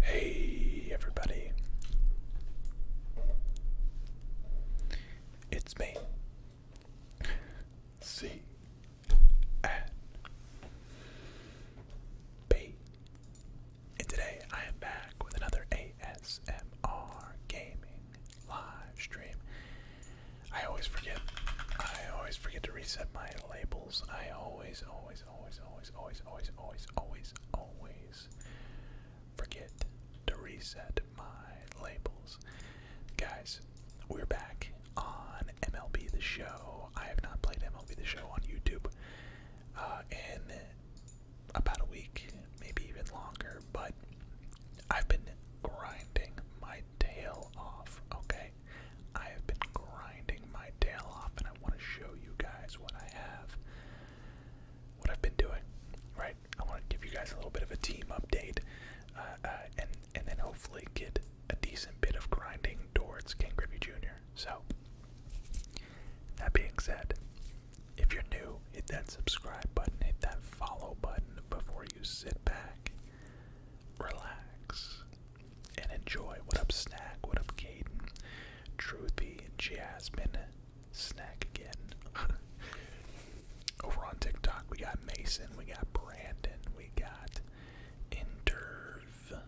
Hey, everybody. It's me. C N B and today I am back with another ASMR gaming live stream. I always forget. I always forget to reset my labels. I always, always, always, always, always, always, always, always, always forget to reset my labels. Guys, we're back on MLB The Show. I have not played MLB The Show on YouTube uh, in about a week, maybe even longer, but I've been grinding my tail off, okay? I have been grinding my tail off, and I want to show you guys what I have, what I've been doing, right? I want to give you guys a little bit of a team update, uh, uh, and and then hopefully get a decent bit of grinding towards King Griffey Jr. So that being said, if you're new, hit that subscribe button, hit that follow button before you sit back, relax, and enjoy. What up, Snack? What up, Caden? Truthy, Jasmine, Snack again. Over on TikTok, we got Mason, we got Brandon, we got Interv,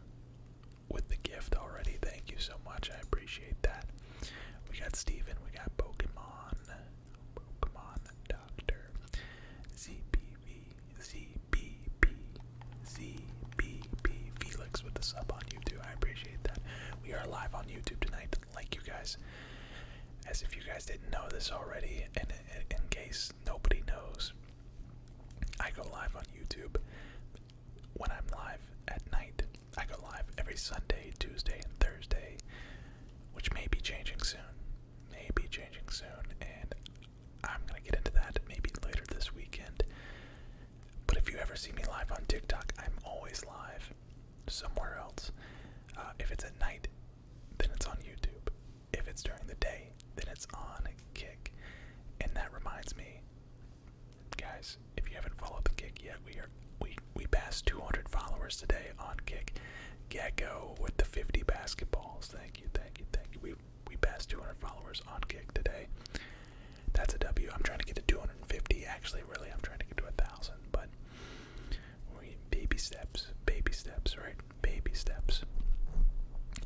with the gift already. Thank you so much. I appreciate that. We got Stephen. we got Pokemon, Pokemon Doctor, ZBV, Felix with the sub on YouTube. I appreciate that. We are live on YouTube tonight, like you guys. As if you guys didn't know this already, and in case nobody knows, I go live on YouTube when I'm live at night. I go live every Sunday, Tuesday, and Thursday, which may be changing soon. May be changing soon, and I'm gonna get into that maybe later this weekend. But if you ever see me live on TikTok, I'm always live somewhere else. Uh, if it's at night, then it's on YouTube. If it's during the day, then it's on Kick. And that reminds me guys, if you haven't followed the kick yet, we are we we passed 200 followers today on kick. Gecko with the 50 basketballs. Thank you, thank you, thank you. We we passed 200 followers on kick today. That's a W. I'm trying to get to 250. Actually, really, I'm trying to get to a thousand, but we baby steps, baby steps, right? Baby steps.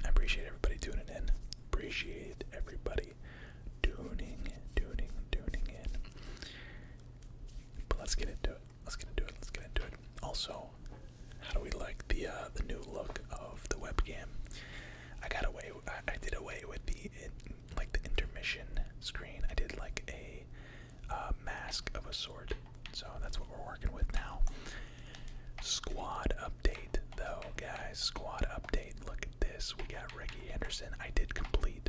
I appreciate everybody tuning in. Appreciate everybody really tuning, tuning, tuning in. But let's get into it. Let's get into it. Let's get into it. Also, how do we like the uh, the new look of the webcam? I got away. I, did away with the like the intermission screen. I did like a uh, mask of a sort. So that's what we're working with now. Squad update, though, guys. Squad update. Look at this. We got at Reggie Anderson. I did complete.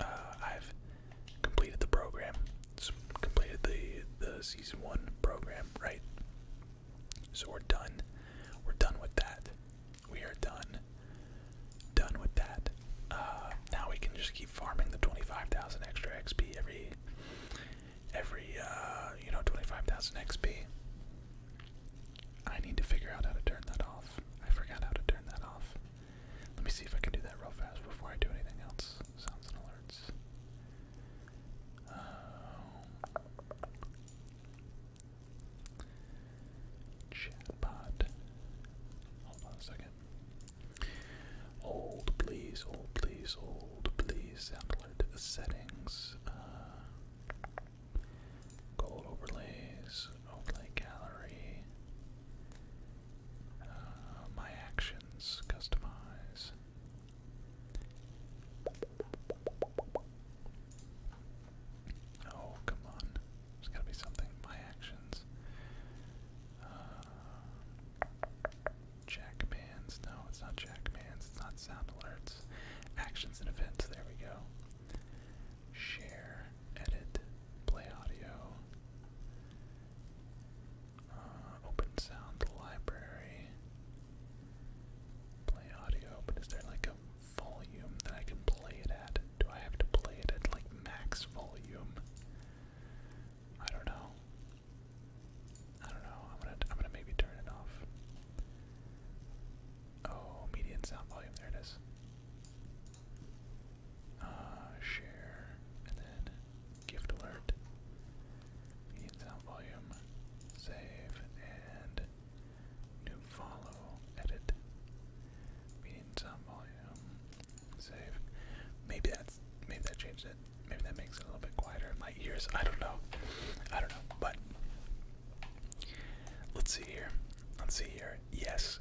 Uh, I've completed the program. completed the the season one program, right? So we're done. We're done with that. We are done. Done with that. Uh, now we can just keep farming the twenty-five thousand extra XP every every uh, you know twenty-five thousand XP. I need to figure out how to turn that off. I forgot how to turn that off. Let me see if I can do that real fast before I do anything else. Sounds alerts. Um, chatbot. Hold on a second. Old, please. Old, please. Old, please. Sound alert settings. Uh, Gold overlays, overlay gallery, uh, my actions, customize. Oh, come on. There's gotta be something. My actions. Uh, Jackmans. No, it's not Jackmans. It's not sound alerts. Actions and events. There we go share, edit, play audio, uh, open sound library, play audio, but is there like a volume that I can play it at? Do I have to play it at like max volume? I don't know. I don't know. I'm gonna I'm gonna maybe turn it off. Oh, median sound volume. There it is. Uh, share and then gift alert. Median sound volume. Save and new follow. Edit. Median sound volume. Save. Maybe that's maybe that changed it. Maybe that makes it a little bit quieter my ears. I don't know. I don't know. But let's see here. Let's see here yes,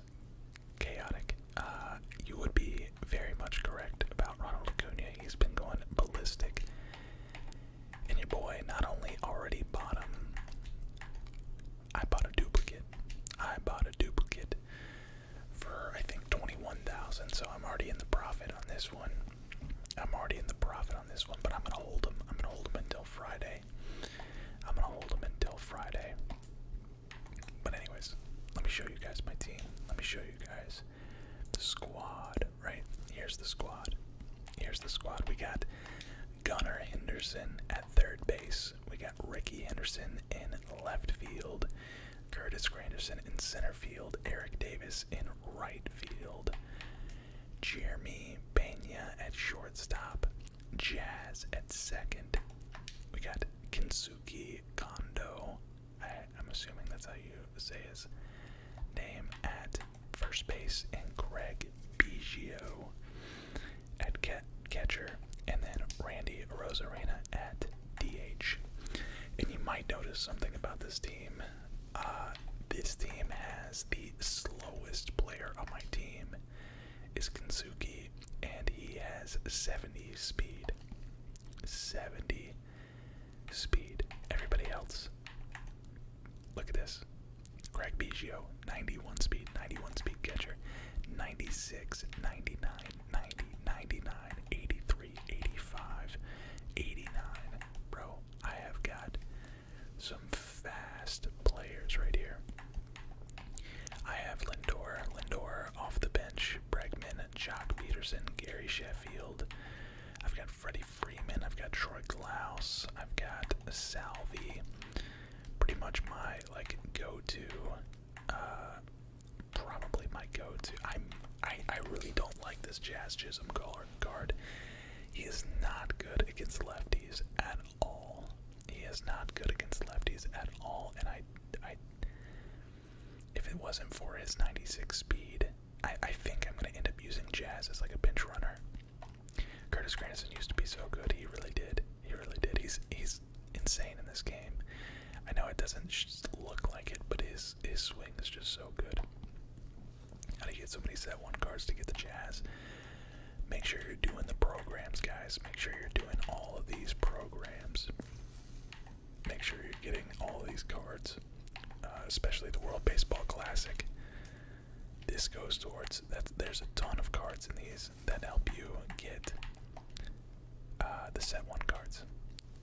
chaotic. Uh, you would be very much correct about Ronald Acuna. He's been going ballistic. And your boy not only already bought him, I bought a duplicate. I bought a duplicate for I think 21,000. So I'm already in the profit on this one. I'm already in the profit on this one, but I'm gonna hold him. I'm gonna hold him until Friday. I'm gonna hold them until Friday. But anyways, let me show you guys my team. Let me show you guys the squad. Right here's the squad. Here's the squad. We got Gunnar Henderson at third base. We got Ricky Henderson in left field. Curtis Granderson in center field. Eric Davis in right field. Jeremy Pena at shortstop. Jazz at second. We got Kensuke Kondo. I, am assuming that's how you say his name at first base, and Greg Biggio at catcher, and then Randy Rosarena at DH. And you might notice something about this team. Uh, this team has the slowest player on my team is Kensuke, and he has 70 speed. 70 speed. Everybody else, look at this. Greg Biggio, 91 speed, 91 speed catcher, 96, 99, 99, 83, 85, 89. Bro, I have got some fast players right here. I have Lindor, Lindor off the bench, Bregman, Jock Peterson, Gary Sheffield. I've got Freddie Freeman, I've got Troy Glaus, I've got Salvi. Pretty much my like go-to, uh, probably my go-to. I'm I I really don't like this Jazz Chisholm guard. He is not good against lefties at all. He is not good against lefties at all, and I, I, if it wasn't for his 96 speed, I, I think I'm gonna end up using Jazz as like a pinch runner. Curtis Granderson used to be so good. He really did. He really did. He's he's insane in this game. I know it doesn't look like it, but his his swing is just so good. How do you get so many set one cards to get the Jazz? Make sure you're doing the programs, guys. Make sure you're doing all of these programs. Make sure you're getting all of these cards, uh, especially the World Baseball Classic. This goes towards that. There's a ton of cards in these that help you get uh, the set one cards.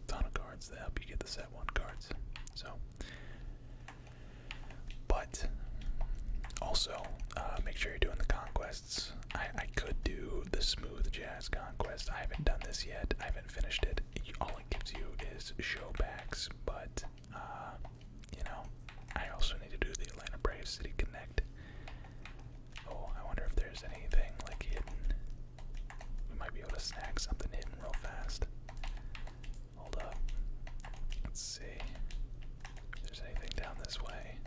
Ton of cards that help you get the set one cards. So, but also uh, make sure you're doing the conquest. I, could do the smooth jazz conquest. I haven't done this yet. I haven't finished it. All it gives you is showbacks, but uh, you know, I also need to do the Atlanta Braves City Connect. Oh, I wonder if there's anything like hidden. We might be able to snag something hidden real fast. Hold up. Let's see if there's anything down this way.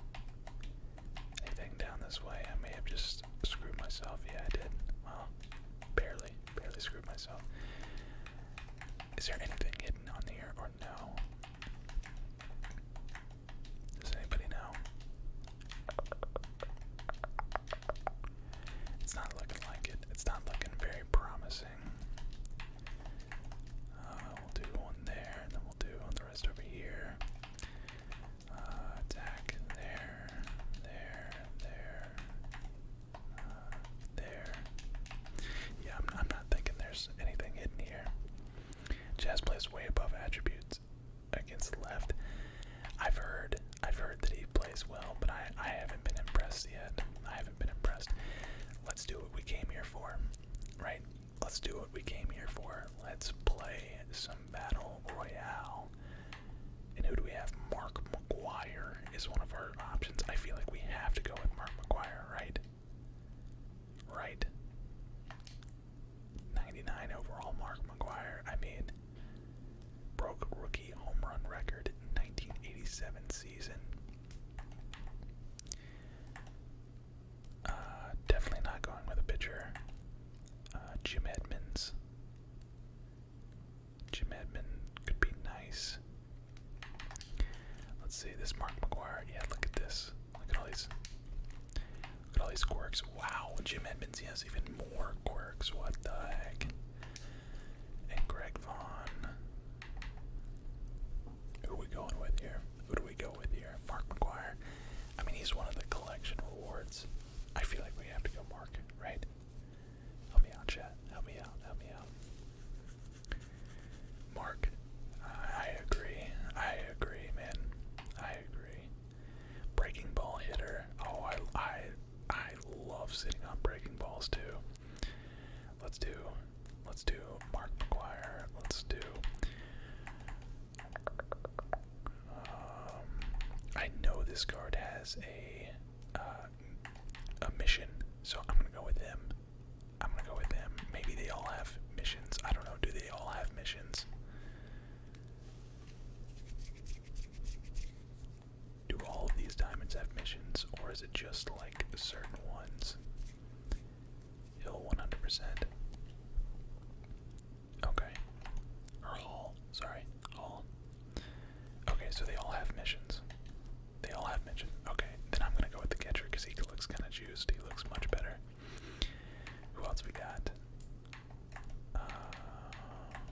Anything down this way? I may have just screwed myself. Yeah, I did. Well, barely, barely screwed myself. Is there anything hidden on here or no? Does anybody know? It's not looking like it. It's not looking very promising. Uh, we'll do one there, and then we'll do rest over here. Uh, attack there, there, there, uh, there. Yeah, I'm, not thinking there's anything hidden here. Jazz plays way above attributes against left. I've heard, I've heard that he plays well, but I, I haven't been impressed yet. I haven't been impressed. Let's do what we came here for, right? Let's do what we came here for. Let's play some Battle Royale. And who do we have? Mark McGuire is one of our options. I feel like we have to go with Mark McGuire, right? Right. 99 overall Mark McGuire. I mean, broke rookie home run record in 1987 season. Uh, definitely not going with a pitcher. Uh, Jim Edmonds. Jim Edmonds could be nice. Let's see this Mark McGuire. Yeah, look at this. Look at all these. Look at all these quirks. Wow, Jim Edmonds He has even more quirks. What the heck? And Greg Vaughn. Who we going with here? Who do we go with here? Mark McGuire. I mean, he's one of the collection rewards. I feel like we have to go Mark, right? Help me out, chat. Help me out. Help me out. Mark, I agree. I agree, man. I agree. Breaking ball hitter. Oh, I, I, I love sitting on breaking balls too. Let's do Let's do Mark McGuire. Let's do. Um, I know this card has a uh, a mission, so I'm gonna go with them. I'm gonna go with him. Maybe they all have missions. I don't know. Do they all have missions? Do all of these diamonds have missions, or is it just like certain ones? Hill 100%. Okay. Or Hall. Sorry. Hall. Okay, so they all have missions. They all have missions. Okay, then I'm gonna go with the catcher because he looks kind of juiced. He looks much better. Who else we got? Uh,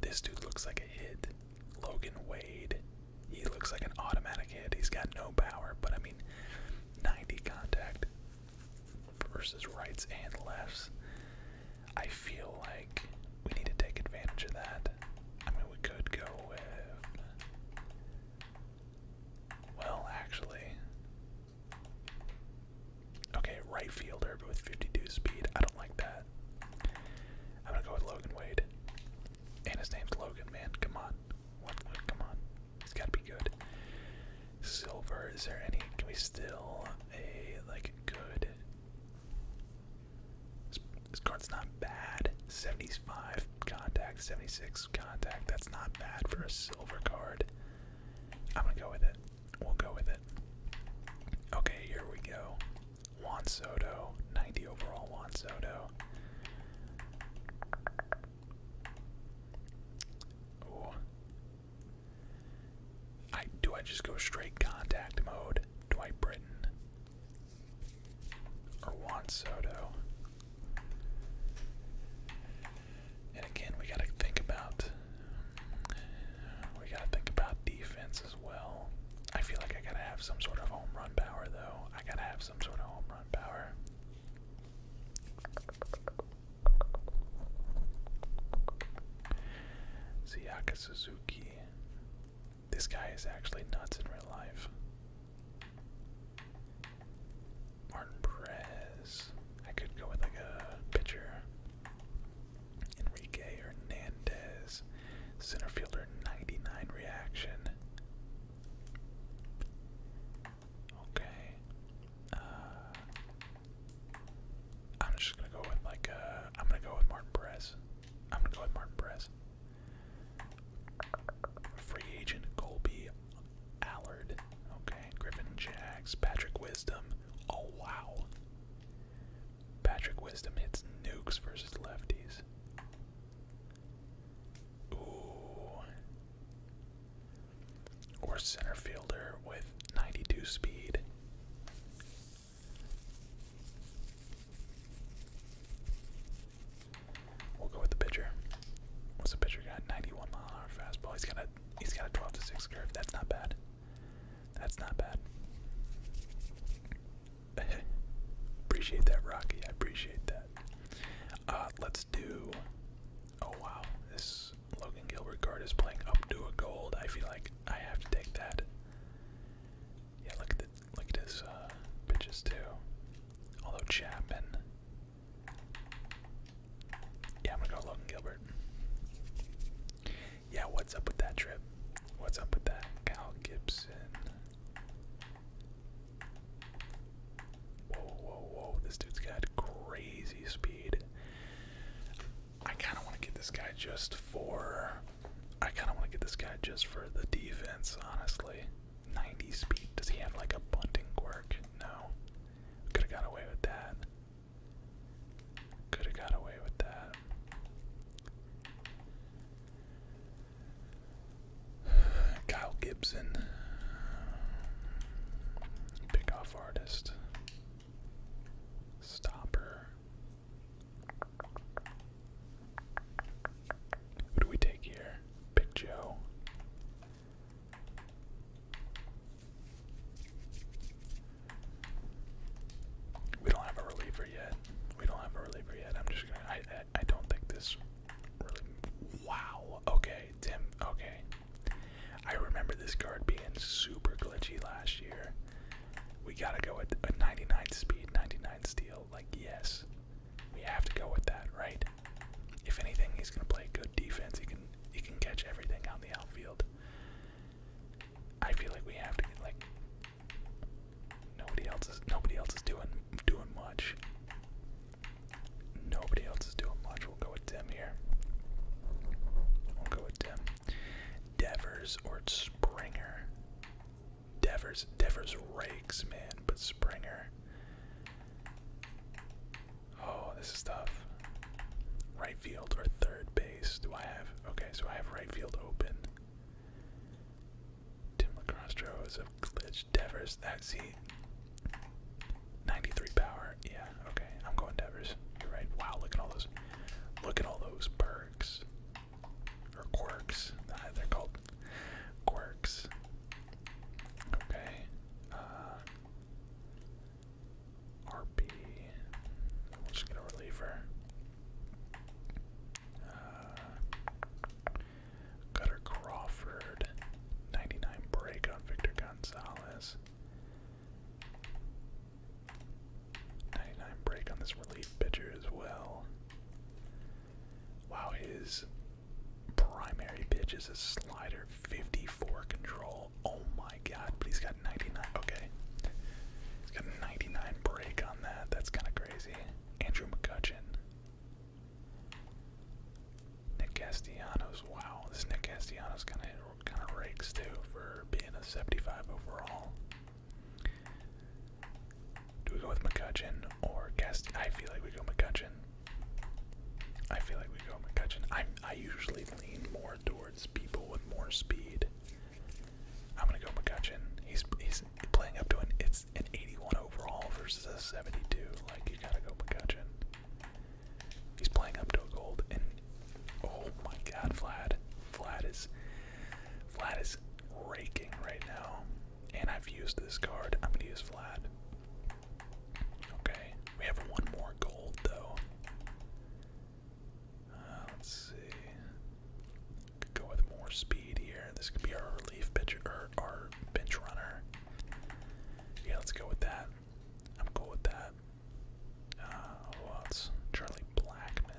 this dude looks like a hit. Logan Wade. He looks like an automatic hit. He's got no power, but I mean, 90 contact versus rights and lefts. I feel like we need to take advantage of that. I mean, we could go with. Well, actually. Okay, right fielder, with 52 speed. I don't like that. I'm gonna go with Logan Wade. And his name's Logan, man. Come on. what, come on. It's gotta be good. Silver, is there any? Can we still a like good? This, card's not bad. 75 contact, 76 contact. That's not bad for a silver card. I'm gonna go with it. We'll go with it. Okay, here we go. Juan Soto, 90 overall Juan Soto. Oh. I do I just go straight contact mode? Dwight Britton. Or Juan Soto. And again we gotta think about we gotta think about defense as well. I feel like I gotta have some sort of home run power though. I gotta have some sort of home run power. Siaka Suzuki. This guy is actually nuts in real life. Martin Perez. I could go with like a pitcher. Enrique Hernandez. Center fielder 99 reaction. Okay. Uh, I'm just gonna go with like uh, I'm gonna go with Martin Perez. I'm gonna go with Martin Perez. Free agent Colby Allard. Okay, Griffin Jags. Patrick Wisdom. Oh wow. Patrick Wisdom hits nukes versus lefties. Ooh or center fielder with 92 speed. We'll go with the pitcher. What's the pitcher got? 91 mile hour fastball. He's got a he's got a 12 to 6 curve. That's not bad. That's not bad. appreciate that, Rocky. I appreciate that. Uh, let's do Oh wow, this Logan Gilbert card is playing up to a gold. I feel like I have to take that. Yeah, look at the look at his uh, pitches too. Although Chapman. Yeah, I'm gonna go Logan Gilbert. Yeah, what's up with that trip? What's up with that? Cal Gibson. Whoa, whoa, whoa. This dude's got crazy speed. I kind of want to get this guy just for. I kind of want to get this guy just for the defense, honestly. 90 speed. Does he have like a bunting quirk? No. Could have got away with that. Could have got away with that. Kyle Gibson. Pick off artist. Stopper. Who do we take here? Pick Joe. We don't have a reliever yet. We don't have a reliever yet. I'm just gonna. I, I don't think this really. Wow. Okay. Tim. Okay. I remember this card being super glitchy last year. We gotta go with a 99 speed, 99 steel. Like, yes. We have to go with that, right? If anything, he's gonna play good defense. He can he can catch everything on the outfield. I feel like we have to get like nobody else is nobody else is doing doing much. Nobody else is doing much. We'll go with Dim here. We'll go with Dim. Devers or Springer. Devers. Devers rakes, man, but Springer. Oh, this is tough. Right field or third base. Do I have okay, so I have right field open. Tim LaCrostro is a glitch. Devers that's it. 93 power. Yeah, okay. I'm going Devers. You're right. Wow, look at all those. Look at all those perks. Or quirks. they're called quirks. Okay. Uh, RP. We'll just get a reliever. Uh, Cutter Crawford. 99 break on Victor Gonzalez. 99 break on this relief pitcher as well. Wow, his primary pitch is a slider, 54 control. Oh my god, but he's got 99. Okay. He's got 99 break on that. That's kind of crazy. Andrew McCutcheon. Nick Castellanos. Wow, this Nick Castellanos kind of kind of rakes too for being a 75 overall. Do we go with McCutcheon or Cast? I feel like we go McCutcheon. I feel like we go McCutcheon. I I usually lean more towards people with more speed. I'm gonna go McCutcheon. He's he's playing up to an it's an 81 overall versus a 72. Like you gotta go McCutcheon. He's playing up to a gold, and oh my God, Vlad, Vlad is, Vlad is raking right now. And I've used this card. I'm gonna use Vlad. Okay, we have one more gold though. Uh, let's see. Could go with more speed here. This could be our relief pitcher or our bench runner. Yeah, let's go with that. I'm cool with that. Uh, Charlie Blackman.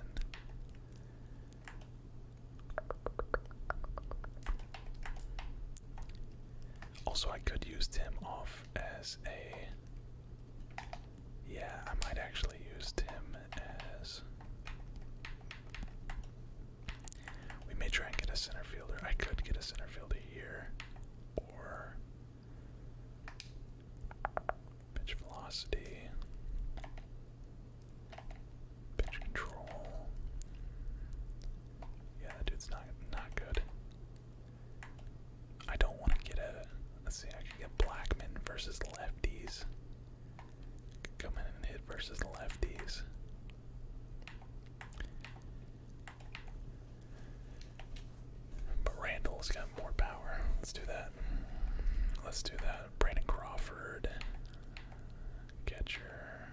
Also, I could use Tim off as a. Yeah, I might actually use Tim as. We may try and get a center fielder. I could get a center fielder here, or Pitch velocity. Pitch control. Yeah, that dude's not not good. I don't want to get a. Let's see, I can get Blackman versus lefties. Come in and hit versus lefties. But Randall's got more power. Let's do that. Let's do that. Brandon Crawford, catcher,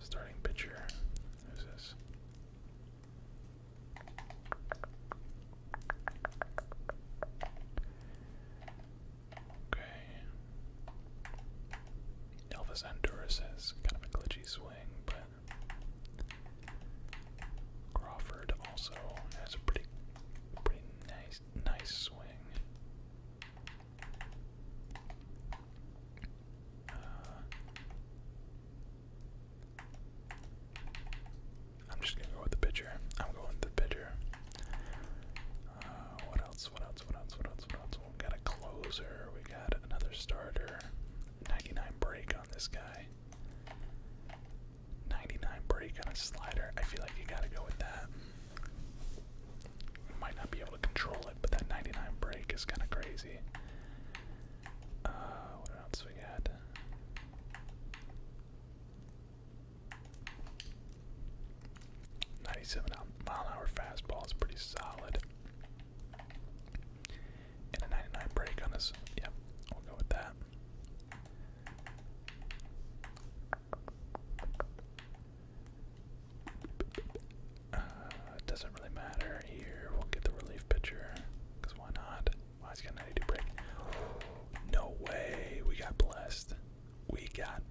starting pitcher. Who's this? Okay. Elvis Andura says kind of a glitchy swing, but Crawford also has a pretty pretty nice nice swing. Uh, I'm just gonna go with the pitcher. I'm going with the pitcher. Uh, what else? What else? What else? What else? What else? We got a closer. We got another starter. 99 break on this guy. 99 break on a slider. I feel like you gotta go with that. You might not be able to control it, but that 99 break is kind of crazy. Uh, what else we got? Ninety-seven mile hour fastball is pretty solid. And a 99 break on this. Yep, we'll go with that. Uh, doesn't really matter here. We'll get the relief pitcher. Because why not? Why wow, he's got No way. We got blessed. We got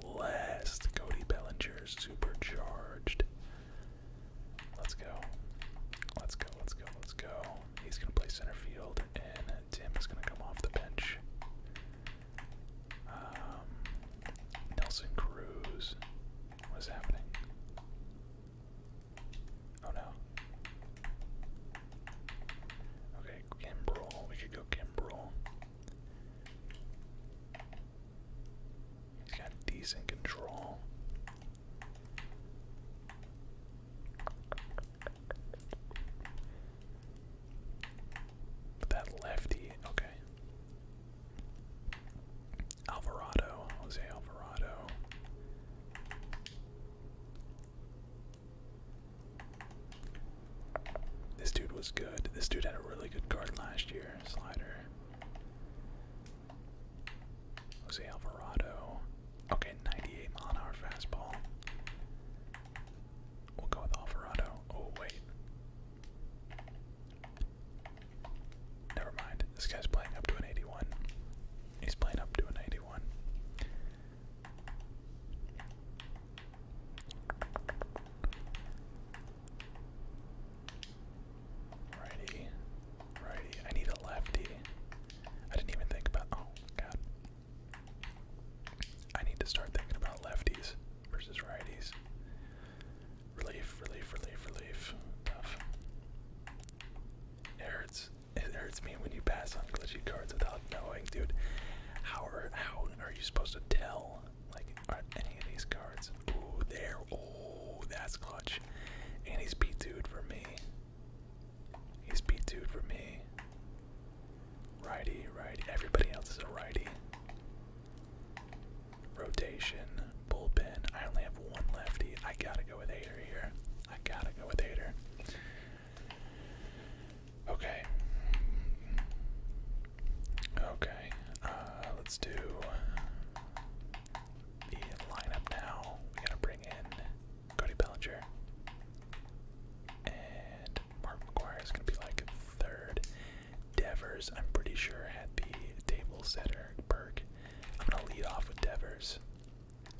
blessed. Cody Bellinger supercharged. Let's go. Let's go, let's go, let's go. He's going to play center field, and Tim is going to come off the bench. Um, Nelson Cruz. What is happening? Oh no. Okay, Kimbrel. We could go Kimbrel. He's got decent control. that lefty, okay. Alvarado, Jose Alvarado. This dude was good. This dude had a really good card last year, slider. Jose Alvarado. Okay, 98 mile an hour fastball. We'll go with Alvarado. Oh, wait. Never mind. This guy's playing up to an 81. He's playing up to an 81. Righty, righty. I need a lefty. I didn't even think about. Oh god. I need to start thinking about lefties versus righties. Relief, relief, relief, relief. Tough. It hurts. It hurts me when you pass on glitchy cards without knowing, dude. How are how are you supposed to tell? Like, are any of these cards? Ooh, they're Oh, Oh, that's clutch. And he's beat dude for me. He's beat dude for me. Righty, righty. Everybody else is a righty. Rotation, bullpen. I only have one lefty. I gotta go with Hader here. I gotta go with Hader. Okay. Okay. Uh, let's do the lineup now. We gotta bring in Cody Bellinger. And Mark McGuire is gonna be like third. Devers, I'm pretty sure, had the table setter perk. I'm gonna lead off with Devers.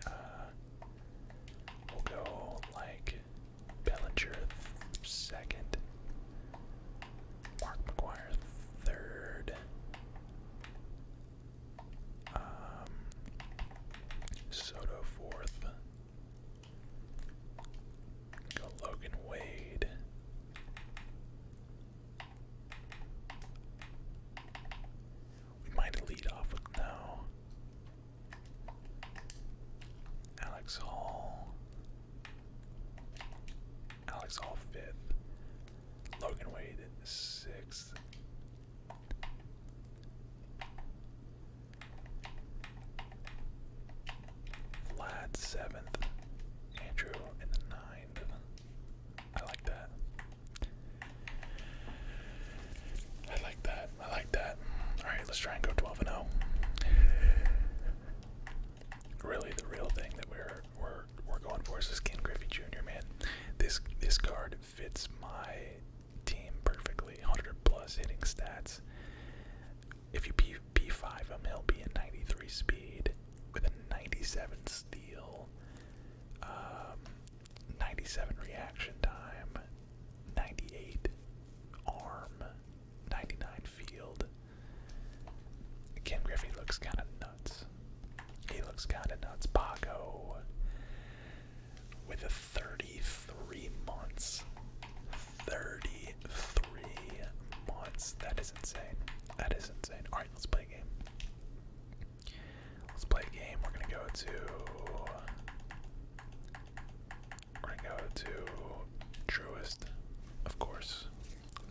Uh, we'll go like Bellinger second, Mark McGuire third, um, Soto fourth. Go Logan Wade. We might lead off with now. Alex Hall. Alex Hall fifth. Logan Wade sixth. Vlad seventh, Andrew in the ninth. I like that. I like that. I like that. All right, let's try and go 12 and 0. Really, the real thing that we're we're we're going for is this Ken Griffey Jr. Man, this this card fits my team perfectly. 100 plus hitting stats. If you P P5 him, he'll be at 93 speed with a 97 steal, um, 97 reaction time, 98 arm, 99 field. Ken Griffey looks kind of he looks kind of nuts. Paco with a 33 months. 33 months. That is insane. That is insane. Alright, let's play a game. Let's play a game. We're going to go to. We're going to go to Truist, of course.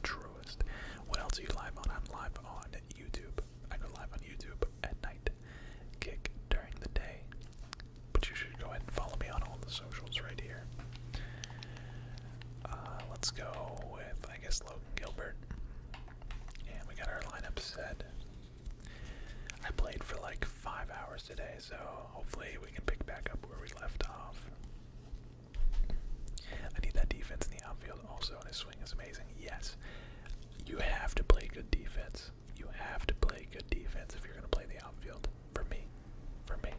Truest. What else are you live on? I'm live on YouTube. I go live on YouTube at night, kick during the day. But you should go ahead and follow me on all the socials right here. Uh, let's go with, I guess, Logan Gilbert. And we got our lineup set. I played for like five hours today, so hopefully we can pick back up where we left off. I need that defense in the outfield also, his swing is amazing. Yes, you have to play good defense. You have to play good defense if you're going to play the outfield. For me, for me,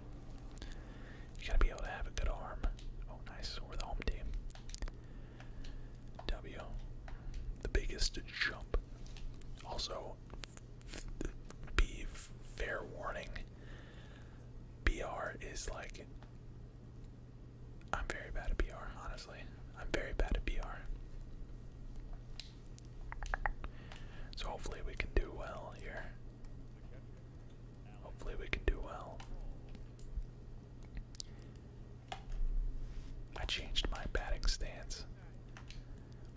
you got to be able to have a good arm. Oh, nice. We're the home team. W, the biggest jump. Also, be fair warning. BR is like I'm very bad at PR, honestly. I'm very bad at PR. So hopefully we can do well here. Hopefully we can do well. I changed my batting stance.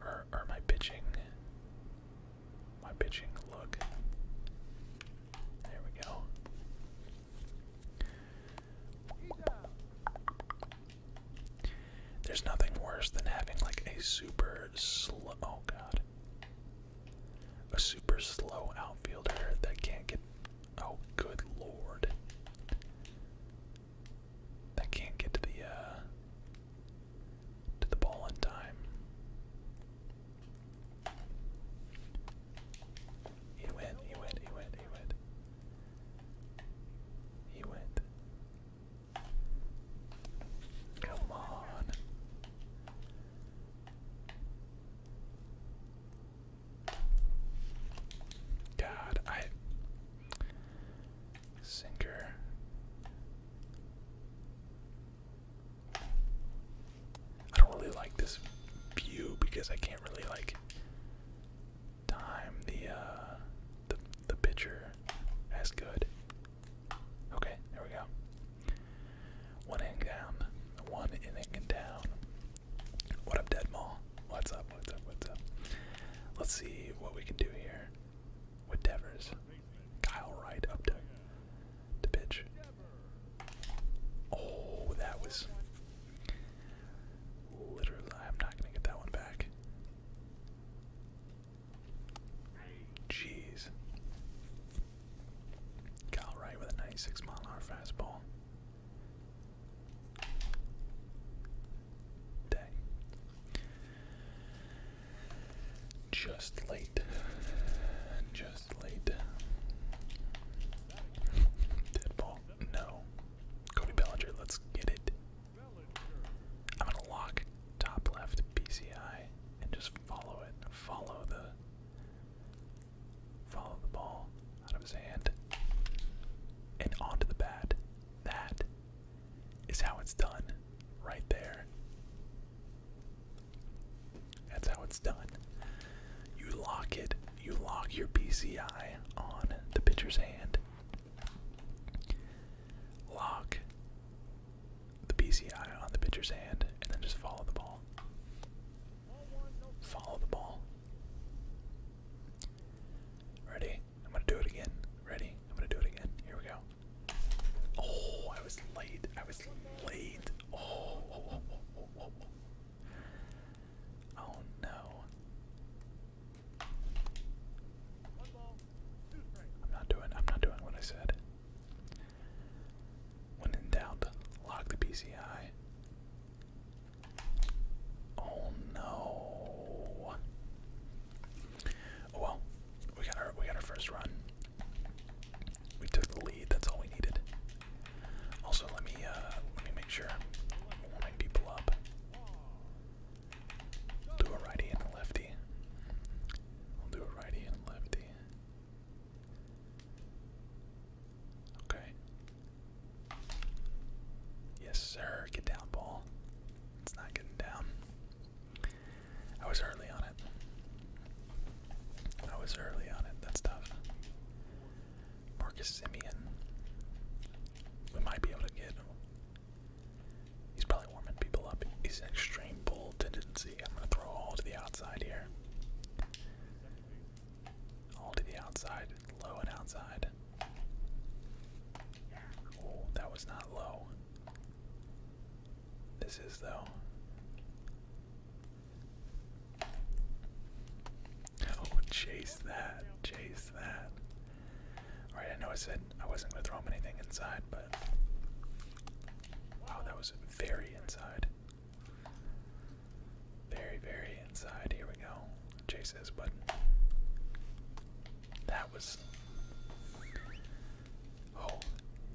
Or or my pitching. My pitching look. There we go. There's nothing worse than having like a super slow oh god. A super slow outfielder that can't get oh good lord. That can't get to the uh, to the ball in time. He went, he went, he went, he went. He went. Come on. God, I sinker. I don't really like this view because I can't really like time the uh the the pitcher as good. Okay, there we go. One inning down. One inning down. What up, Dead Mall? What's up? What's up? What's up? Let's see what we can do here with Devers. Kyle Wright up to the pitch. Oh, that was Literally, I'm not gonna get that one back. Jeez. Kyle Wright with a 96 mile hour fastball. Dang. Just late. Just late. Dead ball. No. Cody Bellinger, let's get it. I'm gonna lock top left PCI and just follow it. Follow the follow the ball out of his hand and onto the bat. That is how it's done right there. That's how it's done you lock it, you lock your PCI on the pitcher's hand. Lock the PCI on the pitcher's hand and then just follow the ball. Follow the ball. Ready? I'm gonna do it again. Ready? I'm gonna do it again. Here we go. Oh, I was late. I was late. Oh, oh, oh, Oh no. I'm not doing I'm not doing what I said. When in doubt, lock the PCI. Oh no. Oh, well, we got our we got our first run. We took the lead, that's all we needed. Also, let me uh, let me make sure I'm warming people up. Do a righty and a lefty. I'll do a righty and a lefty. Okay. Yes, sir. Get down, ball. It's not getting down. I was early on it. I was early on it. That's tough. Marcus Simeon. We might be able to get He's probably warming people up. He's an extreme bull tendency. I'm gonna throw all to the outside here. All to the outside, low and outside. Oh, that was not low. This is though. Oh, chase that, chase that. Alright, I know I said I wasn't gonna throw him anything inside, but wow, that was very inside. Very, very inside. Here we go. Chase this button. That was. Oh,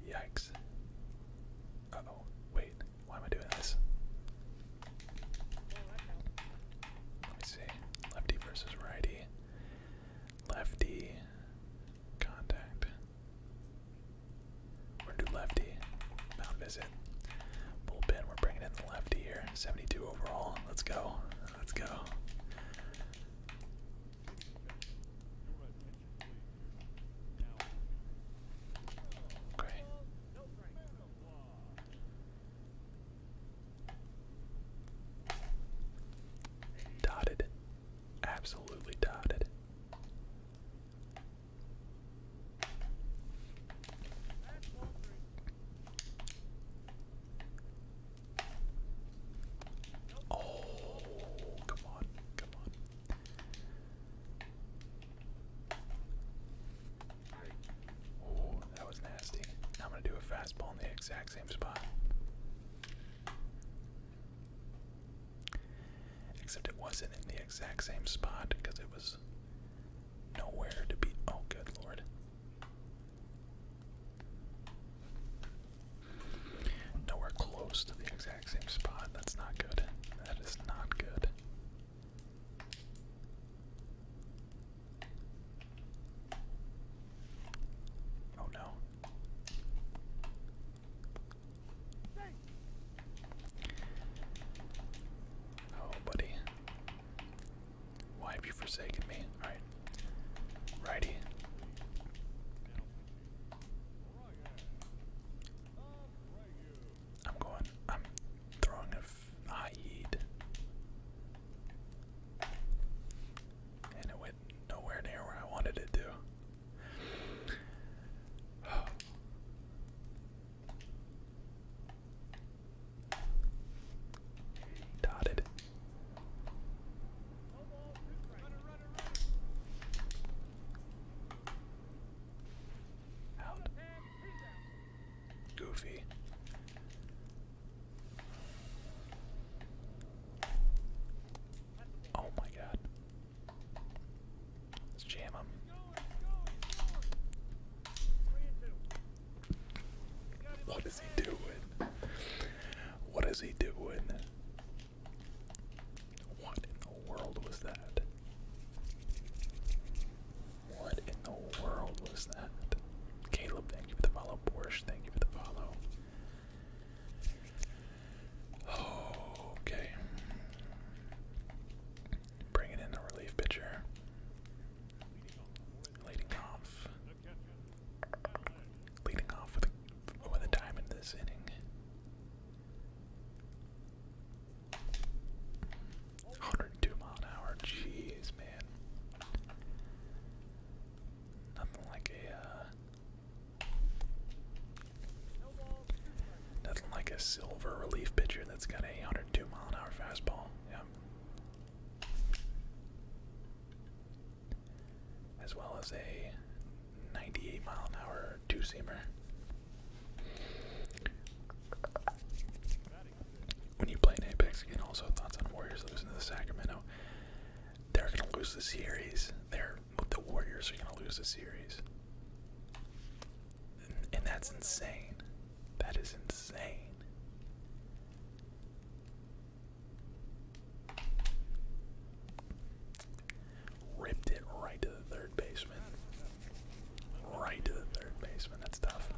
yikes. Uh oh. Wait, why am I doing this? Let me see. Lefty versus righty. Lefty contact. We're gonna do lefty. Mount visit. Bullpen. We're bringing in the lefty here. 72 overall. Let's go. Let's go. Okay. Dotted. Absolutely dotted. Oh, come on, come on. Oh, that was nasty. I'm going to do a fastball in the exact same spot. Except it wasn't in the exact same spot because it was nowhere to be. Oh, good lord. Nowhere close to the exact same spot. That's not good. That is not good. Oh no. Oh, buddy. Why have you forsaken me? Alright. Righty. I'm going. I'm throwing a Naeed. And it went nowhere near where I wanted it to. Oh. Dotted goofy. Oh my god. Let's jam him. What is he doing? What is he doing? What in the world was that? What in the world was that? Caleb, thank you for the follow. Borsch, thank you for the follow. Oh, okay. Bringing in a relief pitcher. Leading off. Leading off with a, with a time this inning. 102 mile an hour. Jeez, man. Nothing like a uh, nothing like a silver relief pitcher that's got a 102 mile an hour fastball. Yeah. As well as a 98 mile an hour two seamer when you play in Apex again, also thoughts on Warriors losing to the Sacramento. They're gonna lose the series. They're the Warriors are gonna lose the series, and that's insane. That is insane. Ripped it right to the third baseman. Right to the third baseman. That's tough.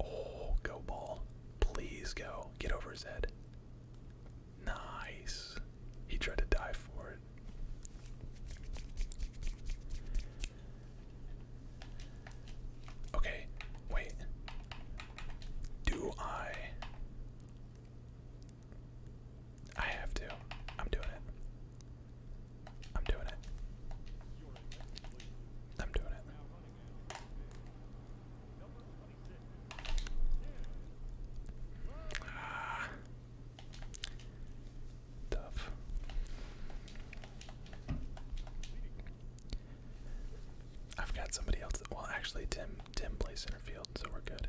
Oh, go ball. Please go. Get over his head. Nice. He tried to die for it. Okay, wait. Do I I have to. I'm doing it. I'm doing it. I'm doing it. Ah. I've got somebody else. Well, actually, Tim. Tim plays center field, so we're good.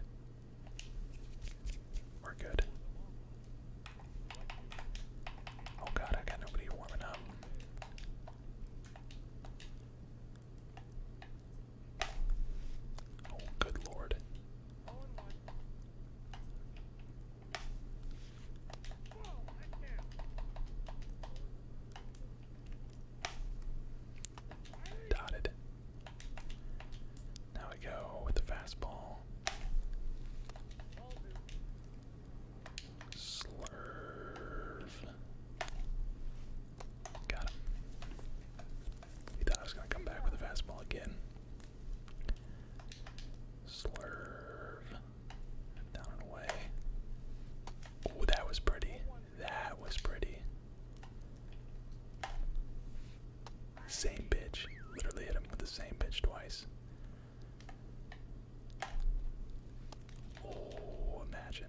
We're good. Oh god, I got nobody warming up. Oh, good lord. Dotted. Now we go with the fastball. Slurve. Got him. He thought I was going to come back with a fastball again. Slurve. Down and away. Oh, that was pretty. That was pretty. Same bitch. Literally hit him with the same bitch twice. Oh, imagine.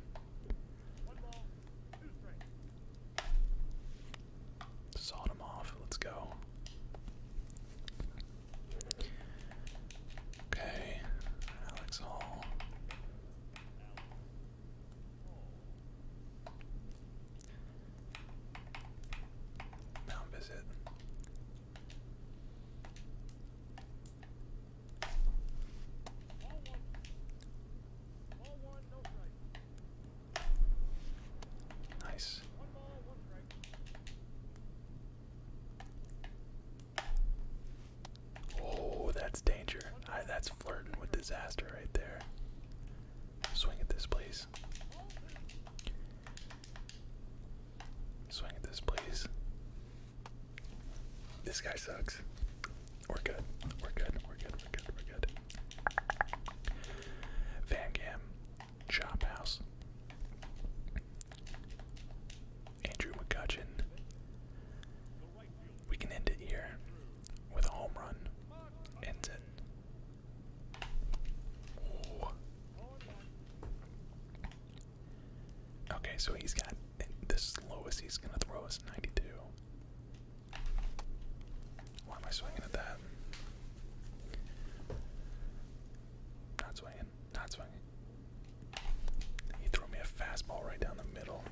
Sawed him off. Let's go. Okay, Alex Hall. Mount visit. Nice. Oh, that's danger. that's flirting with disaster right there. Swing at this, please. Swing at this, please. This guy sucks. We're good. We're good. We're good. We're good. We're good. Van Gam, Chop House, Andrew McCutcheon. We can end it here with a home run. Ends it. Okay, so he's got the lowest he's gonna throw us 92. Why am I swinging at that? Not swinging, not swinging. He threw me a fastball right down the middle.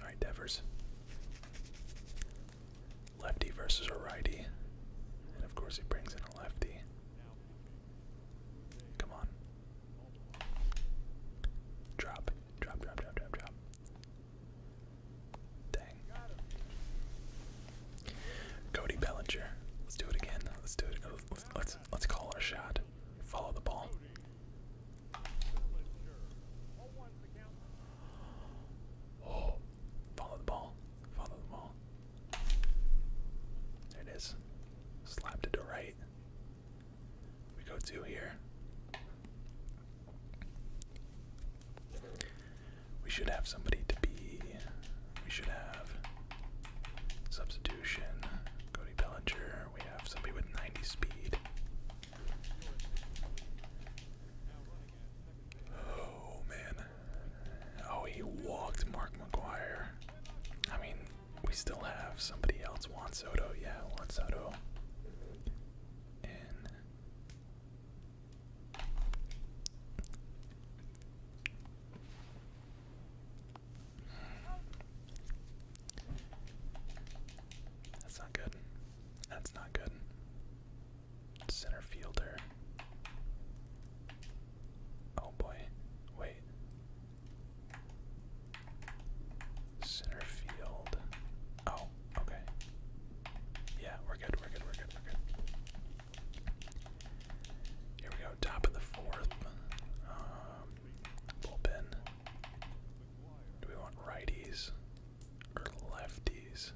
All right, Devers. Lefty versus a righty. And of course, he brings in a lefty. Come on. Drop. Drop, drop, drop, drop, drop. Dang. Cody Bellinger. Let's do it again. Let's do it. let's, let's call our shot. Follow the ball. Oh, follow the ball. Follow the ball. There it is. Slapped it to right. We go two here. We should have somebody to be. We should have substitution. Cody Bellinger. We have somebody with 90 speed. Oh man. Oh, he walked Mark McGuire. I mean, we still have somebody else. Juan Soto, yeah, Juan Soto. that's not good. That's not good. Center fielder. Oh boy. Wait. Center field. Oh, okay. Yeah, we're good, we're good, we're good, Here we go, top of the fourth. Um, bullpen. Do we want righties? lefties?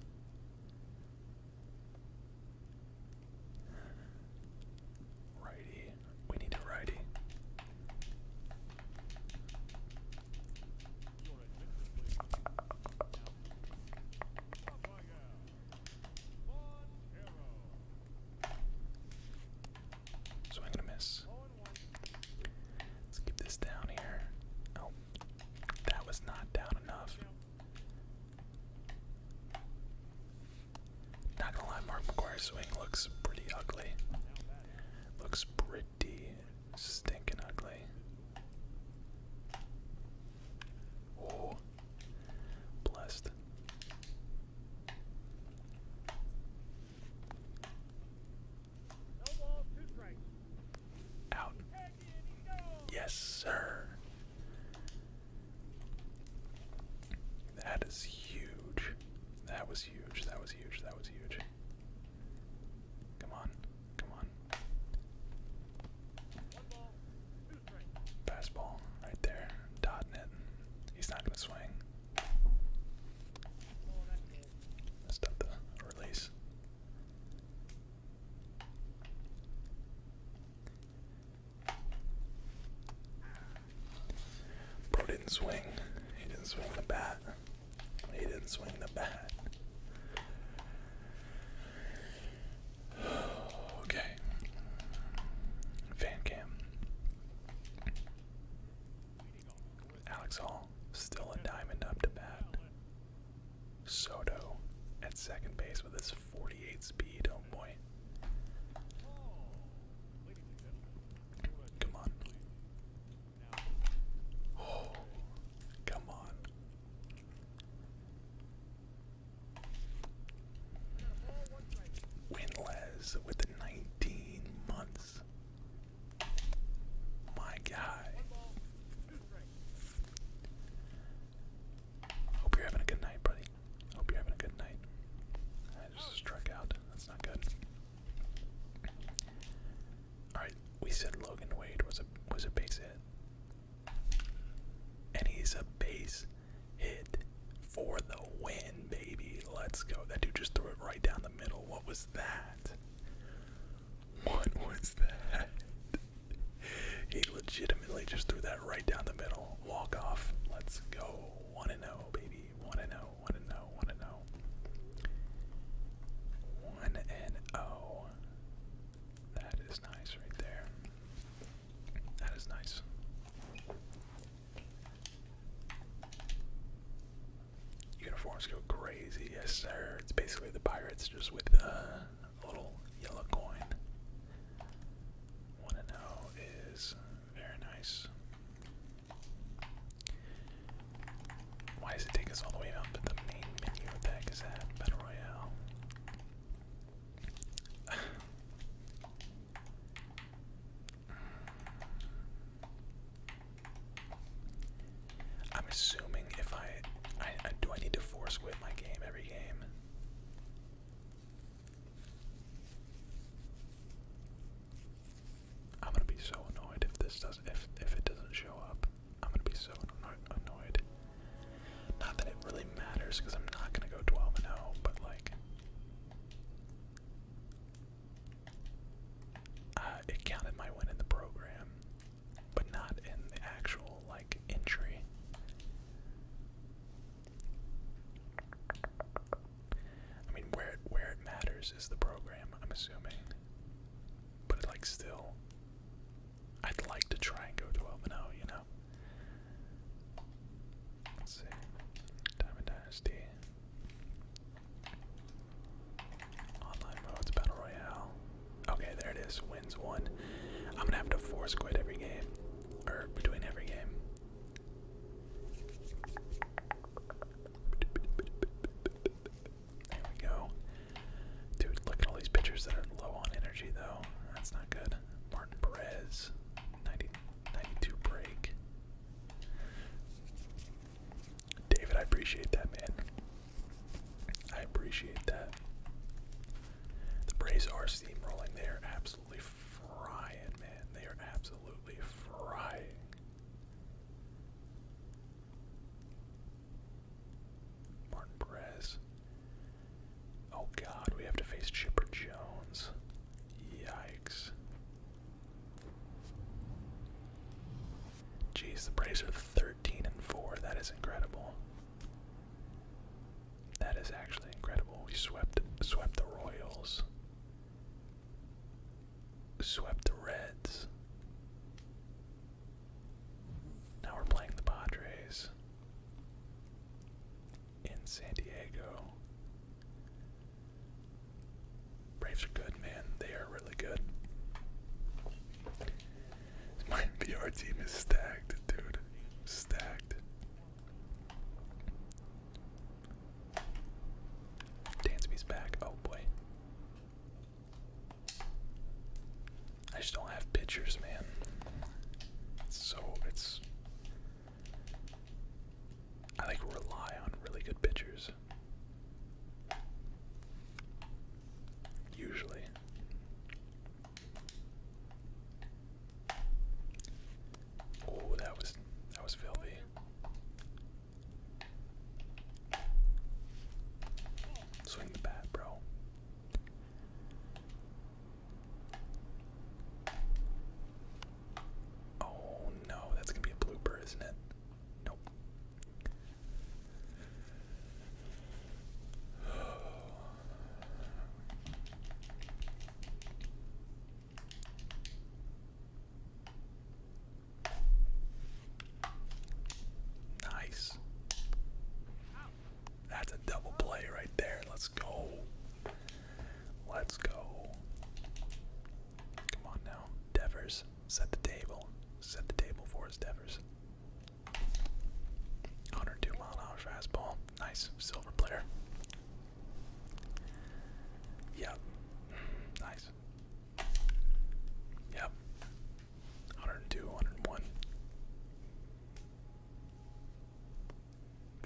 Righty. We need a righty. So I'm miss. Let's keep this down here. Oh. That was not down enough. Not gonna lie, Mark McGuire's swing looks pretty ugly. Looks pretty stinking ugly. Oh, blessed. Out. Yes, sir. That is huge. That was huge. That was huge. That was huge. Come on. Come on. Fastball right there. Dotting it. He's not going to swing. Messed the release. Bro didn't swing. He didn't swing the bat. He didn't swing the bat. okay. Fan cam. Alex Hall, still a diamond up to bat. Soto at second base with his 48 speed. Oh boy. Come on. Oh, come on. Winless with 19 months my guy. Hope you're having a good night, buddy. Hope you're having a good night. I just struck out. That's not good. Alright, we said Logan Wade was a was a base hit. And he's a base hit for the win, baby. Let's go. That dude just threw it right down the middle. What was that? What was that? He legitimately just threw that right down the middle. Walk off. Let's go. Want to know, baby. Want to oh. know. Want to oh. know. Want to oh. know. One and oh. That is nice right there. That is nice uniforms go crazy. Yes, sir. It's basically the Pirates just with uh, a little yellow coin. One and O oh is very nice. Why does it take us all the way up But the main menu? What is that? Battle Royale. I'm assuming if I, do, I need to force quit my game every game. I'm gonna be so annoyed if this does if if it doesn't show up. I'm gonna be so annoyed. Not that it really matters, because I'm not gonna go 12 and 0, but like, uh, it counted my win in the program but not in the actual like entry. I mean, where it, where it matters is the program, I'm assuming. But like still, I'd like to try and go 12 and oh, you know. Let's see, Diamond Dynasty, online modes, battle royale. Okay, there it is. Wins one. I'm gonna have to force quit every game, or between every game. There we go. Dude, look at all these pitchers that are low on energy, though. That's not good. Martin Perez, 90, break. David, I appreciate that, man. I appreciate that. The Braves are steamrolling. They are absolutely frying, man. They are absolutely frying. Martin Perez. Oh god, we have to face Chipper Jones. Yikes. Jeez, the Braves are 13 and 4. That is incredible. That is actually incredible. We swept swept the Royals. Swept the Reds. Now we're playing the Padres in San Diego. Braves are good, man. They are really good. My VR team is stacked, dude. Stacked. Dansby's back. Oh boy. I just don't have pitchers, man. so it's I like rely on really good pitchers. Usually. Oh, that was that was filthy. Swing the bat, bro. Oh no, that's gonna be a blooper, isn't it? Nope. Nice. That's a double play right there. Let's go. Let's go. Come on now. Devers, set the table. Set the table for us, Devers. 102 mile an hour fastball. Nice silver player. Yep. Nice. Yep. 102, 101.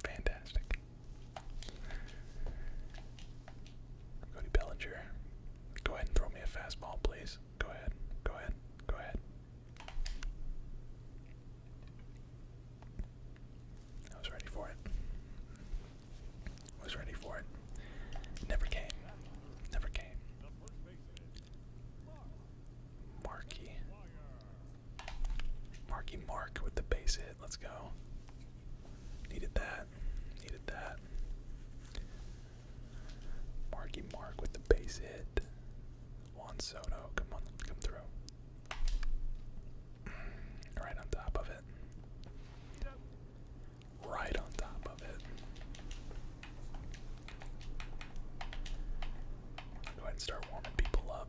Fantastic. Cody Bellinger, go ahead and throw me a fastball, please. Go ahead. Go ahead. Go ahead. I was ready for it. Was ready for it. Never came. Never came. Marky. Marky Mark with the base hit. Let's go. Needed that. Needed that. Marky Mark with the base hit. Juan Soto, come on, come through. Mm, right on top of it. Right on top of it. Go ahead and start warming people up.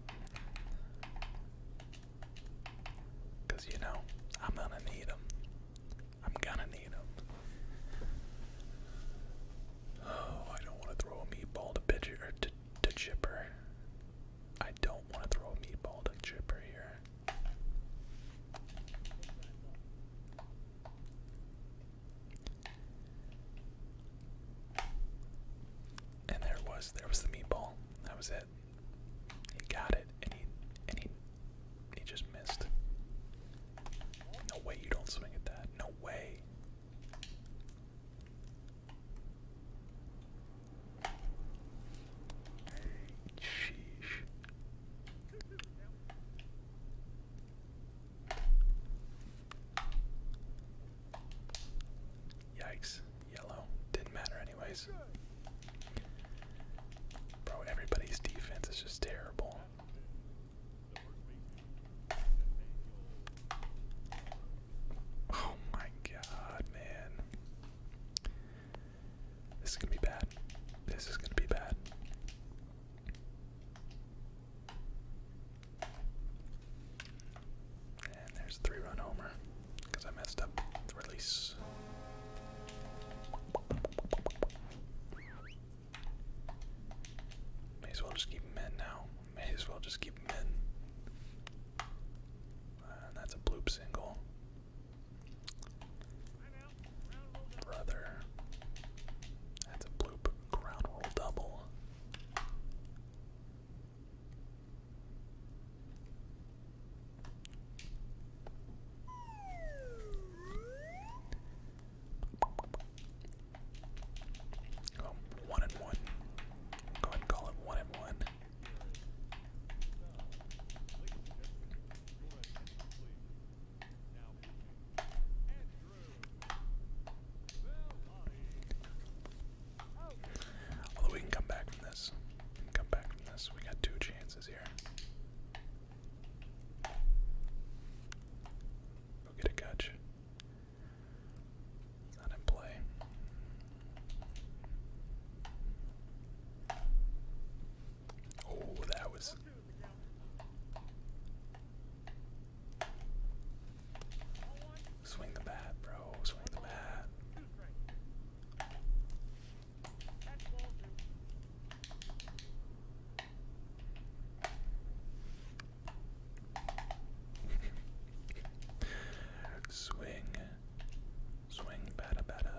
Because, you know, I'm gonna need them. I'm gonna need them. Oh, I don't want to throw a meatball to pitcher chipper. I don't want to throw a meatball to chipper here. And there was, there was the meatball. That was it. He got it, and he and he he just missed. No way you don't swing at that. No way. Sheesh. Yikes. Yellow. Didn't matter anyways. Bro, everybody's defense is just terrible. Oh my god, man. This is gonna be bad. This is gonna be bad. And there's a three run homer because I messed up the release. May as well just keep them in now. May as well just keep them in. that's a bloop single. Brother. That's a bloop ground roll double. Oh, one and one. Go ahead and call it one and one. Although we can come back from this. come back from this. We got two chances here. Go get a catch. not in play. Oh, that was. Swing the bat, bro. Swing the bat swing, swing, bada bada.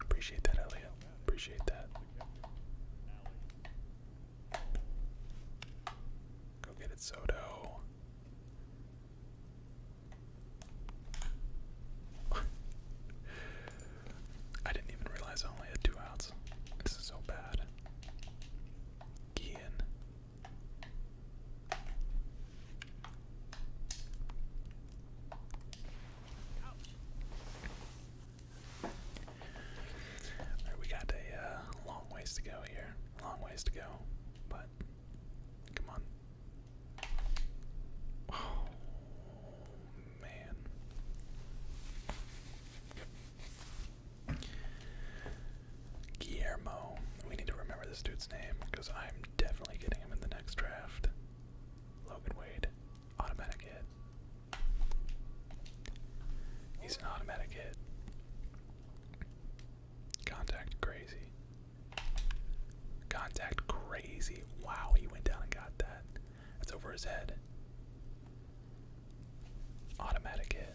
Appreciate that, Elliot. Appreciate that. Go get it, Soto. I didn't even realize I only had two outs. This is so bad. Gian we got a uh, long ways to go here. Long ways to go, but come on. Oh, man. Guillermo. We need to remember this dude's name because I'm definitely getting him in the next draft. Logan Wade. Automatic hit. He's an automatic hit. Contact crazy. Contact crazy. Wow, he went down and got that. That's over his head. Automatic hit.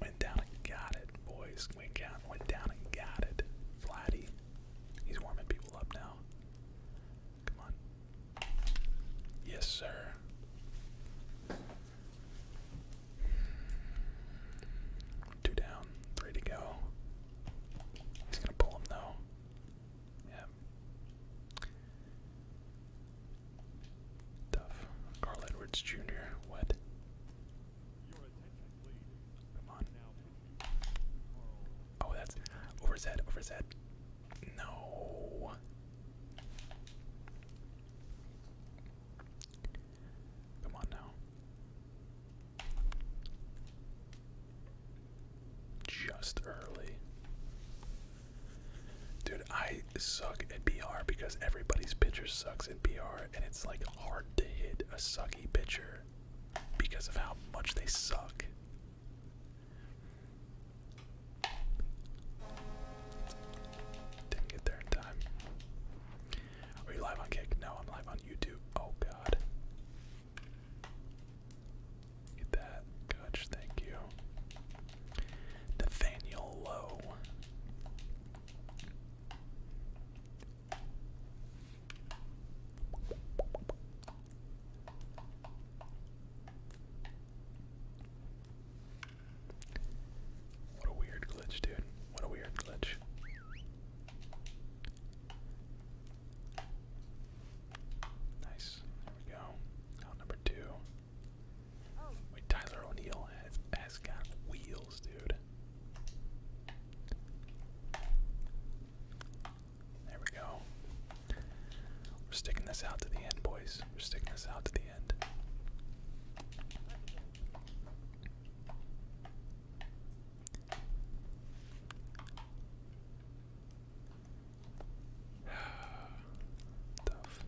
Went down and got it, boys. Went down, went down and got it. Flatty. He's warming people up now. Come on. Yes, sir. Two down, three to go. He's gonna pull him though. Yeah. Tough. Carl Edwards Jr. What? Come on. Oh, that's over his over his No. Come on now. Just early. Dude, I suck at BR because everybody's pitcher sucks in BR and it's like hard to hit a sucky pitcher because of how much they suck. Didn't get there in time. Are you live on Kick? No, I'm live on YouTube. Oh god. Get that. Gutch, thank you. Nathaniel Lowe. What a weird glitch, dude. What a weird glitch. Nice. There we go. Out number two. Wait, Tyler O'Neill has got wheels, dude. There we go. We're sticking this out to the end, boys. We're sticking this out to the end. Tough.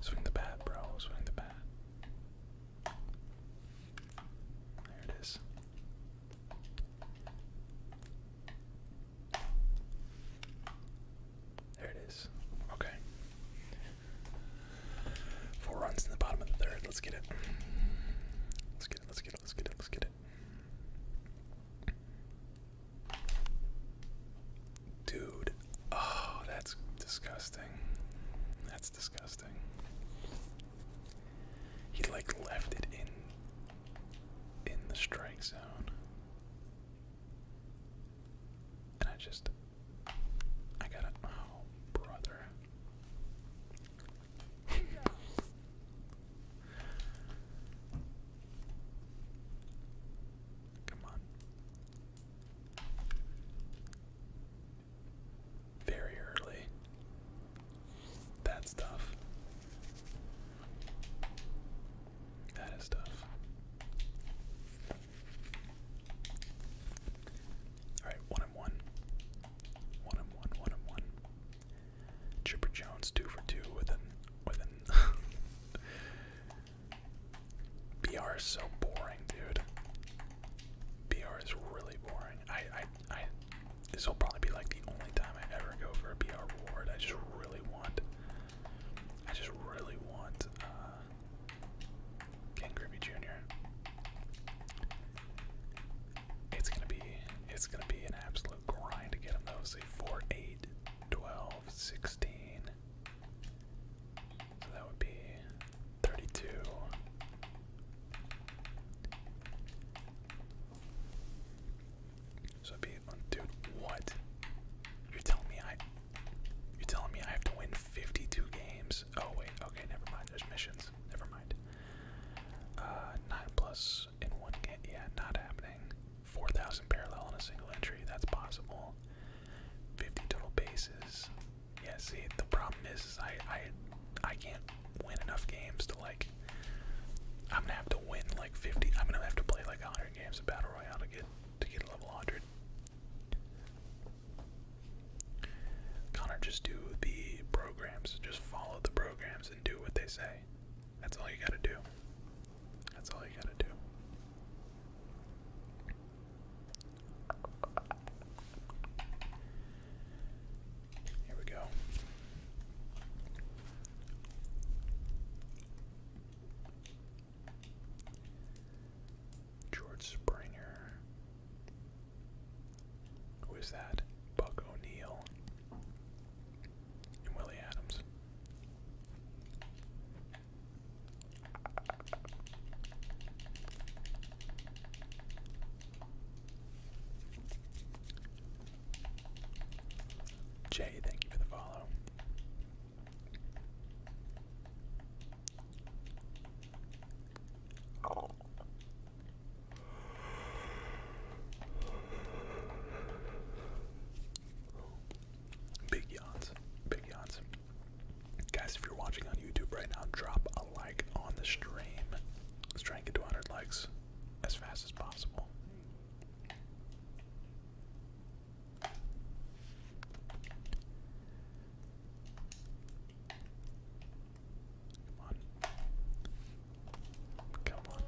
Swing the bat, bro. Swing the bat. There it is. There it is. Okay. Four runs in the bottom of the third. Let's get it. Let's get it. Let's get it. Let's get it. Let's get it. Dude, oh, that's disgusting. That's disgusting. He like left it in in the strike zone. And I just I got it. Oh, brother. Come on. Very early. That's tough. That is tough. Alright, one and one. One and one, one and one. Chipper Jones two for two with an BR is so boring, dude. BR is really boring. I, I, I. This will probably be like the only time I ever go for a BR award. I just really want. I just really want uh, Ken Griffey Jr. It's gonna be. It's gonna be an absolute grind to get him though. Say 4, 8, 12, 16. So that would be 32. So it'd be, dude, what? You're telling me I, you're telling me I have to win 52 games? Oh wait, okay, never mind. There's missions. Never mind. Uh, nine plus in one game. Yeah, not happening. 4,000 parallel on a single entry. That's possible. 50 total bases. Yeah, see, the problem is, I, I, I can't win enough games to, like, I'm gonna have to win, like, 50, I'm gonna have to play, like, 100 games of Battle Royale to get, to get level 100. Connor, just do the programs. Just follow the programs and do what they say. That's all you gotta do. That's all you gotta do. Here we go. George Springer. Who is that? Buck O'Neill and Willie Adams. Jay, thank you for the follow. Big yawns. Big yawns. Guys, if you're watching on YouTube right now, drop a like on the stream. Let's try and get to 100 likes as fast as possible. Come on. Come on.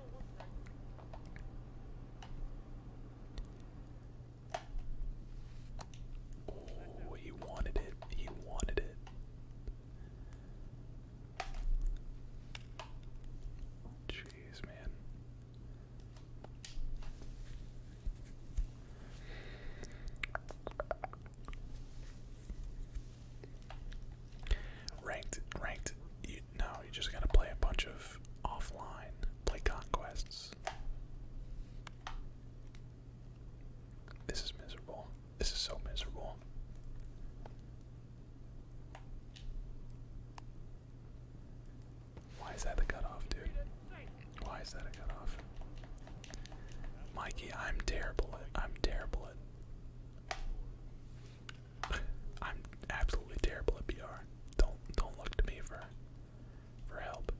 Oh, he wanted it. He wanted it. Jeez, man. Ranked, ranked. no, you just gotta play a bunch of offline, play conquests this. is miserable. This is so miserable. Why is that the cutoff, dude? Why is that a cutoff? Mikey, I'm terrible I'm terrible at I'm absolutely terrible at PR. Don't don't look to me for for help.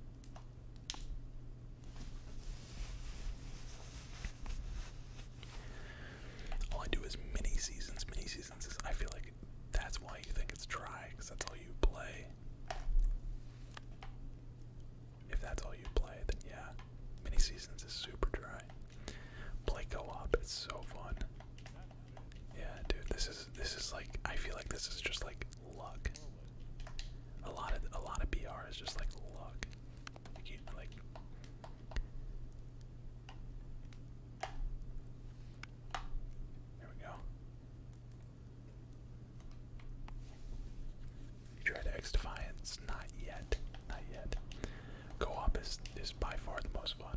do is mini seasons. Mini seasons I feel like that's why you think it's dry, because that's all you play. If that's all you play, then yeah, mini seasons is super dry. Play co op, it's so fun. Yeah, dude, this is this is like I feel like this is just like luck. A lot of a lot of BR is just like luck. Like, there we go. You tried X Defiance? Not yet. Not yet. Co-op is is by far the most fun.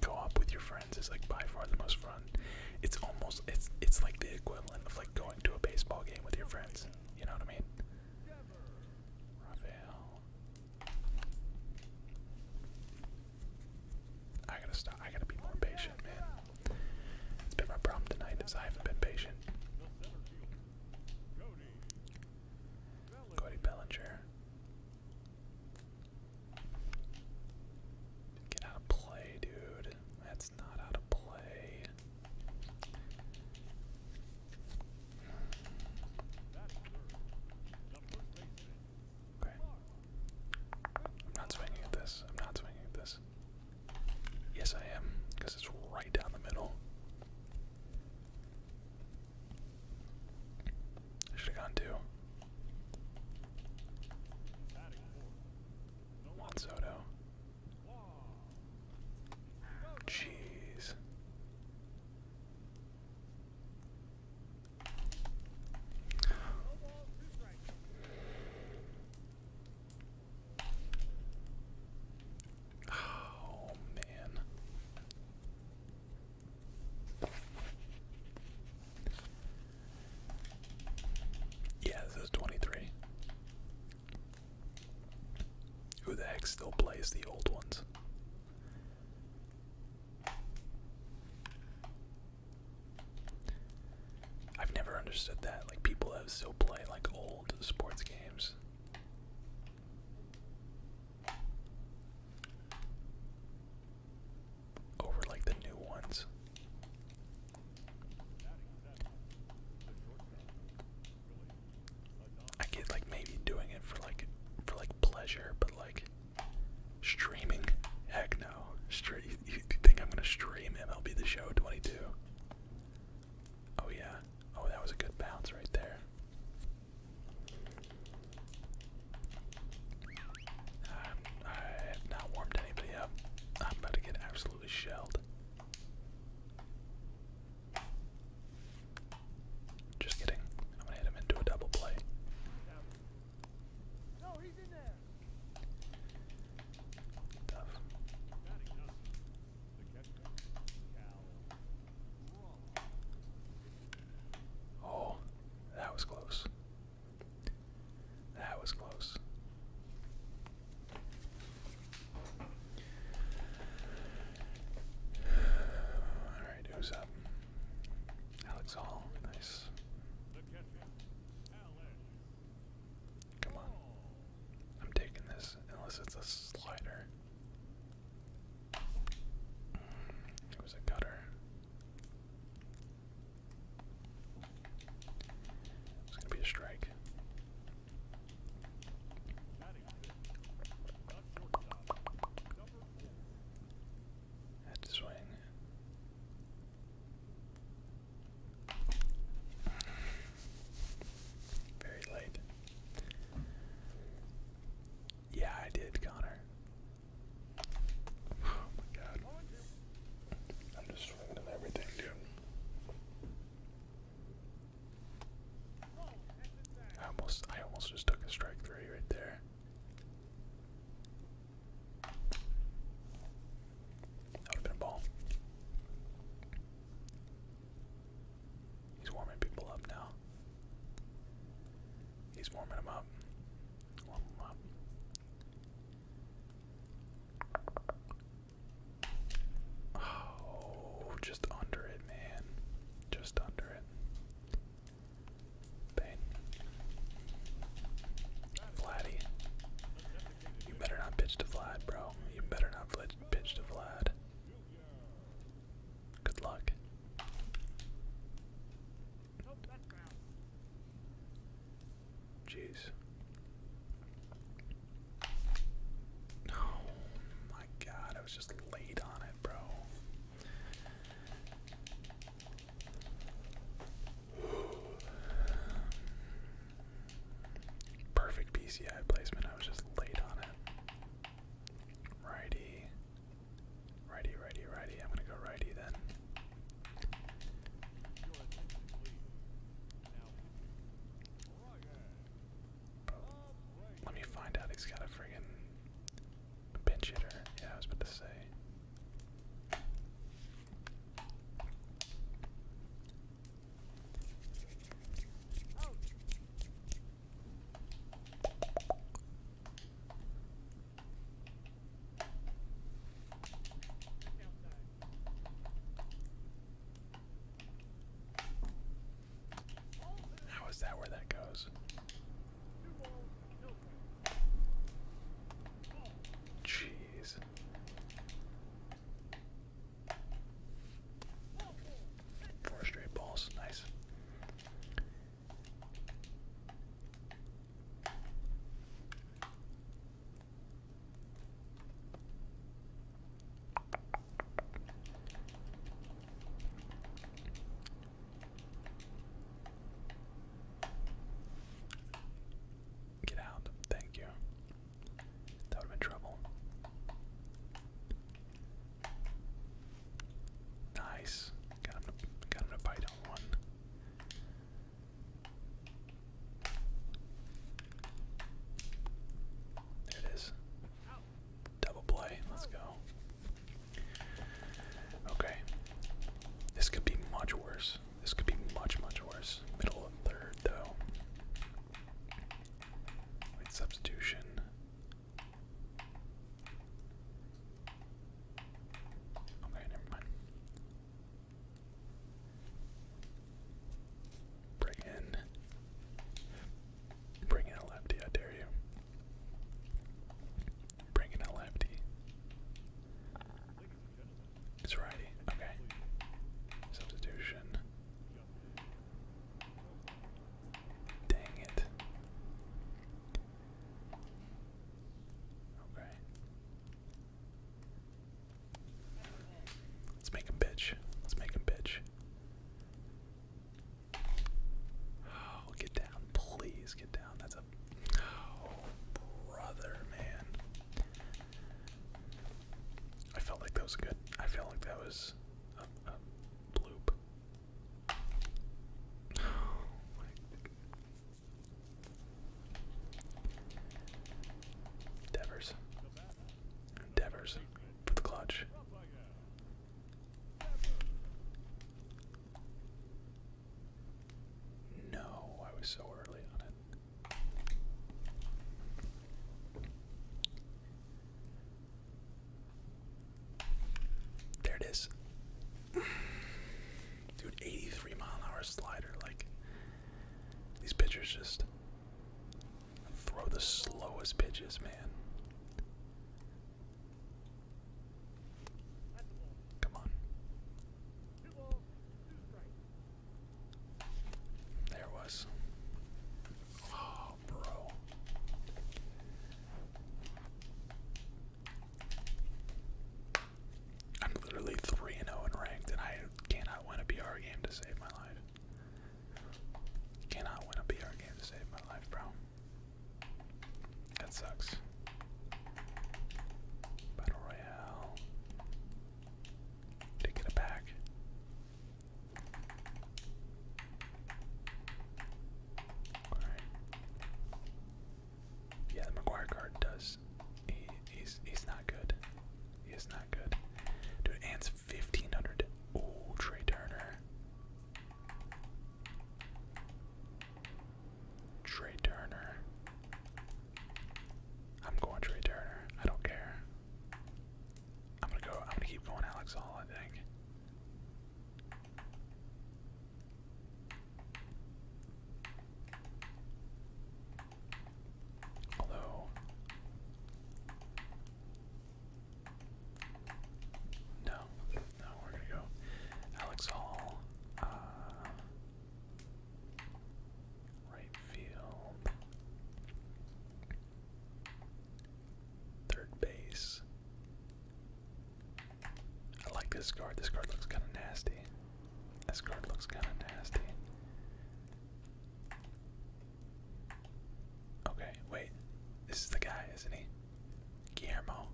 Go up with your friends is like by far the most fun. It's almost it's it's like the equivalent of like going to a baseball game with your friends. You know what I mean? I gotta stop. I gotta be more patient, man. It's been my problem tonight is I haven't been patient. Cody Bellinger. Get out of play, dude. That's not out of play. I'm not swinging at this. I'm not swinging at this. Yes, I am, because it's right down the middle. I should have gone two. Soto. Jeez. Oh man. Yeah, this is 23. Who the heck still plays the old ones? I've never understood that. Like, people have still play like old sports games over like the new ones. I get like maybe doing it for like for like pleasure, but like streaming, heck no. Stre you, you think I'm gonna stream MLB The Show 22? Oh yeah. Oh, that was a good bounce right there i have not warmed anybody up. I'm about to get absolutely shelled. Just kidding. I'm gonna hit him into a double play. No, he's in there. Oh, that was close. That was close. Alright, who's up? Um, Alex Hall, nice. Come on. I'm taking this, unless it's a slider. It was a cutter. It's gonna be a strike. Had to swing. Very late. Yeah, I did, Connor. Oh my god. I'm just swinging everything, dude. I almost, I almost just took a strike three right there. been a ball. He's warming people up now. He's warming them up. Oh, just under it, man. Just under it. Bang. Vladdy. You better not pitch to Vlad, bro. You better not pitch to Vlad. Good luck. Jeez. Oh my god, I was just late on it, bro. Perfect PCI placement, I was just late on it. Righty. Righty, righty, righty. I'm gonna go righty then. Let me find out he's got a friggin' pinch hitter. Yeah, I was about to say. How is that where that goes? Jeez. Four straight balls, nice. Get out. Thank you. That would have trouble. Nice. Got him got him to bite on one. There it is. Double play. Let's go. Okay. This could be much worse. This could be much, much worse. Middle and third, though. substitution. Okay, never mind. Bring in. Bring in a lefty, I dare you. Bring in a lefty. It's righty. Okay. Substitution. Dang it. Okay. Let's make him bitch. Let's make him bitch. Oh, get down. Please get down. That's a. Oh, brother, man. I felt like that was good. I felt like that was a, bloop. Oh Devers. Devers for the clutch. No, I was so early on it. There it is. Dude, 83 mile an hour slider, like these pitchers just throw the slowest pitches, man. Come on. There was. Oh, bro. I'm literally 3 and 0 and ranked, and I cannot win a PR game to save my life. Cannot win a BR game to save my life, bro. That sucks. Battle Royale. Take it back. Yeah, the McGuire card does is he's he's not good. He not good. Dude, it's fifteen hundred. Oh, Trey Turner. Trey Turner. I'm going Trey Turner. I don't care. I'm gonna go. I'm gonna keep going, Alex Hall. I think. Although no, no, we're gonna go Alex Hall, uh, right field, third base. I like this card. This card looks kind of nasty. This card looks kind of nasty. Okay, wait. This is the guy, isn't he? Guillermo.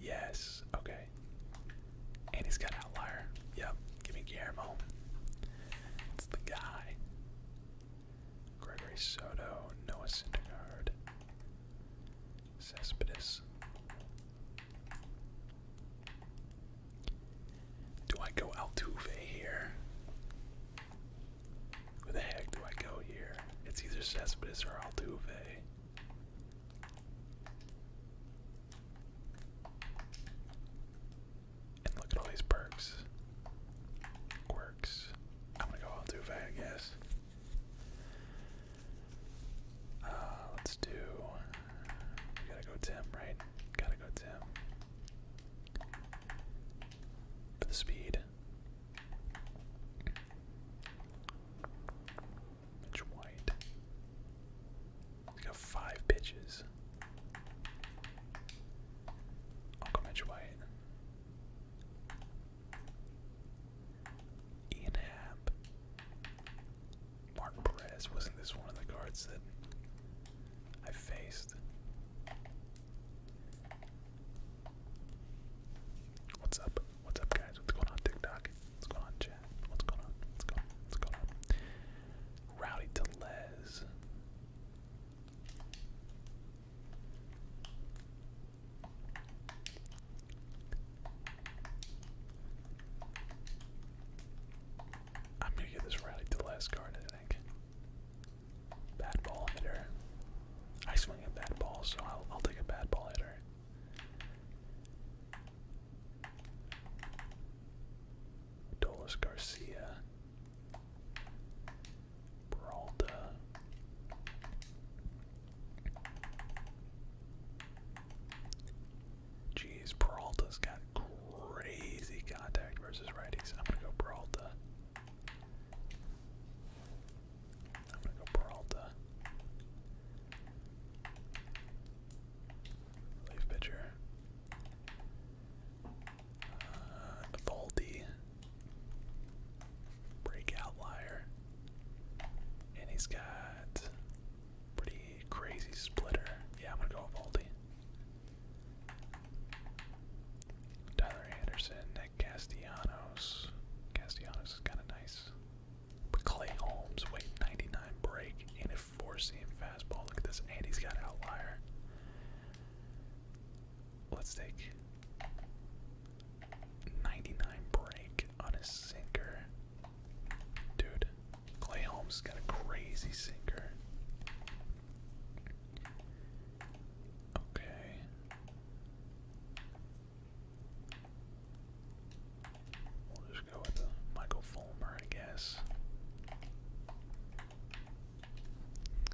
Yes, okay. And he's got outlier. Yep, give me Guillermo. It's the guy. Gregory Soto, Noah Syndergaard, Cespedes, do I go Altuve here? Where the heck do I go here? It's either Cespedes or Altuve. And look at all these perks. Quirks. I'm gonna go Altuve, I guess. Uh, let's do we gotta go Tim, right? Gotta go Tim. For the speed. Mitch White. He's got five pitches. i Mitch White. Ian Happ. Martin Perez. Wasn't this one of the cards that I faced? What's up? What's up, guys? What's going on, TikTok? What's going on, chat? What's going on? What's going on? What's going on? Rowdy Telez. I'm gonna get this rally to the last card, I think. Bad ball hitter. I swing a bad ball, so I'll, take a bad ball hitter. Dolis Garcia. Peralta. Jeez, Peralta's got crazy contact versus righties. I'm gonna go Peralta. I'm gonna go Peralta. Leaf pitcher. Uh, Breakout liar. And he's got Pretty crazy splitter. Yeah, I'm gonna go Valdi. Tyler Anderson, Nick Castellanos. Castellanos is kind of nice. But Clay Holmes, wait, 99 break and a four-seam fastball. Look at this, and has got outlier. Let's take 99 break on a sinker. Dude, Clay Holmes got a crazy sinker. Okay. We'll just go with Michael Fulmer, I guess.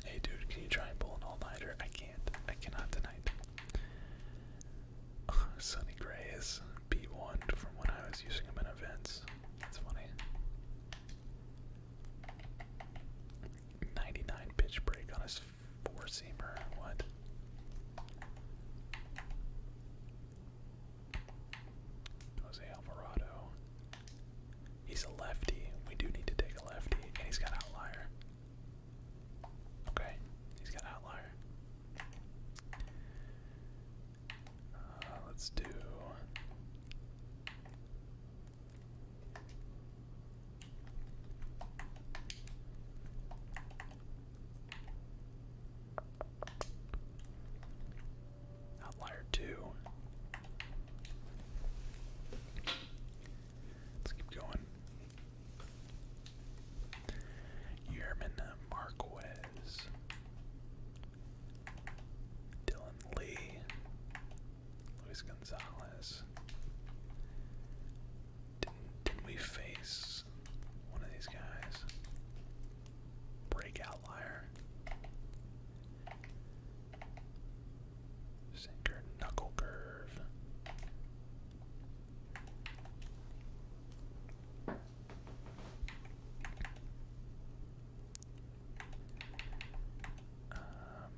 Hey dude, can you try and pull an all-nighter? I can't. I cannot tonight. Sunny Gray B1 from when I was using them in events. That's funny. 99 pitch break on his four seamer. What? Jose Alvarado. He's a lefty. We do need to take a lefty. And he's got outlier. Okay, he's got outlier. Uh, let's do. Outlier two. Let's keep going. Yerman Marquez. Dylan Lee, Luis Gonzalez. Didn't, we face one of these guys? Breakout liar. Sinker, knuckle curve. Um,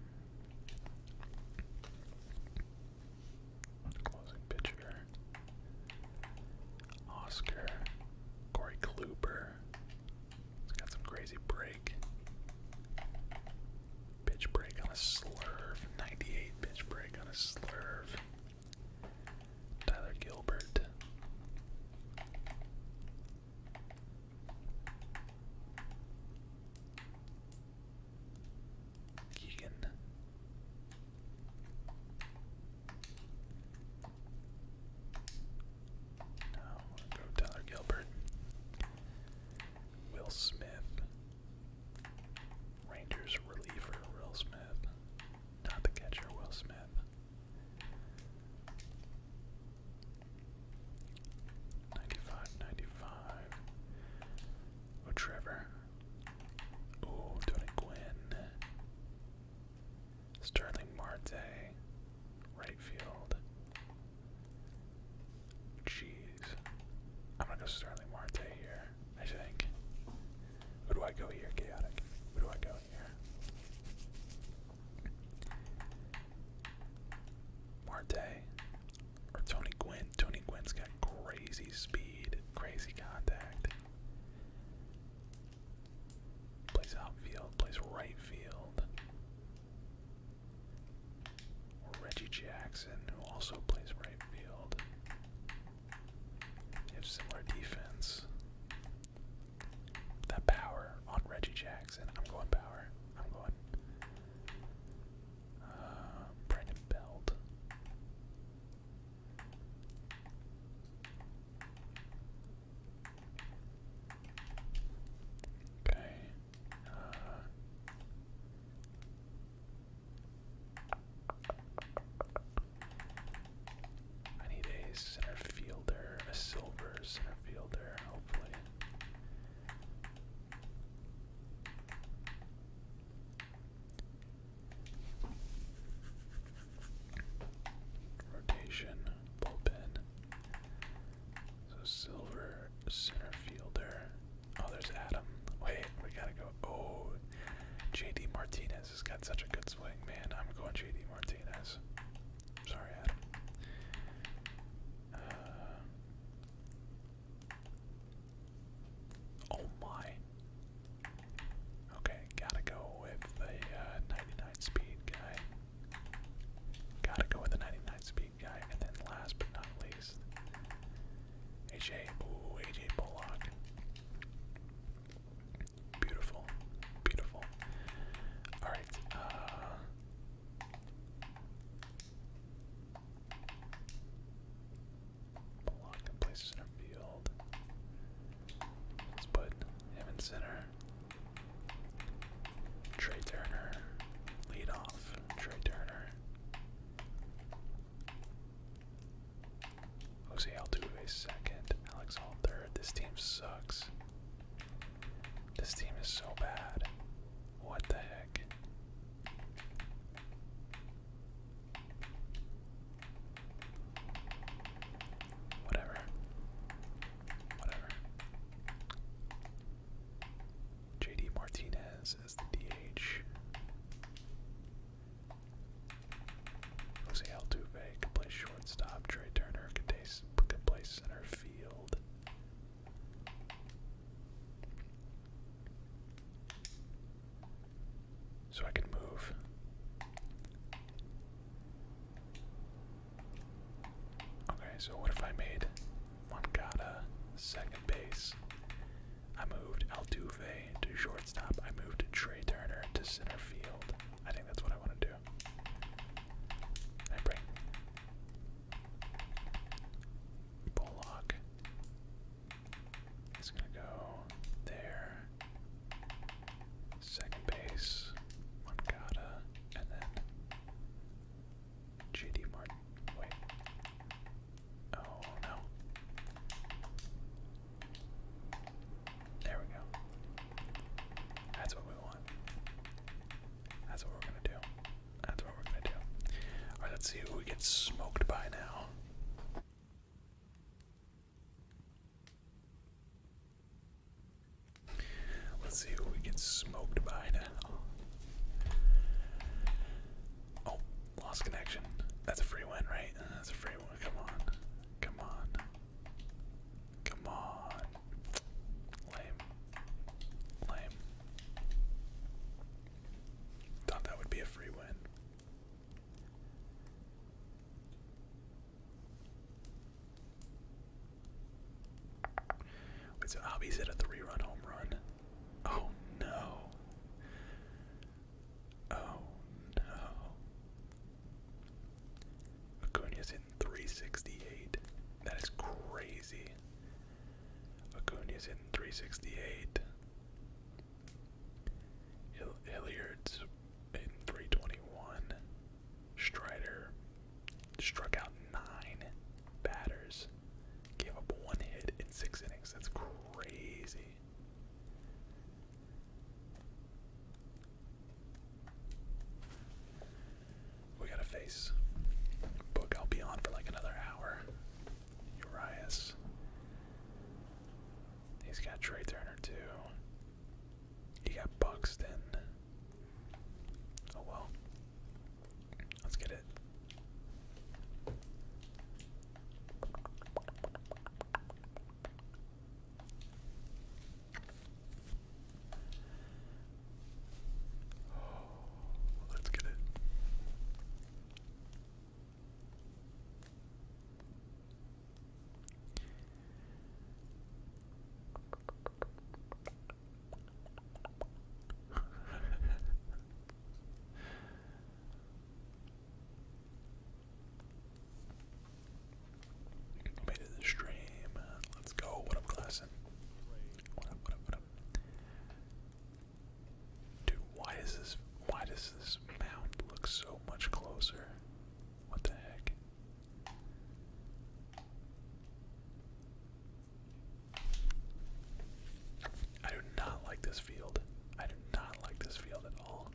closing pitcher. Oscar. Corey Kluber. He's got some crazy break. Pitch break on a slurve. 98 pitch break on a slurve. Tyler Gilbert. Keegan. No, go Tyler Gilbert. Will Smith. Rangers reliever Will Smith. Not the catcher Will Smith. Ninety-five, ninety-five. Oh, Trevor. Oh, Tony Gwynn. Sterling Marte. Right field. Jeez. I'm gonna go Sterling Marte here, I think. Who do I go here? Chaotic. Who do I go? Marte or Tony Gwynn. Tony Gwynn's got crazy speed, crazy contact. Plays outfield, plays right field. Or Reggie Jackson, who also plays right field. have similar defense. That power on Reggie Jackson. I'm going power. I'm going. Uh, Brandon Belt. Okay. Uh, I need a center fielder, a silver center fielder, hopefully. Rotation, bullpen. So silver center fielder. Oh, there's Adam. Wait, we gotta go. Oh, JD Martinez has got such a good swing, man. I'm going JD Martinez. Sorry, Adam. Uh, oh my. Okay, gotta go with the uh, 99 speed guy. Gotta go with the 99 speed guy. And then last but not least, AJ, ooh, AJ Bullock. Beautiful. Beautiful. Alright. Uh, block and place center field. Let's put him in center. Trey Turner. Lead off. Trey Turner. Jose Altuve second, Alex Hall third. This team sucks. This team is so bad. What the heck? Whatever. Whatever. JD Martinez is the DH. Jose Altuve can play shortstop. Trey Turner can play, He's could play center field. So I can move. Okay, so what if I made Moncada second base? I moved Altuve to shortstop. I moved Trey Turner to center field. I think that's what I want to do. I bring Bullock. He's gonna go there. Second base, Moncada, and then JD Martin. Wait. Oh no. There we go. That's what we want. That's what we're gonna do. That's what we're gonna do. Alright, let's see who we get smoked by now. Let's see who we get smoked by now. Oh, lost connection. That's a free win, right? That's a free one. Come on. Come on. Come on. Lame. Lame. Thought that would be a free win. Wait, so Abby's hit a three-run home run. Oh no. Oh no. Acuna's hitting 368. That is crazy. Acuna's hitting 368. Hilliard's hitting 321. Strider struck out nine batters. Gave up one hit in six innings. That's crazy. We got a face Book. I'll be on for like another hour. Urias. He's got Trey Turner too. He got Buxton. Oh well. Let's get it. Oh, let's get it. Made it the stream. Let's go. What up, Klassen? What Dude, why is this why does this mound look so much closer? What the heck? I do not like this field. I do not like this field at all.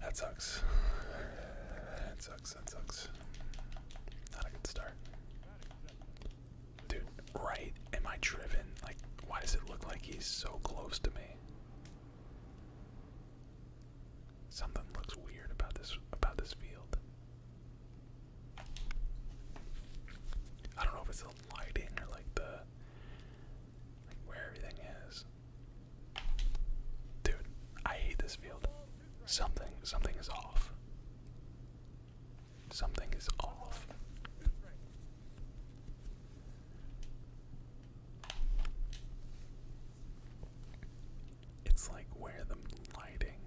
That sucks. That sucks, that sucks. Not a good start. Dude, right? Am I driven? Like, why does it look like he's so close to me? Something looks weird about this about this field. I don't know if it's the lighting or like the where everything is. Dude, I hate this field. Something something is off. Something is off. It's like where the lighting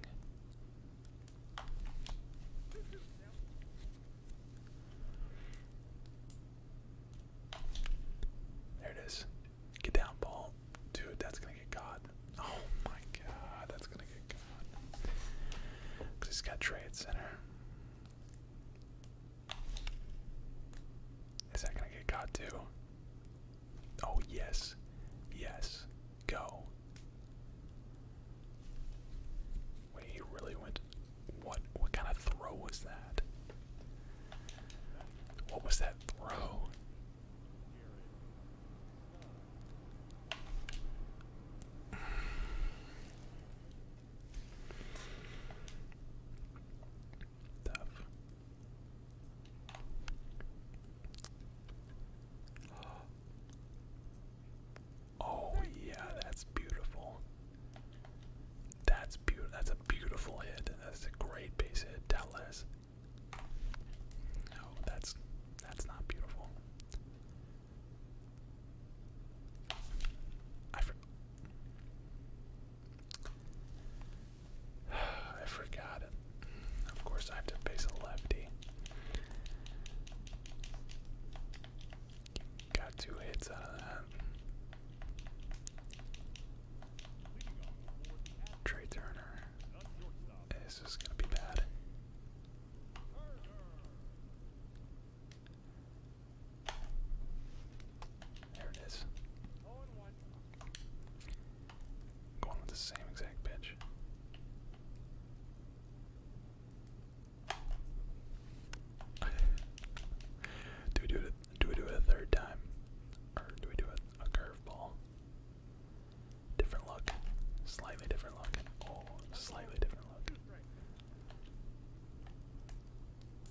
there it is. Get down, ball. Dude, that's gonna get caught. Oh my god, that's gonna get caught. Cause he's got Trey at center. Is that gonna get caught too? Oh, yes. Yes. Go. Wait, he really went. What? What kind of throw was that? What was that throw? Tough. Oh yeah, that's beautiful. That's beautiful. That's a beautiful hit. That's a great base hit, Dallas. No, that's that's not beautiful. I forgot. I forgot. Of course, I have to face a lefty. Got two hits out of that. Trey Turner. This is gonna be bad. There it is. Going with the same exact pitch. do we do it? Do we do it a third time, or do we do it a, curveball? Different look, slightly different look. Oh, slightly different look.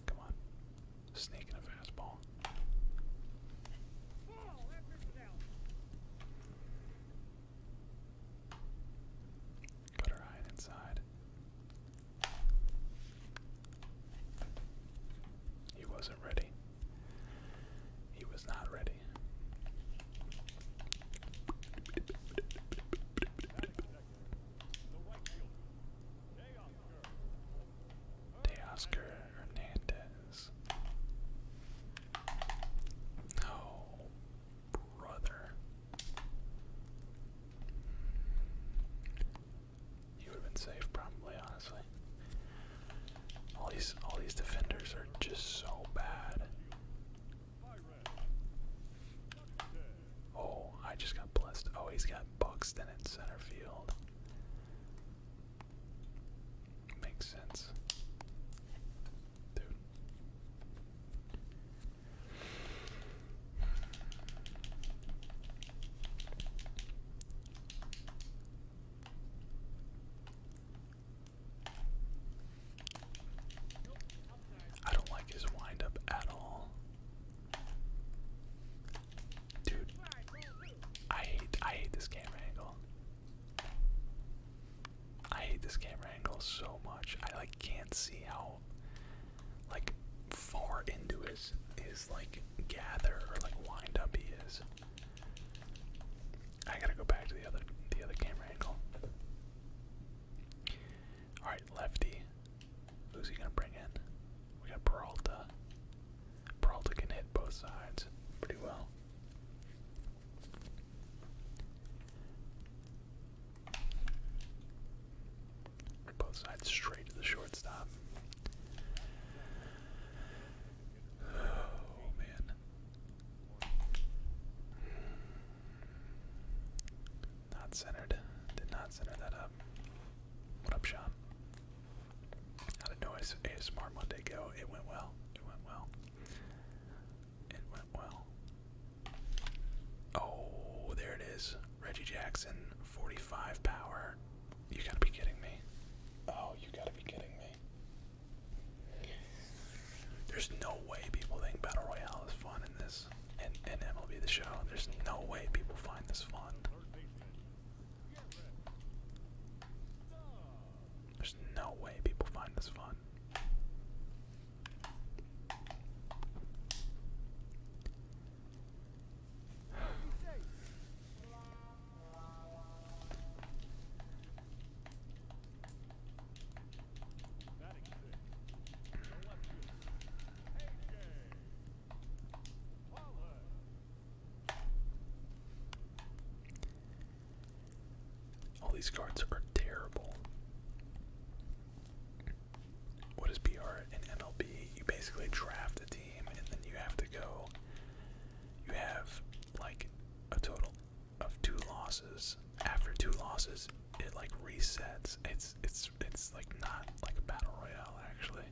Come on, sneak a fastball. Got her hide inside. He wasn't ready. He was not ready. De Hernandez is. brother. You would have been safe probably, honestly. All these all these defenders are just so bad. Oh, I just got blessed. Oh, he's got Buxton in center field. Makes sense. Dude. I don't like his wind at all. Dude, I hate I hate this camera angle. I hate this camera angle so much. I like can't see how like far into his his like gather or like wind up he is. I gotta go back to the other the other camera angle. Alright, lefty. Who's he gonna bring in? We got Peralta. Peralta can hit both sides pretty well. Both sides straight to the shortstop. Oh man. Not centered. Did not center that up. What up, Sean? How did Noise ASMR Monday go? It went well. It went well. Oh, there it is. Reggie Jackson, 45 power. You gotta be kidding me. Oh, you gotta be kidding me. There's no way people think Battle Royale is fun in this, and, and MLB The Show. There's no way people find this fun. There's no way people find this fun. All these cards are terrible. What is PR in MLB? You basically draft a team and then you have to go. You have like a total of two losses. After two losses, it like resets. It's it's it's like not like a battle royale actually.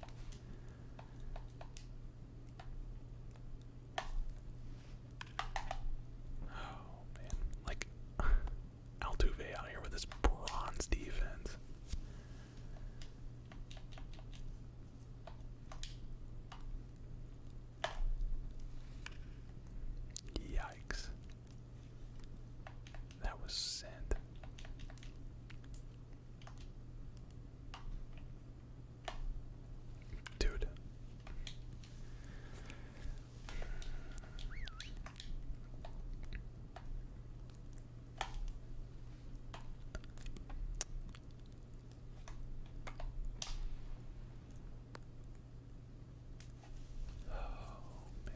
Oh man, like Altuve out here with this bronze defense. Yikes. That was sent. Dude. Oh man.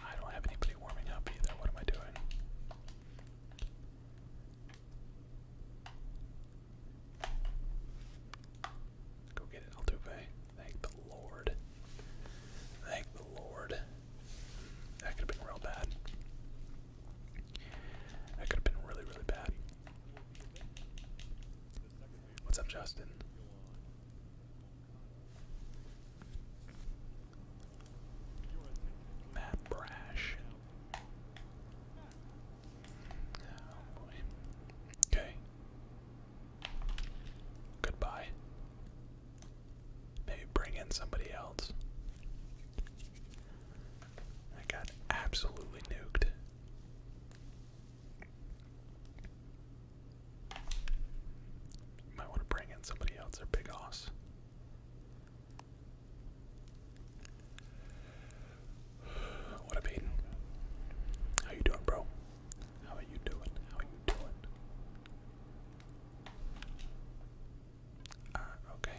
I don't have anybody warming up either. What am I doing? Go get it, Altuve. Thank the Lord. Thank the Lord. That could have been real bad. That could have been really, really bad. What's up, Justin? Matt Brash. Okay. Goodbye. Maybe bring in somebody else. I got absolutely nuked. Might want to bring in somebody else or big ass. What up, Aiden? How you doing, bro? How are you doing? How are you doing? Uh, okay.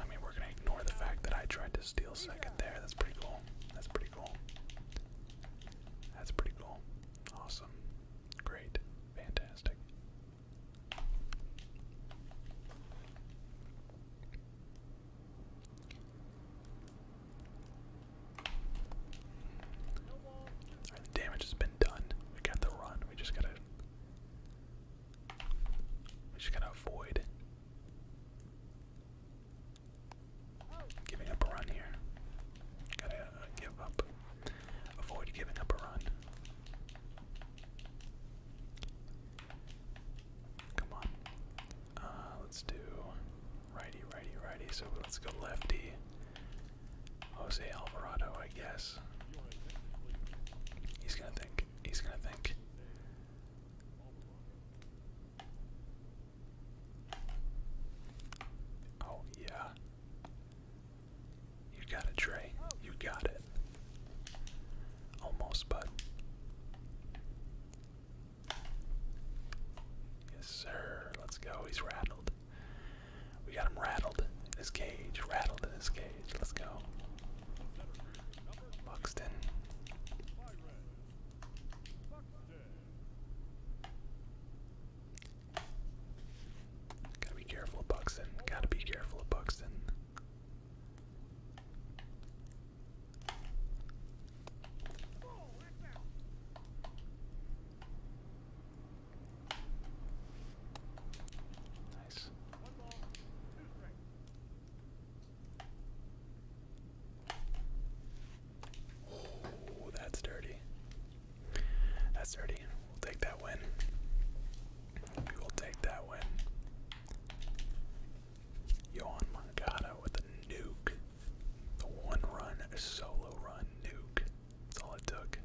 I mean, we're gonna ignore the fact that I tried to steal second there. That's pretty cool. That's pretty cool. That's pretty cool. Awesome. Great. Fantastic the damage has been done. We got the run. We just gotta We just gotta avoid giving up a run here. Gotta uh, give up. Avoid giving up a run. Come on. Uh, let's do righty, righty, righty. So let's go lefty. Jose Alvarado, I guess. He's gonna think. He's gonna think. Oh, yeah. You got it, Trey. You got it. Almost, but Yes, sir. Let's go. He's rattled. We got him rattled in his cage. Rattled in his cage. Let's go. Buxton. Gotta be careful Buxton. Gotta be careful Buxton. Nice. Oh, that's dirty. That's dirty. We'll take that win. We will take that win. Yohan Mangata with a nuke. The one run, solo run nuke. That's all it took.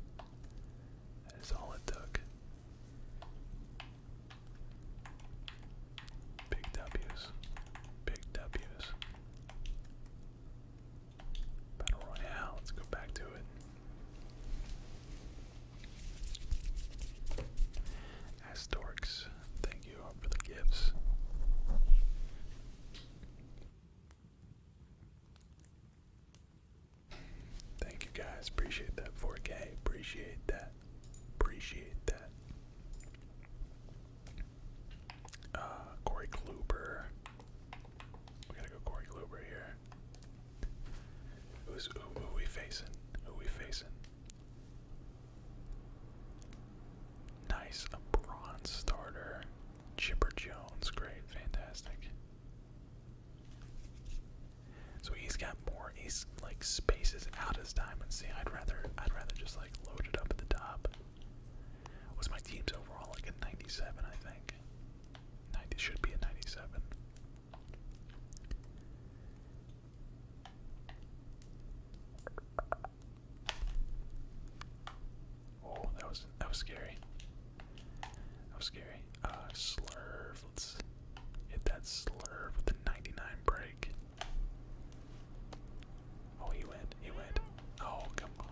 That is all it took. Big W's. Big W's. Battle Royale, let's go back to it. Astorix, thank you for the gifts. Thank you guys. Appreciate that 4K. Appreciate that. Appreciate that. Uh, Corey Kluber. We gotta go Corey Kluber here. Who's who, who we facing? Who we facing? Nice, a bronze starter. Chipper Jones, great, fantastic. So he's got more. He's like spaces out his diamond. See, I'd rather, I'd rather just like load it up at the top. Was my team's overall like a 97? I think 90 should be a 97. Oh, that was that was scary. That was scary. Uh, slurve. Let's hit that slurve with the 99 break. Oh, he went. He went. Oh, come on.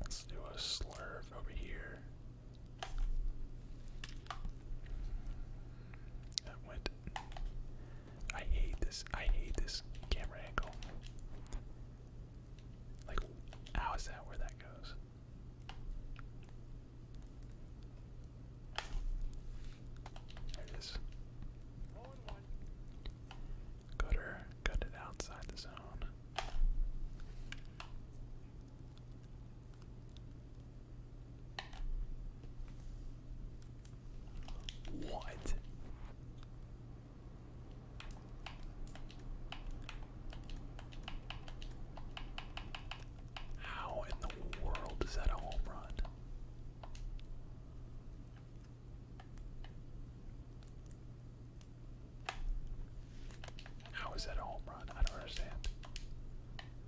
let's do a slurve over here. That went. I hate this. I hate this camera angle. Like, how is that where that goes? There it is. Cutter, cut outside the zone. What? How in the world is that a home run? How is that a home run? I don't understand.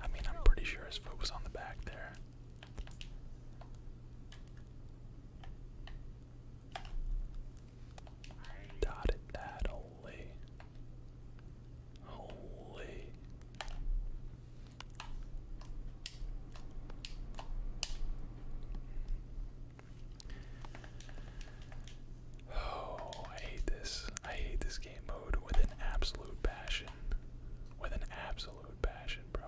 I mean, I'm pretty sure his foot was on the back there. Dotted that, holy. Holy. Oh, I hate this. I hate this game mode with an absolute passion. With an absolute passion, bro.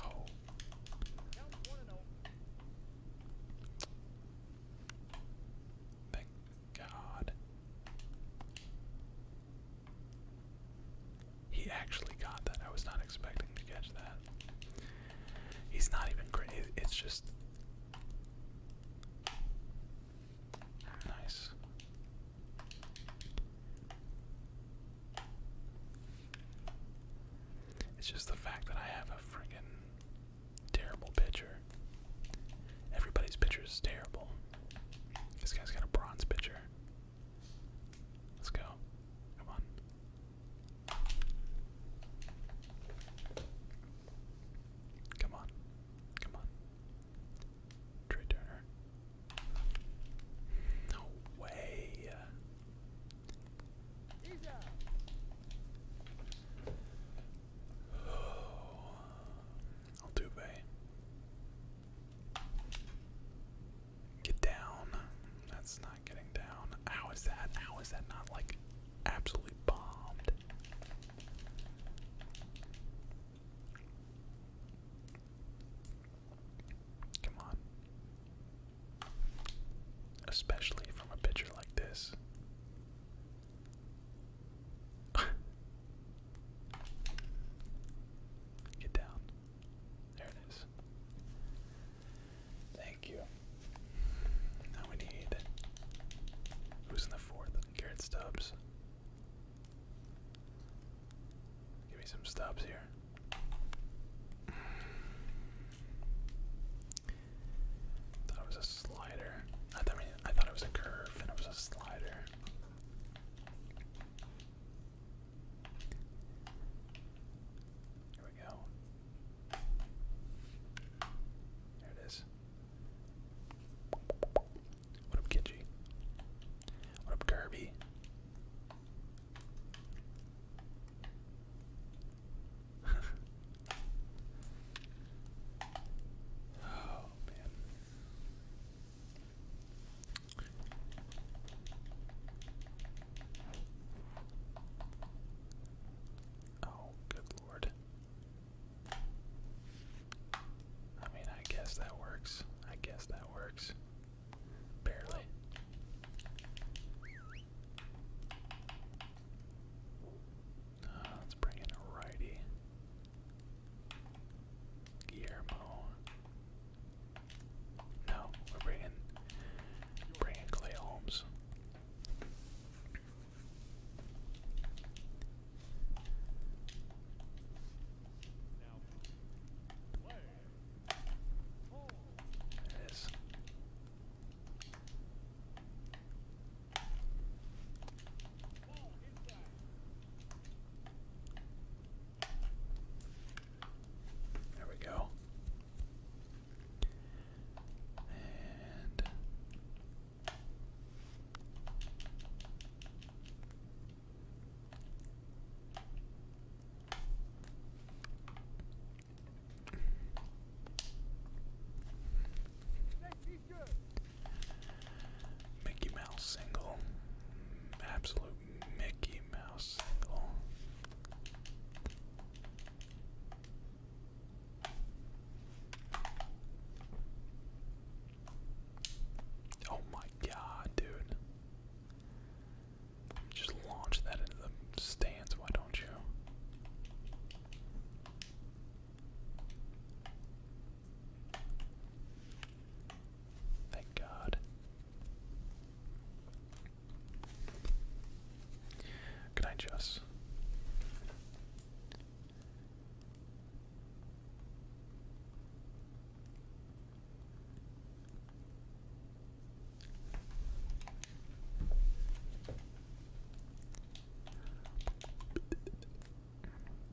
Oh. Thank God. He actually got that. I was not expecting to catch that. He's not even great. It's just. Nice. It's just the fact that I have a friggin' terrible pitcher. Everybody's pitcher is terrible. This guy's got a bronze pitcher. Let's go. Come on. Come on. Come on. Trey Turner. No way. Altuve. Get down. That's not getting down. How is that? How is that not like absolutely bombed? Come on. Especially from a pitcher like this. Get down. There it is. Thank you. Now we need. Who's in the fourth? Garrett Stubbs. Give me some stops here. Thought was a slider. I thought it was a curve, and it was a slider. Here we go. There it is. What up, Kenji? What up, Kirby? oh man. Oh, good lord. I mean, I guess that works. I guess that works. Barely. Uh, let's bring in a righty. Guillermo. No, we're bringing, bringing Clay Holmes. There There we go. And Mickey Mouse single. Absolute Mickey Mouse single. Oh my god, dude. Just launch that into the stands, why don't you? Thank God. Can I just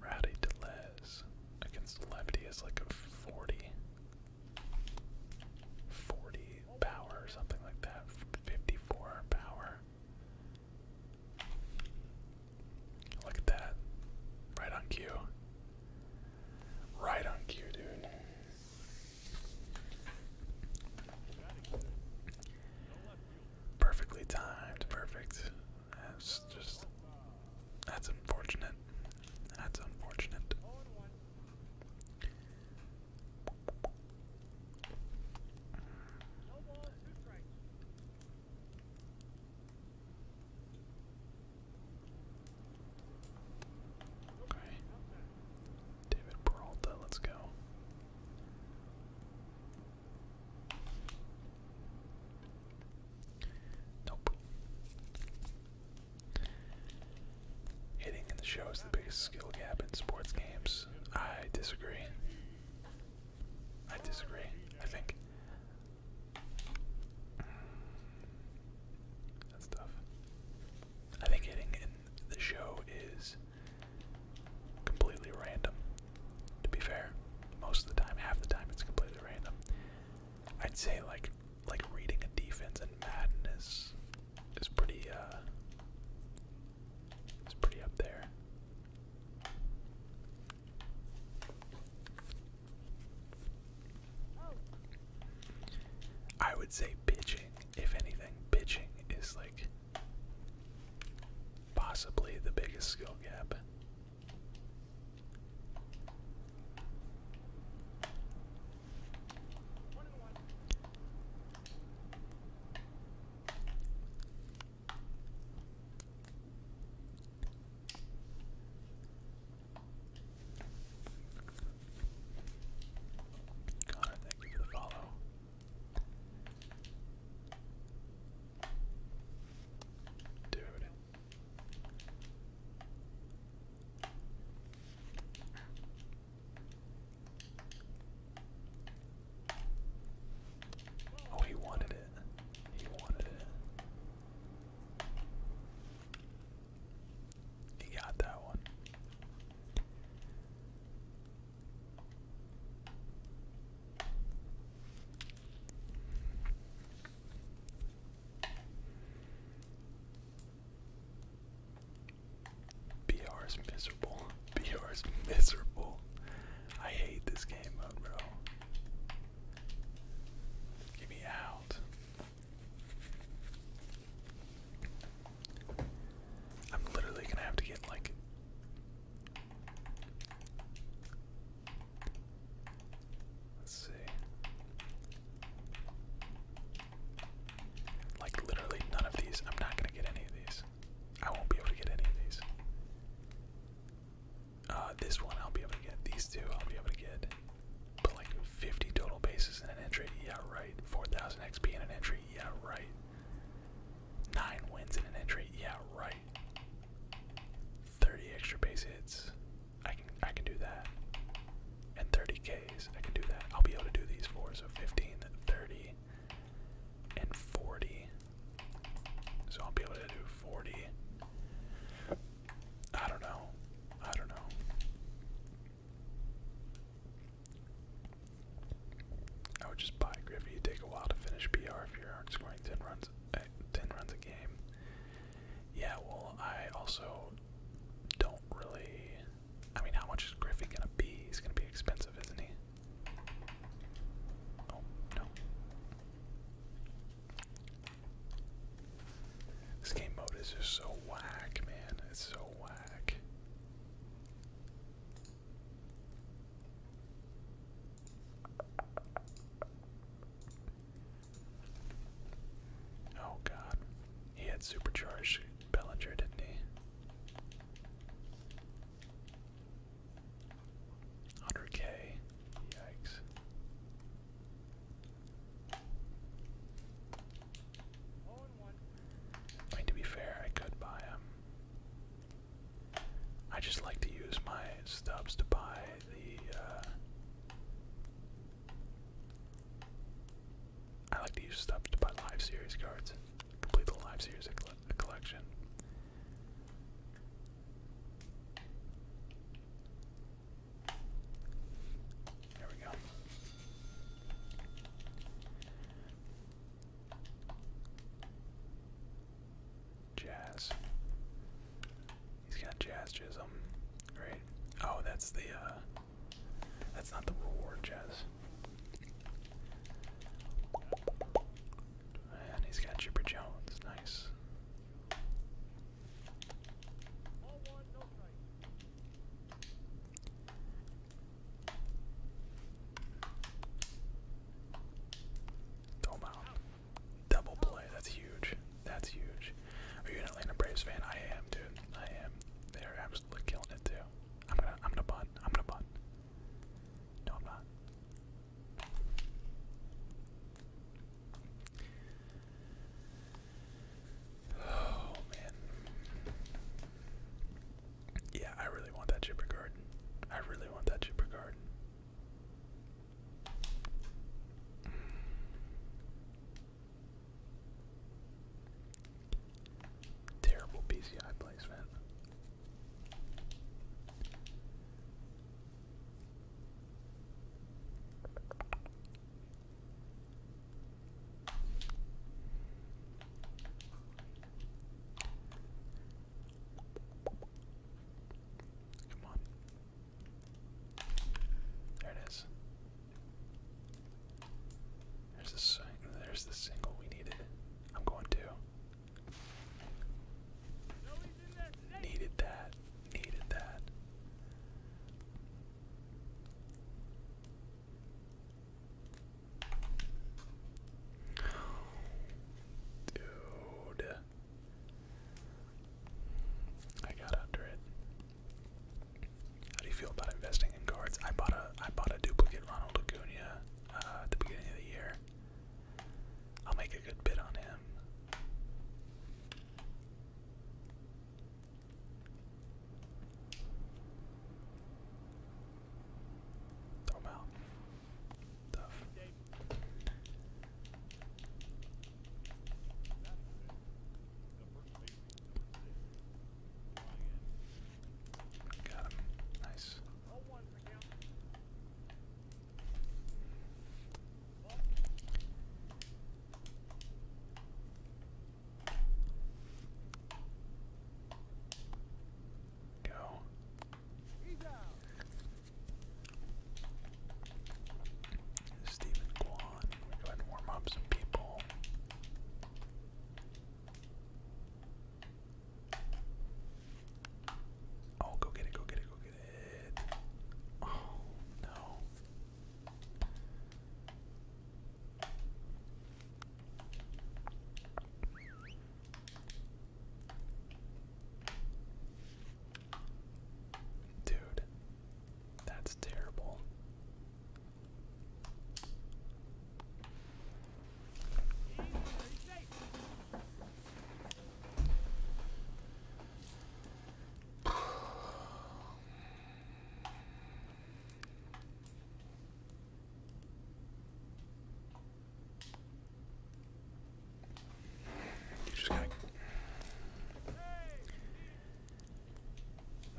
Rowdy Deleuze against Lefty is like a 40. 40 power or something like that. 54 power. Look at that. Right on cue. Right on cue, dude. Perfectly timed, perfect. That's just that's unfortunate. That's unfortunate. David Peralta, let's go. Nope. Hitting in the show is the biggest skill gap in sports games. I disagree. I disagree. I think that's tough. I think hitting in the show is completely random. To be fair, most of the time, half the time, it's completely random. I'd say like like reading a defense and madness is pretty uh is pretty up there. I would say pitching, if anything. Pitching is like possibly the biggest skill gap. Connor, thank you for the follow. Dude. Oh, he wanted it. He wanted it. He got that one. BR miserable. BR miserable. I hate this game mode, bro. Get me out. I'm literally gonna have to get like let's see. Like literally none of these. I'm not gonna get any of these. I won't be able to get any of these. Uh, this one I'll be able to get. These two I'll be able to get. But like 50 total bases in an entry, yeah, right. 4,000 XP in an entry, yeah, right. 9 wins in an entry, yeah, right. 30 extra base hits, I can I can do that. And 30 Ks, I can do that. I'll be able to do these four, so 15, 30, and 40. So I'll be able to do 40. I don't know. I don't know. I would just buy Griffey. It'd take a while to finish PR if you aren't scoring 10 runs, uh, 10 runs a game. Yeah, well, I also don't really. I mean, how much is Griffey going to be? He's going to be expensive, isn't he? Oh, no. This game mode is just so whack, man. It's so whack. Oh god. He had supercharged Bellinger, didn't he? 100k. Yikes. I to be fair, I could buy him. I just like to use my stubs to buy the. Uh, I like to use stubs to buy live series cards complete the live series collection. There we go. Jazz. He's got jazz chism, right? Oh, that's the uh that's not the reward jazz. And he's got Chipper Jones, nice. Double play. That's huge. That's huge. Are you an Atlanta Braves fan? I am, dude. I am. They're absolutely killing it too. I'm gonna I'm gonna bunt. I'm gonna bunt. No I'm not. Oh man. Yeah, I really want that Jibber Garden. I really want that Jibber Garden. Terrible PCI placement. Come on. There it is. There's the there's the single we needed. I'm going to. Needed that. Needed that. Dude. I got under it. How do you feel about investing in cards? I bought a I bought a duplicate Ronald Acuna uh, at the beginning of the year. I'll make a good bid on him. Throw him out. Tough. Got him. Nice. Go. Stephen go ahead warm up some people. Oh, go get it, go get it, go get it. Oh, no. Dude, that's terrible. Just got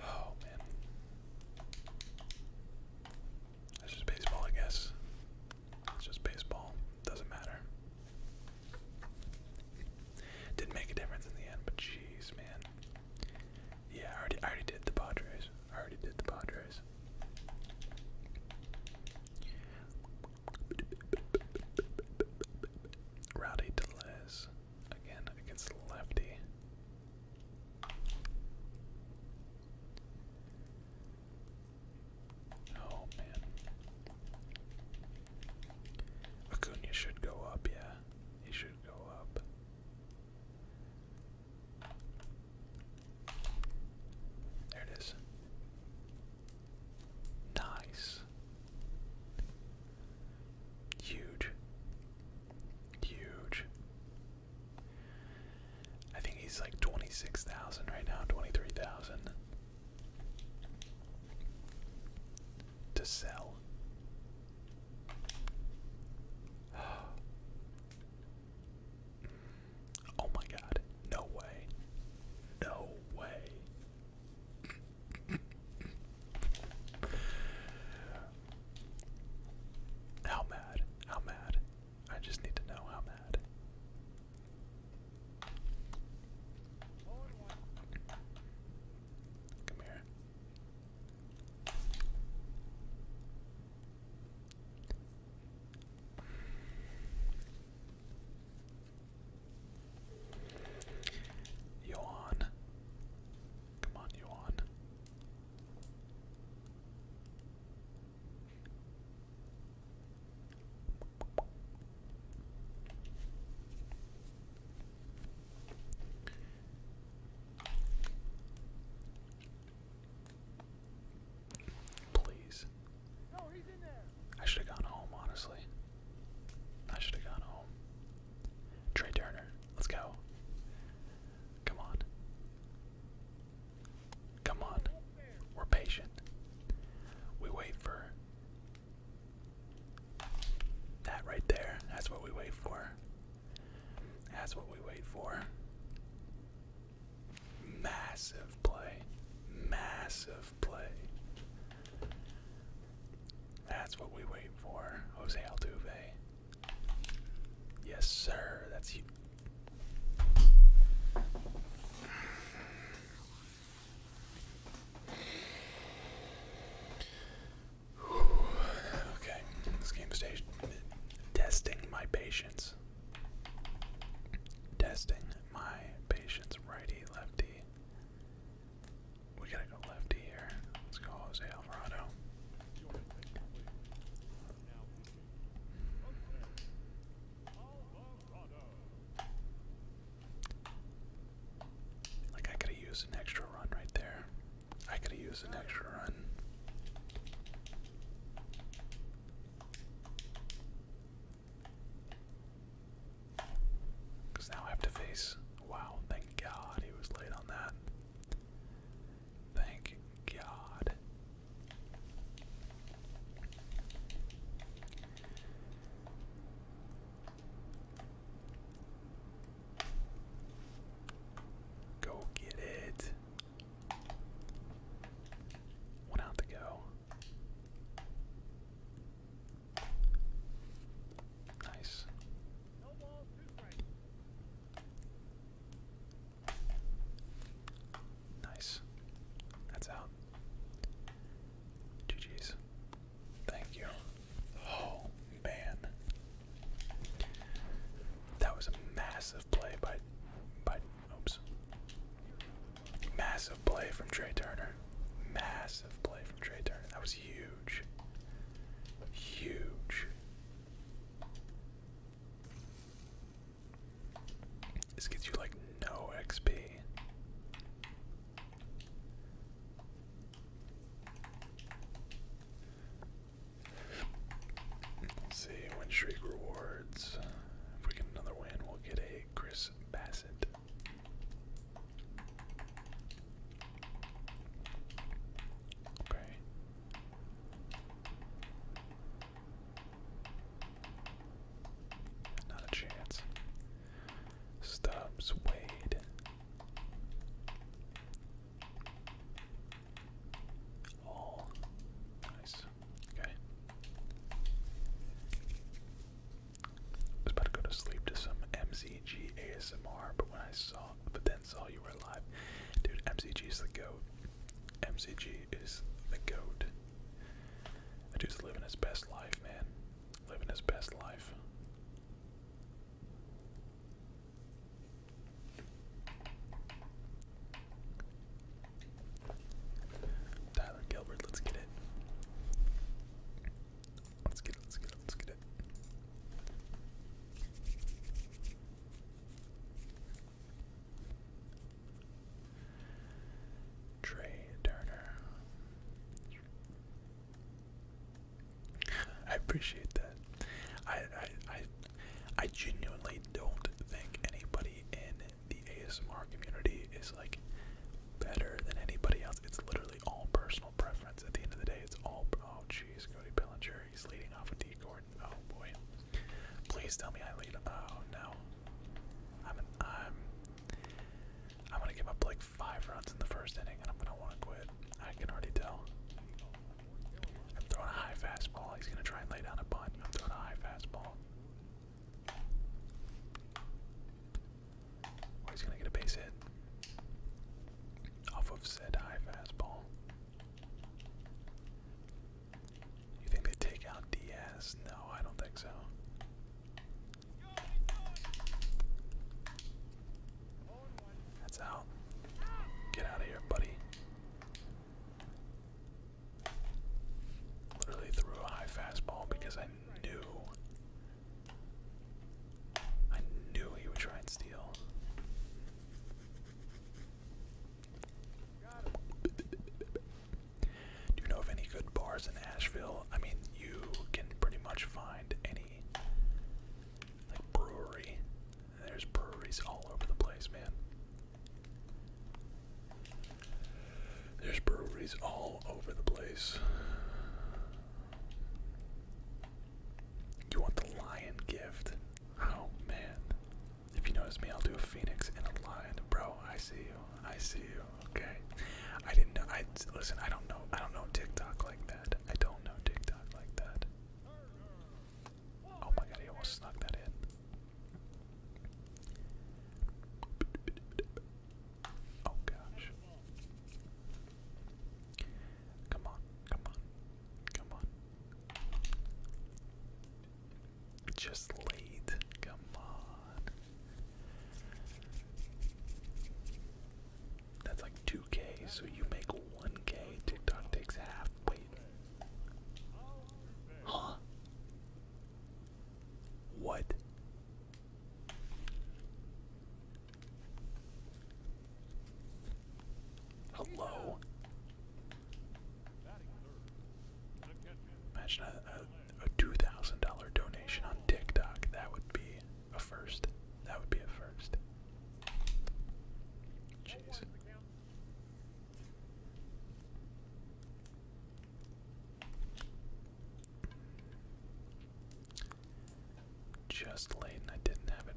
Oh man, that's just baseball, I guess. It's just baseball. Doesn't matter. Did not make a difference in the end, but jeez, man. Yeah, I already, I already did the Padres. I already did the Padres. Rowdy Deleuze again against lefty. Oh man. Acuna should go up, yeah he should go up. There it is. Nice. Huge. Huge. I think he's like 26,000 right now, 23,000 to sell. Oh my god, no way. No way. how mad? How mad? I just need to know how mad. Come here. Come on, yawn. Please. No, he's in there. I should have gone home, honestly. I should have gone home. Trey Turner, let's go. Come on. Come on. We're patient. We wait for that right there, that's what we wait for. That's what we wait for. Massive play. Massive play. That's what we wait for. Jose Altuve. Yes, sir. That's you. Okay, this game station testing my patience. Testing my patience. Righty, lefty. We gotta go lefty here. Let's go Jose Alvarado. Like I could have used an extra run right there. I could have used an extra run. Because now I have to face. Wow, thank God he was late on that. Thank God. Go get it. One out to go. Nice. Nice. That's out. GG's. Thank you. Oh, man. That was a massive play by by oops. Massive play from Trey Turner. Massive play from Trey Turner. That was huge. Huge. This gets you like no XP see, when streak rewards. If we get another win, we'll get a Chris Bassett. Okay. Not a chance. Stubbs, Wade. All nice. Okay. I about to go to sleep to some MCG ASMR, but when I saw, but then saw you were live, dude. MCG is the goat. MCG is the goat. dude's living his best life, man. Living his best life. Tyler Gilbert, let's get it. Let's get it, let's get it, Trey Turner. I appreciate that. I, I I I genuinely don't think anybody in the ASMR community is like better than anybody else. It's literally all personal preference. At the end of the day, it's all. Oh jeez, Cody Bellinger, he's leading off with D Gordon. Oh boy, please tell me I lead. Oh no, I'm I'm I'm gonna give up like five runs in the first inning, and I'm gonna want to quit. I can already tell. I'm throwing a high fastball. He's gonna try and lay down a bunt. I'm throwing a high fastball. Or he's gonna get a base hit off of said high fastball. You think they take out Diaz? No, I don't think so. That's out. Get out of here, buddy. Literally threw a high fastball because I knew. I knew he would try and steal. Do you know of any good bars in Asheville? I mean, you can pretty much find any like brewery. There's breweries all over the place, man. There's breweries all over the place. You want the lion gift? Oh man. If you notice me, I'll do a phoenix and a lion. Bro, I see you. I see you. Okay. I didn't know I listen, I don't know I don't know TikTok like that. I don't know TikTok like that. Oh my god, he almost snuck that in. Oh gosh. Come on, come on, come on. Just late. Come on. That's like 2k, so you make 1k. TikTok takes half. Wait. Huh? What? Hello? Imagine a, a, $2,000 donation on TikTok. That would be a first. That would be a first. Jeez. Just late and I didn't have it.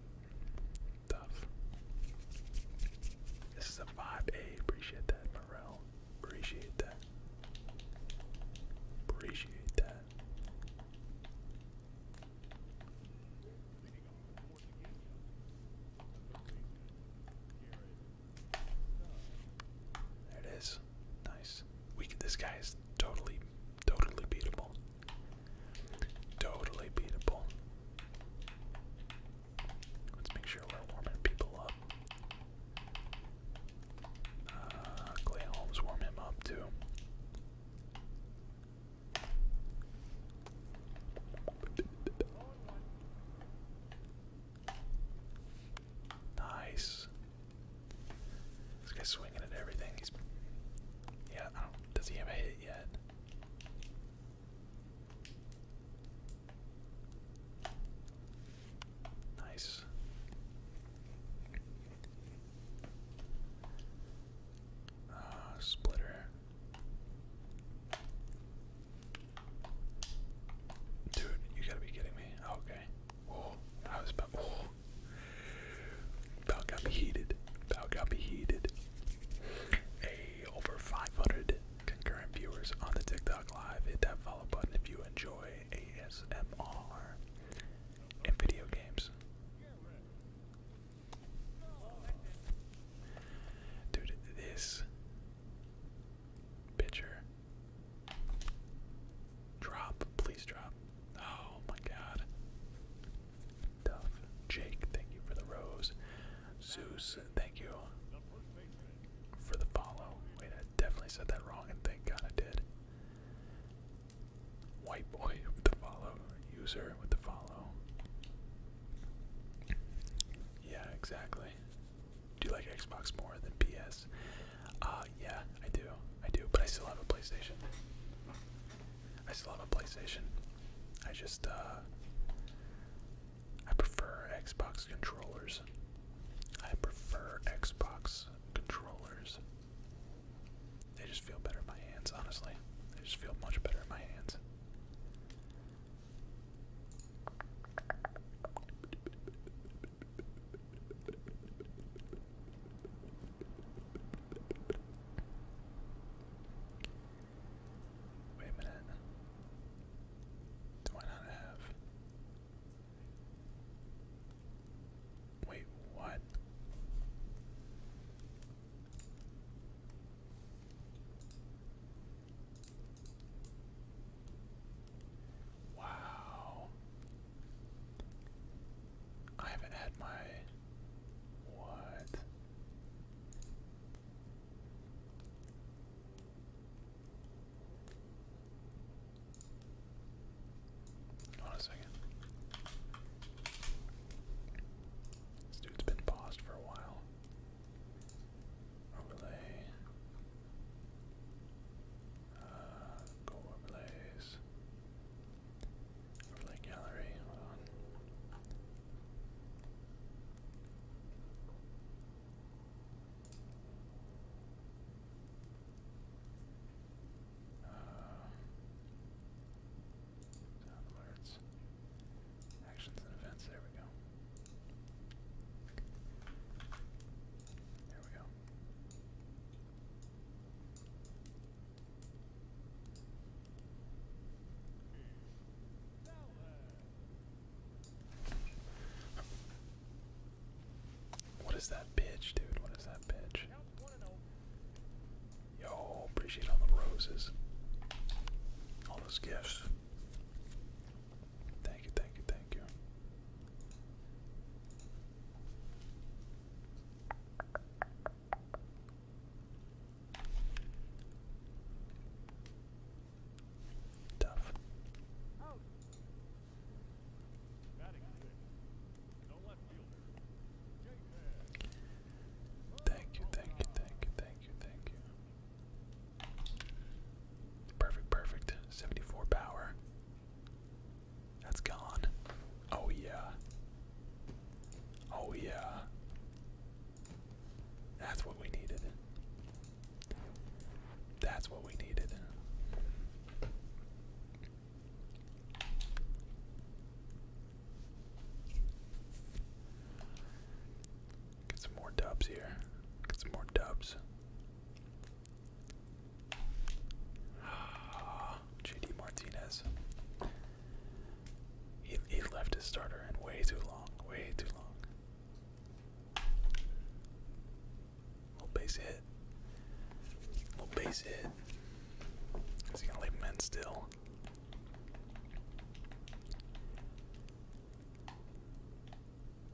Tough. This is a 5A. Appreciate that, Morel. Appreciate that. Appreciate that. There it is. Nice. We could, this guy is totally, totally beatable. Totally beatable. Let's make sure we're warming people up. Uh, Clay Holmes, warm him up too. Nice. This guy's swinging at everything. He's yeah. does he have a hit yet? Nice. Uh, splitter. Dude, you gotta be kidding me. Oh, okay. Oh, I about. Oh. About got me heated. About got me heated. Hey, over 500 concurrent viewers on the TikTok Live. Hit that follow button if you enjoy ASMR and video games. Dude, this pitcher. Drop, please drop. Oh my god. Duff. Jake, thank you for the rose. Zeus, thank you for the follow. Wait, I definitely said that wrong and thank god I did. White boy with the follow, user with the follow. Yeah, exactly. Do you like Xbox more than PS? Uh, yeah, I do. I do, but I still have a PlayStation. I still have a PlayStation. I just, uh, I prefer Xbox controllers. I prefer Xbox controllers. They just feel better in my hands, honestly. They just feel much better in my hands. Wait a minute. Do I not have? Wait, what? Wow. I haven't had my. What? Hold on a second. This dude's been paused for a while. Overlay. Uh, go Overlay gallery alerts. Actions and events. There we go. There we go. What is that pitch, dude? What is that pitch? Yo, appreciate all the roses. All those gifts. Thank you, thank you, thank you. Tough. Thank you, thank you, thank you, thank you, thank you. Perfect, perfect. 74 power. That's gone. Oh, yeah. Oh, yeah. That's what we needed. That's what we needed. Get some more dubs here. Get some more dubs. JD Martinez. He, he left his starter in way too long. Way too long. Little base hit. Little base hit. Is he gonna leave him still?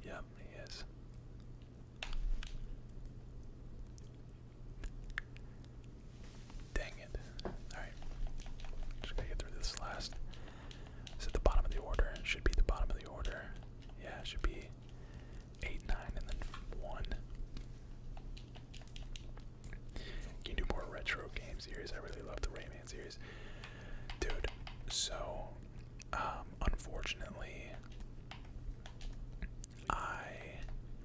Yeah, he is. Dang it. Alright. Just gotta get through this last. It's at the bottom of the order. It should be the bottom of the order. Yeah, it should be 8, 9, and then 1. Can do more retro game series? I really love the Rayman series. Dude, so um, unfortunately I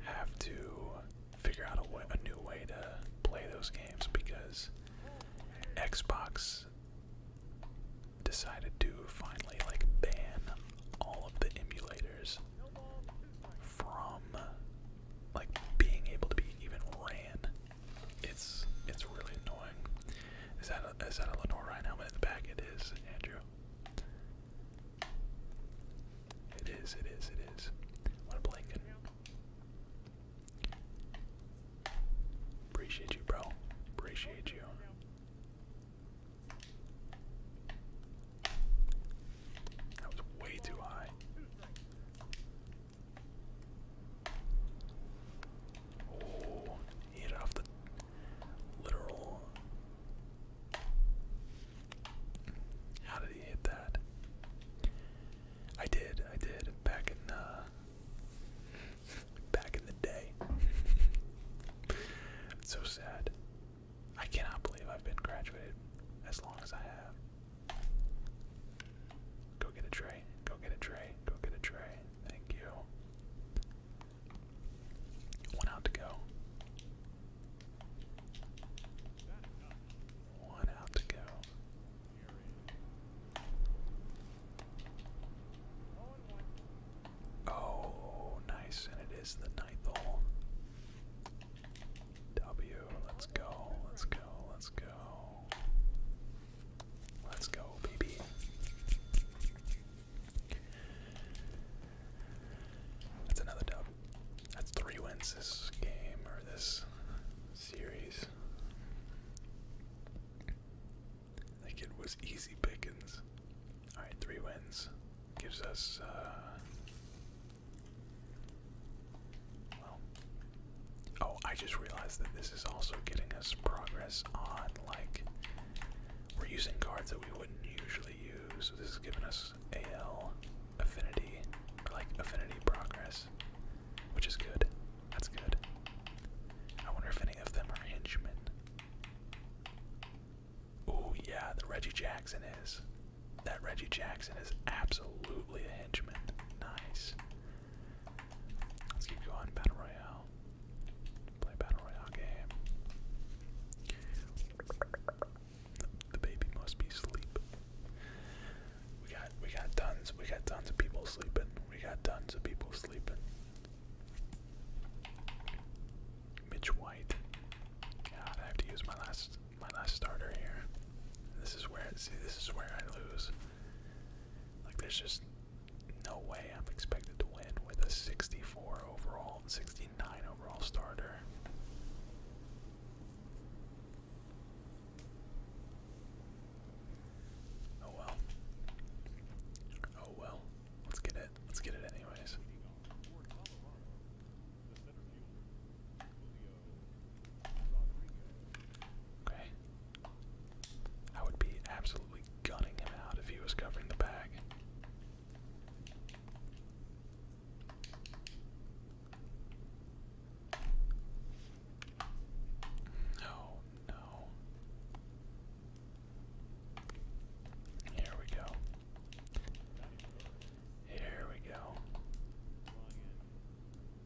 have to figure out a new way to play those games because Xbox decided to finally like ban all of the emulators from like being able to be even ran. It's it's really annoying. Is that a, is that a Lenore Ryan helmet in the back? It is, Andrew. It is. It is. It is. What a blanket. Appreciate you, bro. Appreciate you. That was way too high. Oh, hit off the literal. How did he hit that? I did, I did back in uh, back in the day. it's so sad. I cannot believe I've been graduated as long as I have. Go get a tray. Go get a tray. Go get a tray. Thank you. One out to go. One out to go. Oh, nice. And it is the ninth hole. W. Let's go, let's go, let's go. Let's go, baby. That's another dub. That's three wins this game or this series. Like it was easy pickings. Alright, three wins. Gives us uh well, oh, I just realized that this is also getting us progress on, like, we're using cards that we wouldn't usually use. This is giving us AL affinity, like affinity progress, which is good. That's good. I wonder if any of them are henchmen. Oh, yeah, the Reggie Jackson is. That Reggie Jackson is absolutely a henchman. Nice. Let's keep going. Battle Royale. Play Battle Royale game. The, baby must be asleep. We got we got tons we got tons of people sleeping. We got tons of people sleeping. Mitch White. God, I have to use my last my last starter here. This is where see this is where I lose. Like there's just no way I'm expected to win with a 64 overall and 69 overall starter. Oh well. Oh well. Let's get it. Let's get it anyways. Okay. I would be absolutely gunning him out if he was covering the bag. No, no. Here we go. Here we go.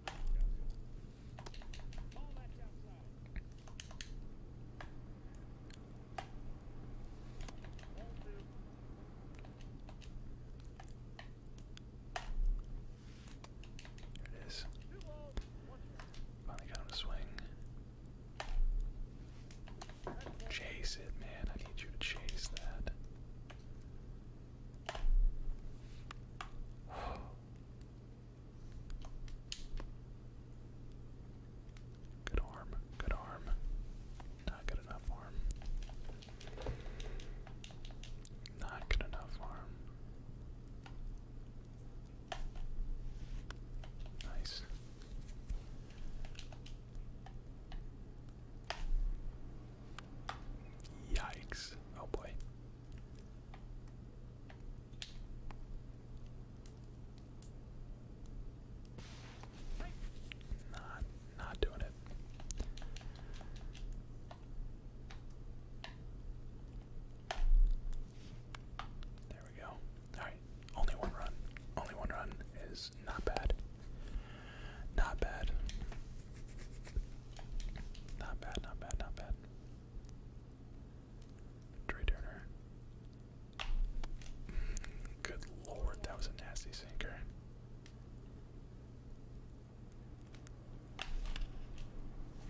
There it is. Finally got him to swing. Chase it, man. I need you to chase that. Good arm, good arm. Not good enough arm. Not good enough arm. Nice. Yikes. Oh boy. Not not doing it. There we go. Alright, only one run. Only one run is not bad. Not bad. Not bad, not bad, not bad. Trey Turner. Good lord, that was a nasty sinker.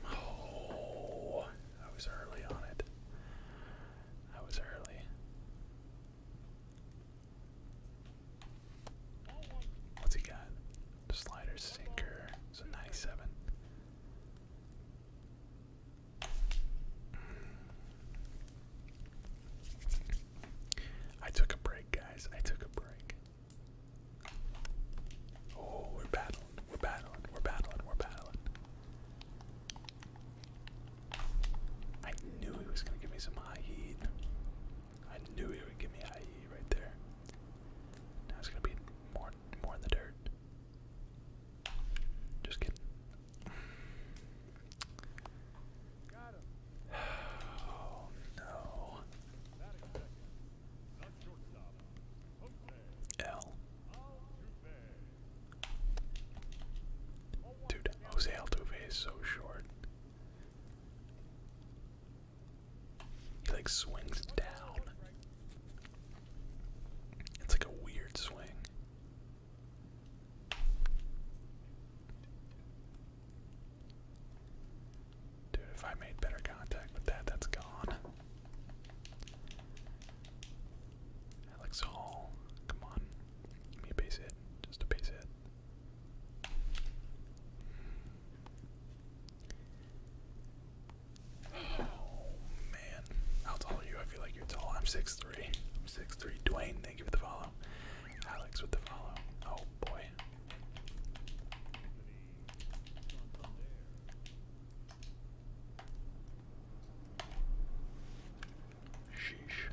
Oh, I was early on it. I was early. What's he got? The slider sinker. So 97. I took a break, guys. I took a break. Oh, we're battling. We're battling. We're battling. We're battling. I knew he was going to give me some high heat. I knew he would give me IE right there. Now it's gonna be more more in the dirt. Just kidding. Oh no. L. Dude, Jose Altuve is so short. He like swings down. It's like a weird swing. Dude, if I made better contact with that, that's gone. That looks Come on. Give me a base hit. Just a base hit. Man, how tall are you? I feel like you're tall. I'm 6'3. I'm 6'3. Dwayne, thank you for the follow. Alex with the follow. Oh boy. Sheesh.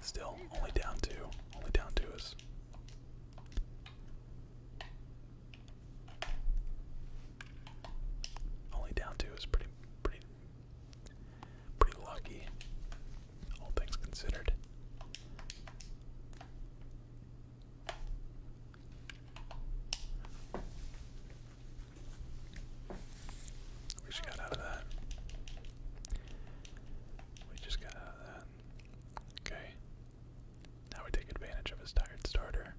Still, only down two. Only down two is. Only down two is pretty, pretty, pretty lucky. All things considered. We just got out of that. We just got out Okay. Now we take advantage of his tired starter.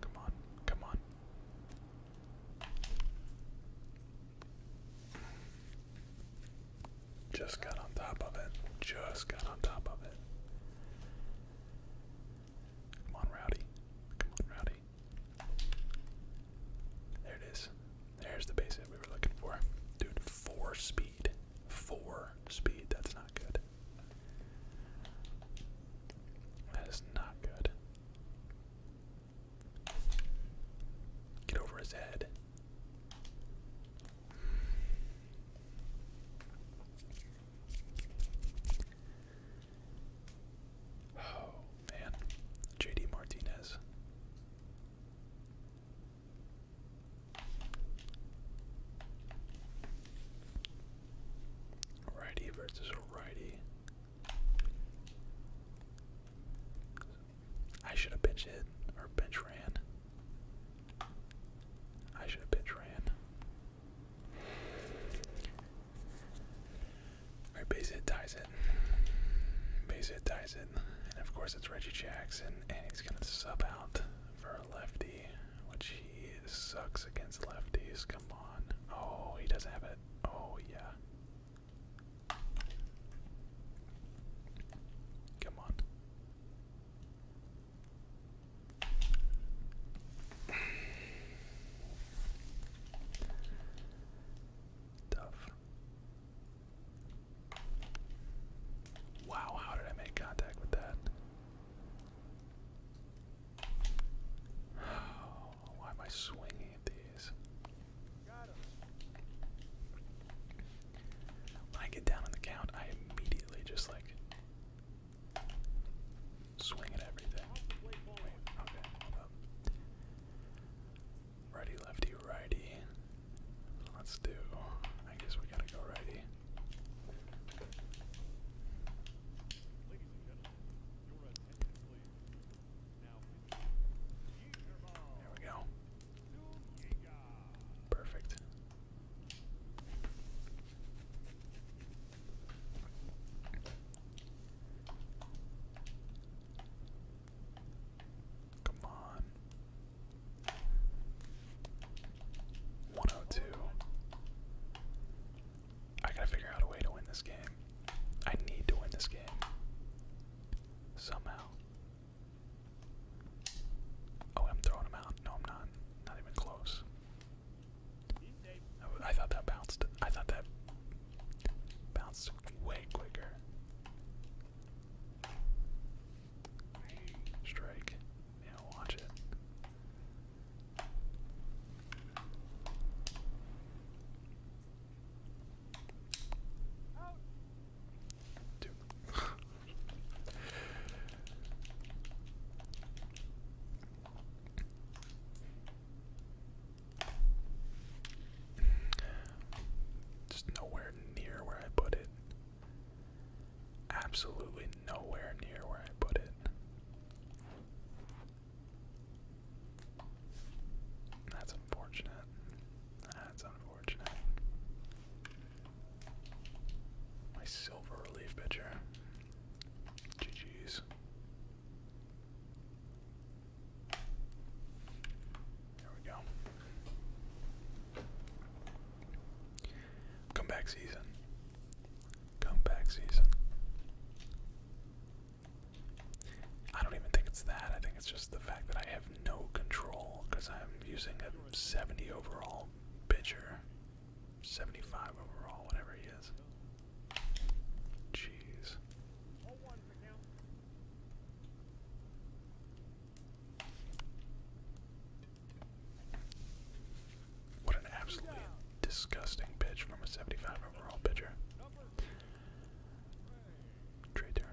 Come on, come on. Just got on top of it. Just got on top of it. Come on, Rowdy. Come on, Rowdy. There it is. There's the base hit we were looking for. Dude, four speed. Four speed. That's not good. That is not good. Get over his head. Oh, man. JD Martinez. Righty versus righty. I should have bench hit or bench ran. I should have bench ran base hit ties it. Base hit ties it. And of course it's Reggie Jackson and he's gonna sub out for a lefty, which he sucks against lefties. Come on. Oh, he doesn't have it. Oh yeah. Come on. Tough. Wow, how did I make contact with that? Why am I swinging at these? when I get down on the count, I immediately just like Swing at everything. Wait, lefty, righty. Let's do. I guess we gotta go righty. There we go. Perfect. Come on. 102. I gotta figure out a way to win this game. I need to win this game. Somehow. Oh, I'm throwing him out. No, I'm not. Not even close. I thought that bounced. I thought that bounced way quicker. Strike. Now watch it. Dude. Just nowhere near where I put it. Absolutely nowhere near where I put it. That's unfortunate. That's unfortunate. My silver relief pitcher. GG's. There we go. Comeback season. Comeback season. I don't even think it's that. I think it's just the fact that I have no control because I'm using a 70 overall pitcher 75 overall, whatever he is. Jeez. What an absolutely disgusting pitch from a 75 overall pitcher. Trey Turner.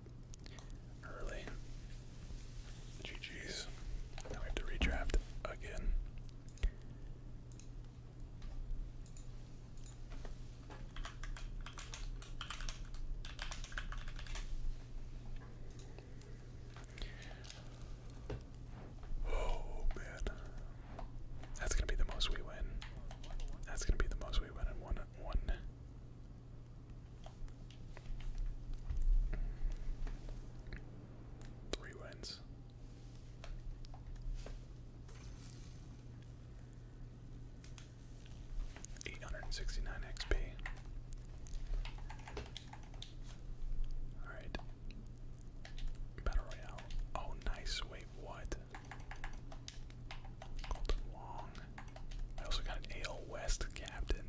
early. GG's. Now we have to redraft again. Oh man. That's gonna be the most we win. That's gonna be the most we win in one one Three wins. Eight hundred and sixty nine XP. Alright. Battle Royale. Oh nice, wait, what? Golden Wong. I also got AL West captain.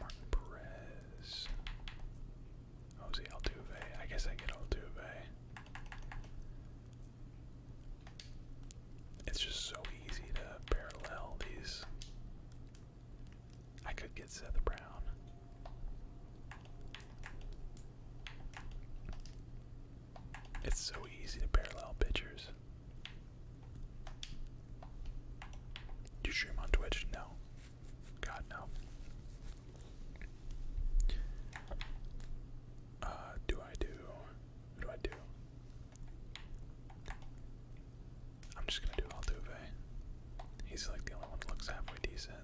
Martin Perez. Jose oh, Altuve. I guess I get Altuve. It's just so easy to parallel these. I could get Seth Brown. It's so easy to parallel pictures. Do you stream on Twitch? No. God, no. Uh, do I do? do I do? I'm just gonna do Altuve. He's like the only one looks halfway decent.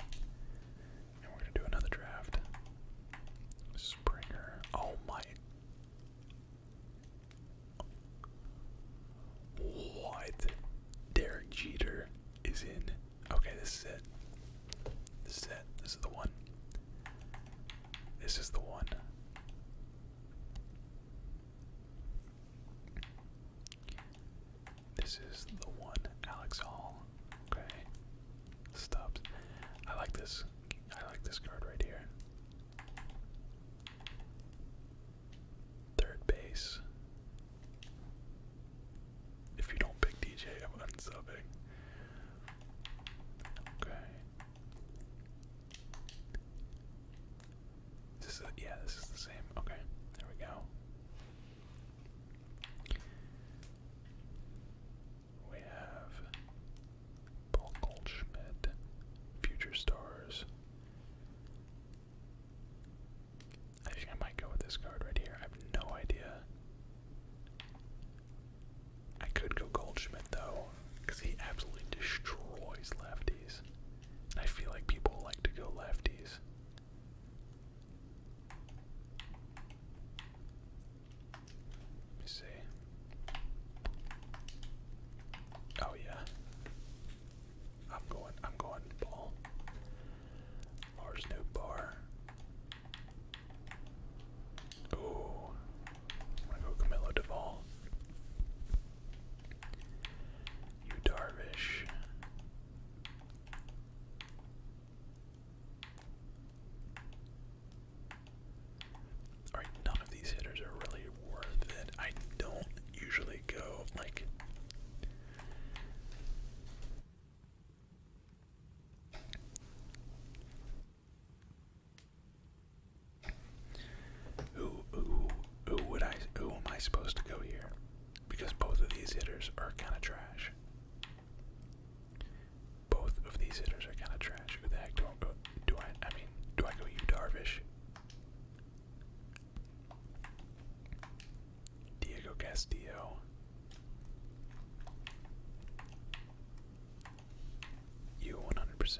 And we're gonna do another draft. Springer. Oh my. What? Derek Jeter is in. Okay, this is it. This is it. This is the one. This is the one. This is the one. Alex Hall. Okay. Stops. I like this. I like this card right here. Third base. If you don't pick DJ, I'm unsubbing. Okay. This is yeah, this is the same. Okay, there we go. We have Paul Goldschmidt, Future Stars. I think I might go with this card right here. I have no idea. I could go Goldschmidt though, because he absolutely destroys lefties. I feel like people like to go lefties. Let me see. Oh yeah. I'm going, I'm going ball. Lars new bar. Ooh. I'm gonna go Camilo Duvall. You Darvish. Alright, none of these hitters are really worth it. I don't usually go like who who who would I who am I supposed to go here? Because both of these hitters are kinda trash. Both of these hitters are kind of trash. Who the heck do I Do I? I mean, do I go? You Darvish, Diego Castillo. You 100%.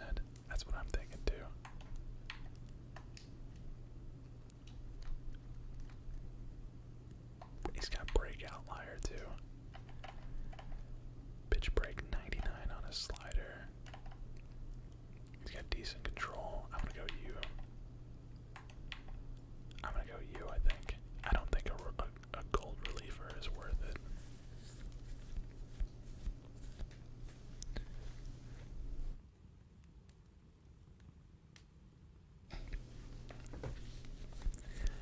That's what I'm thinking too. He's got breakout liar too. Bitch break 99 on a slider. He's got decent control. I'm gonna go you. I'm gonna go you, I think. I don't think a, gold reliever is worth it.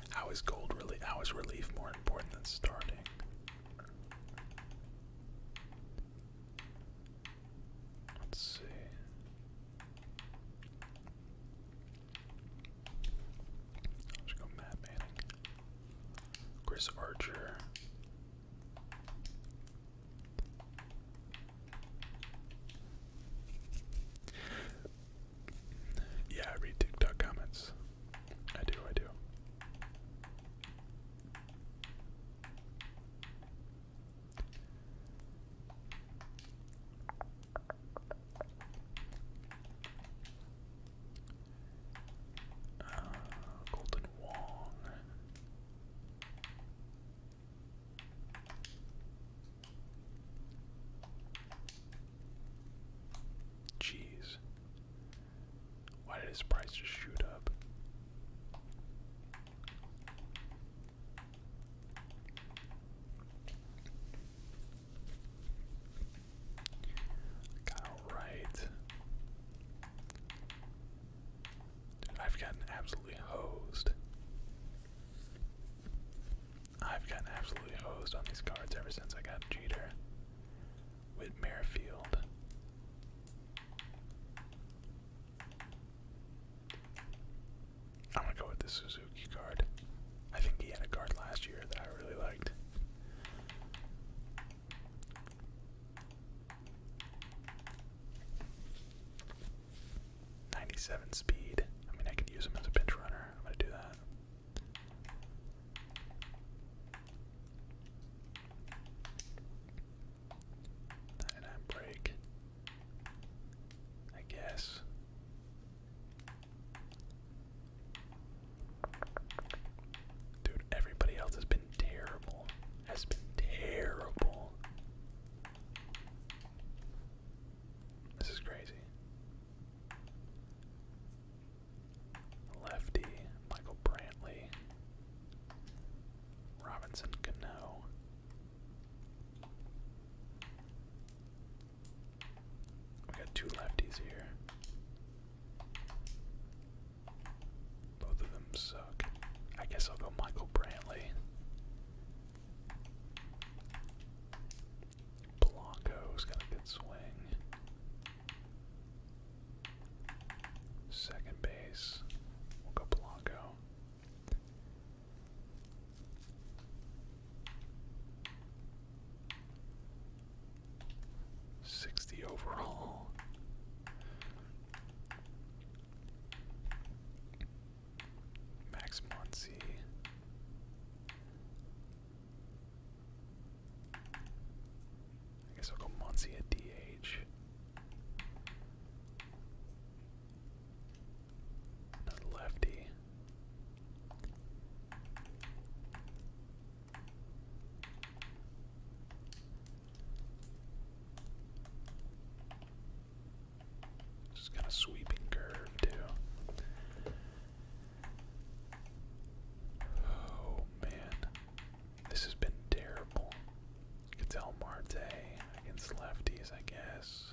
How is gold really? How is relief more important than starting? Let's see. I'll go Matt Manning. Chris Archer. Yeah, I read TikTok comments. I do, I do. Uh, Wong. Jeez. Why did his price just shoot up? Got right. I've gotten absolutely hosed. I've gotten absolutely hosed on these cards ever since I got Jeter with Merrifield. I'm gonna go with the Suzuki card. I think he had a card last year that I really liked. Ninety-seven speed. I mean, I could use him as a pinch runner. I'm gonna do that. Nine on break. I guess. Dude, everybody else has been terrible. Has been terrible. This is crazy. Lefty, Michael Brantley, Robinson Cano. We got two lefties here. Both of them suck. I guess I'll go Michael Brantley. Blanco's got a good swing. Second base. We'll go Blanco. Sixty overall. Max Muncy. I guess I'll go Muncie at DH. Another lefty. Just kind of sweeping curve too. Oh man. This has been terrible. It's El Marte against lefties, I guess.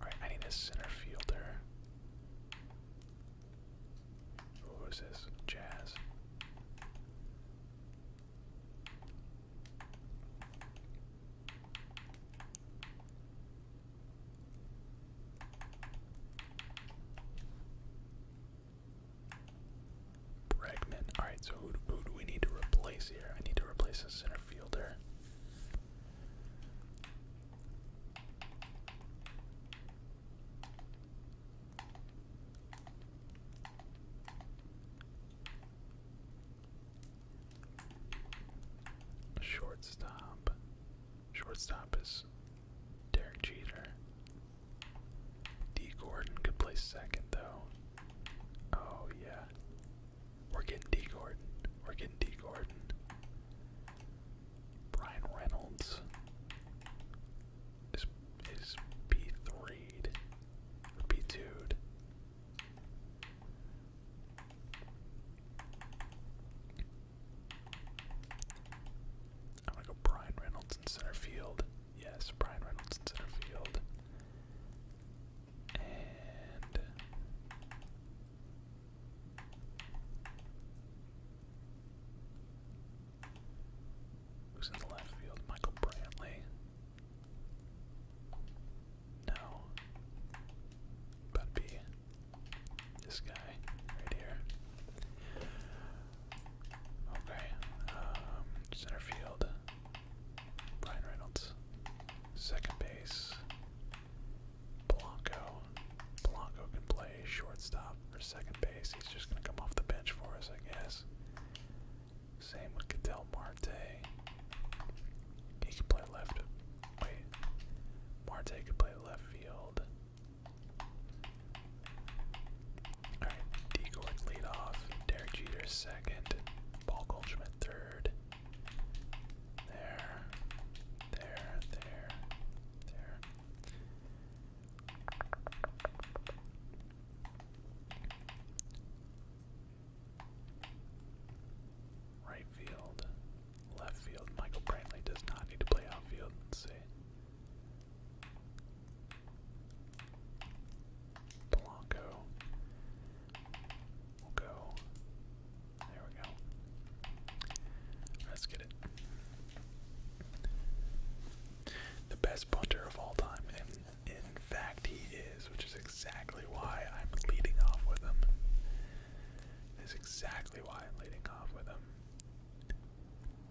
Alright, I need a center fielder. Who is this? Jazz. Bregman. Alright, so who, do we need to replace here? I need to replace a center fielder. Shortstop. Shortstop is Derek Jeter. D. Gordon could play second, though. Oh, yeah. We're getting D. Gordon. We're getting D. Gordon. Brian Reynolds is, is P3'd. Or I'm gonna go Brian Reynolds in center field. Yes, Brian Reynolds in center field. And who's in left field? Michael Brantley. No. that this guy right here. Okay. Um, center field. Brian Reynolds. Second base. Blanco. Blanco can play shortstop or second base. He's just gonna come off the bench for us, I guess. Same with Cadell Marte. He can play left. Wait. Marte could play left field. Alright, D Gordon Derek Jeter second, Paul Goldschmidt third. There, there, there, there. Right field, Left field. Michael Brantley does not need to play outfield. let see. Polanco. We'll go. There we go. Let's get it. The best punter of all time. in fact, he is, which is exactly why I'm leading off with him. Is exactly why I'm leading off with him.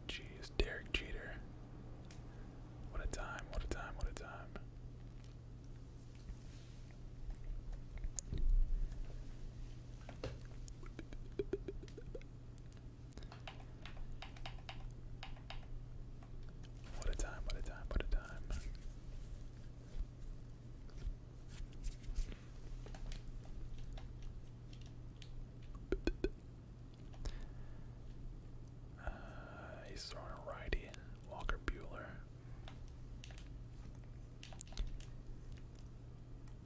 Jeez, Derek Jeter. What a time, what a time, what a time. What a time, what a time, what a time. Uh, he's throwing a righty, Walker Bueller.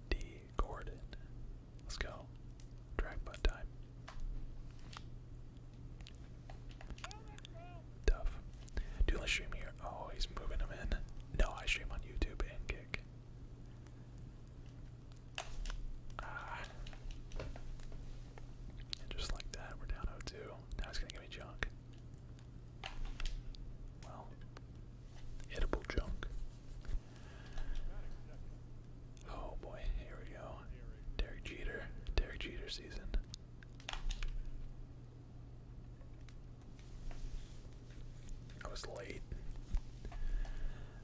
D. Gordon. Let's go. Drag time. Tough. Do I stream here? Oh, he's moving him in. No, I stream on YouTube and kick. Ah. just like that, we're down 0-2. gonna give me junk. Well, edible junk. Oh boy, here we go. Derek Jeter. Derek Jeter season. I was late.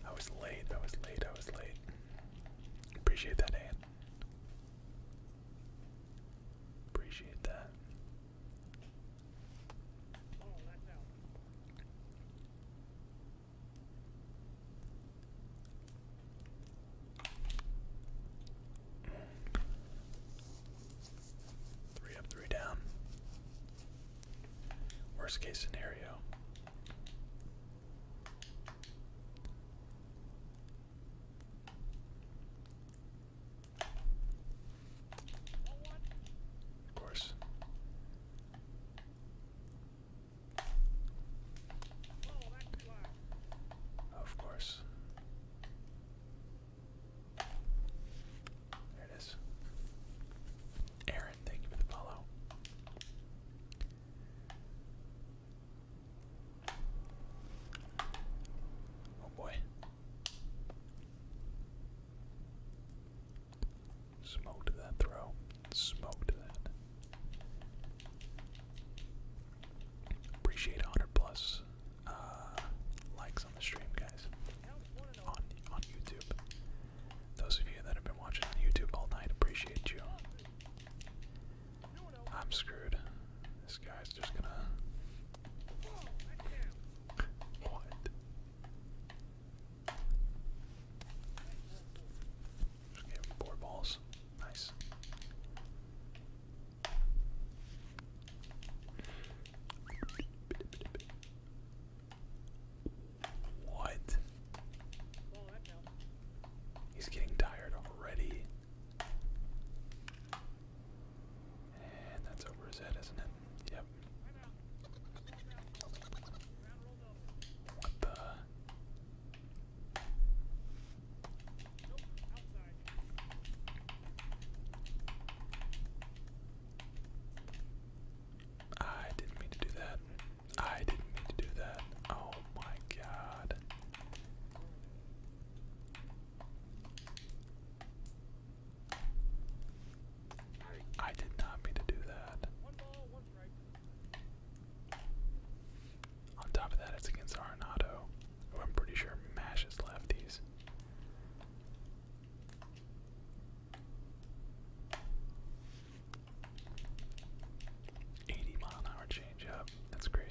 I was late. I was late. I was late. Appreciate that, Anne. Appreciate that. Oh, Three up, three down. Worst case scenario. Of course. Of course. There it is. Aaron, thank you for the follow. Oh boy. Smoked that throw. Smoked that. Appreciate 100 plus uh, likes on the stream, guys. On on YouTube. Those of you that have been watching on YouTube all night, appreciate you. I'm screwed. This guy's just gonna. What? four balls. Nice. What? He's getting tired already. And that's over his head, isn't it? Yep. What the? I didn't mean to do that. I didn't mean to do that. Oh my god. I did not mean to do that. On top of that, it's against Arenado, who I'm pretty sure mashes lefties. 80 mile an hour change That's crazy.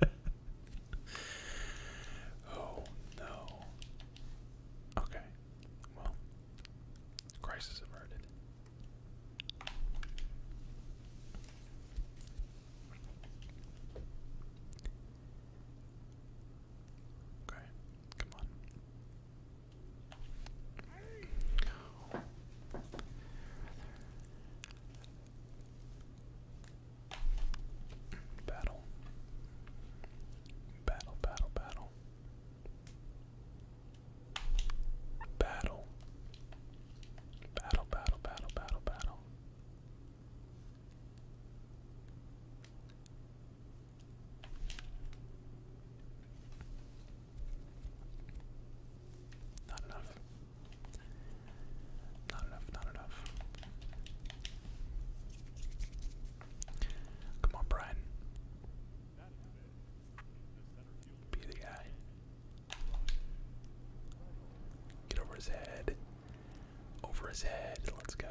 oh no. Okay. Well, crisis averted. Okay, come on. Battle. Battle, battle, battle. Battle. Battle, battle, battle, battle, battle. Not enough. Not enough, not enough. Come on, Brian. Be the guy. Get over his head. Over his head. Let's go.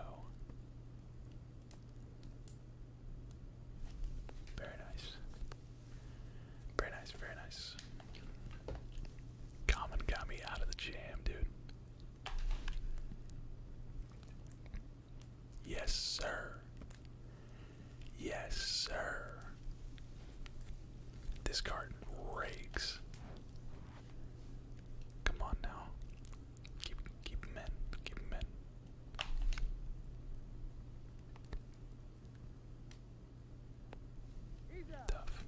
Very nice. Very nice, very nice. Common got me out of the jam, dude. Yes, sir. Yes, sir. This card rakes. Come on now. Keep keep him in. Keep him in. Tough.